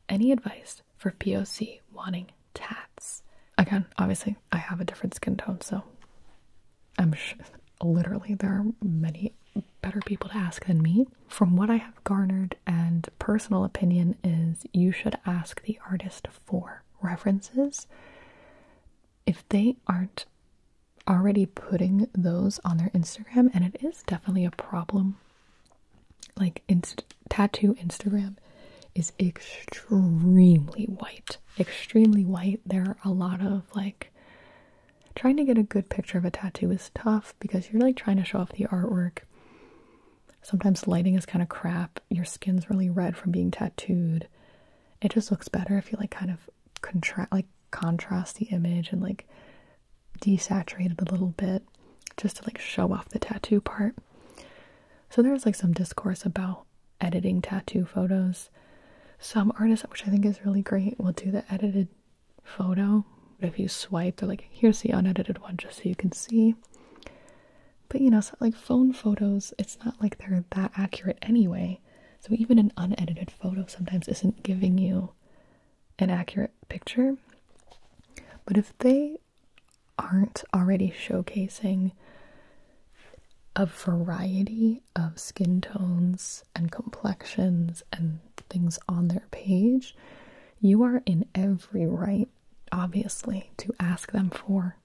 A: any advice for POC wanting tats? Again, obviously, I have a different skin tone, so I'm literally there are many better people to ask than me. From what I have garnered and personal opinion is you should ask the artist for references. If they aren't already putting those on their Instagram, and it is definitely a problem. Like tattoo Instagram is extremely white. Extremely white. There are a lot of like trying to get a good picture of a tattoo is tough because you're like trying to show off the artwork. Sometimes lighting is kind of crap. Your skin's really red from being tattooed. It just looks better if you like kind of contrast like contrast the image and like desaturated a little bit just to like show off the tattoo part. So there's like some discourse about editing tattoo photos. Some artists, which I think is really great, will do the edited photo. But if you swipe, they're like, here's the unedited one just so you can see. But you know, like phone photos, it's not like they're that accurate anyway. So even an unedited photo sometimes isn't giving you an accurate picture. But if they aren't already showcasing a variety of skin tones and complexions and things on their page, you are in every right, obviously, to ask them for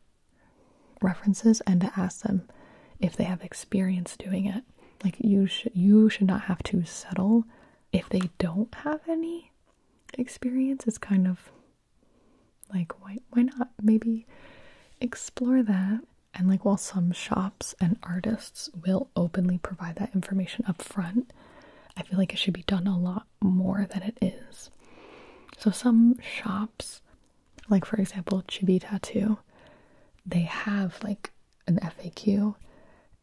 A: references and to ask them if they have experience doing it. Like you should you should not have to settle if they don't have any experience. It's kind of like why why not maybe explore that and like while some shops and artists will openly provide that information up front. I feel like it should be done a lot more than it is. So, some shops, like for example, Chibi Tattoo, they have like an FAQ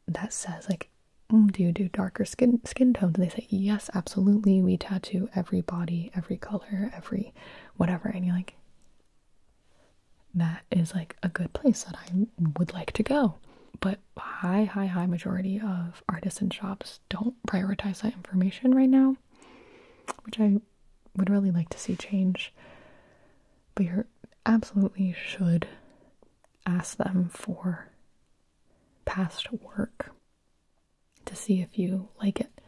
A: that says, like, mm, do you do darker skin skin tones? they say, yes, absolutely. We tattoo every body, every color, every whatever. And you're like, that is like a good place that I would like to go. But high, high, high majority of artisan shops don't prioritize that information right now, which I would really like to see change. But you absolutely should ask them for past work to see if you like it.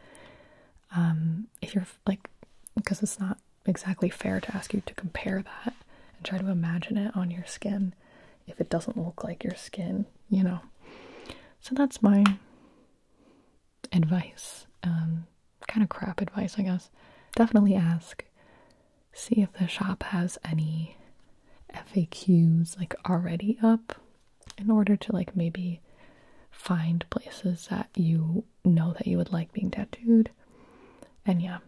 A: Um, if you're like, because it's not exactly fair to ask you to compare that and try to imagine it on your skin if it doesn't look like your skin, you know. So that's my advice. Um, kind of crap advice, I guess. Definitely ask. See if the shop has any FAQs like already up in order to like maybe find places that you know that you would like being tattooed. And yeah,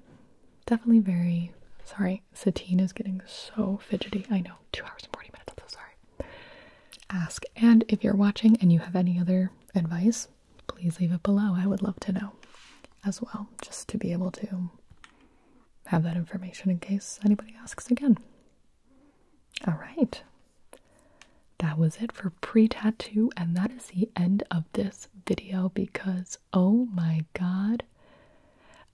A: definitely very sorry. Satine is getting so fidgety. I know, two hours and 40 minutes. I'm so sorry. Ask. And if you're watching and you have any other advice, please leave it below. I would love to know as well, just to be able to have that information in case anybody asks again. All right. That was it for pre tattoo, and that is the end of this video because Oh my god.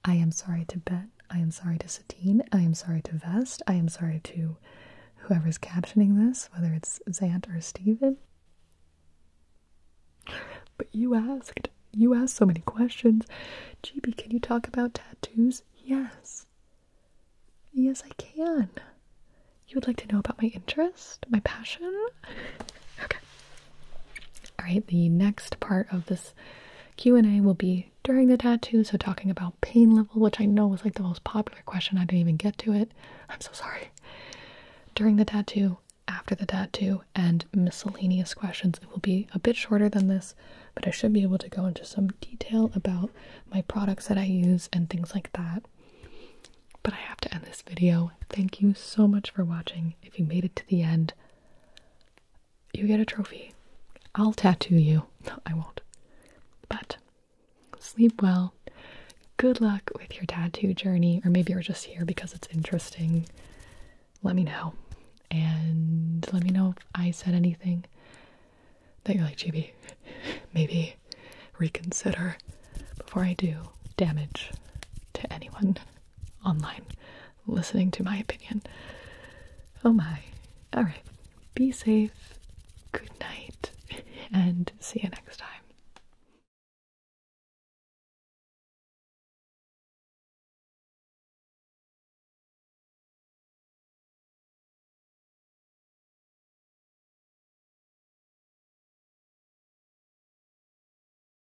A: I am sorry to Bet. I am sorry to Satine. I am sorry to Vest. I am sorry to whoever's captioning this, whether it's Zant or Steven. But you asked. You asked so many questions. GB, can you talk about tattoos? Yes. Yes, I can. You would like to know about my interest? My passion? okay. All right, the next part of this Q&A will be during the tattoo, so talking about pain level, which I know was like the most popular question. I didn't even get to it. I'm so sorry. During the tattoo, after the tattoo, and miscellaneous questions. It will be a bit shorter than this, but I should be able to go into some detail about my products that I use and things like that. But I have to end this video. Thank you so much for watching. If you made it to the end, you get a trophy. I'll tattoo you. I won't. But sleep well. Good luck with your tattoo journey, or maybe you're just here because it's interesting. Let me know. And let me know if I said anything that you're like, Chibi, maybe reconsider before I do damage to anyone online listening to my opinion. Oh my. Alright. Be safe. Good night. And see you next time.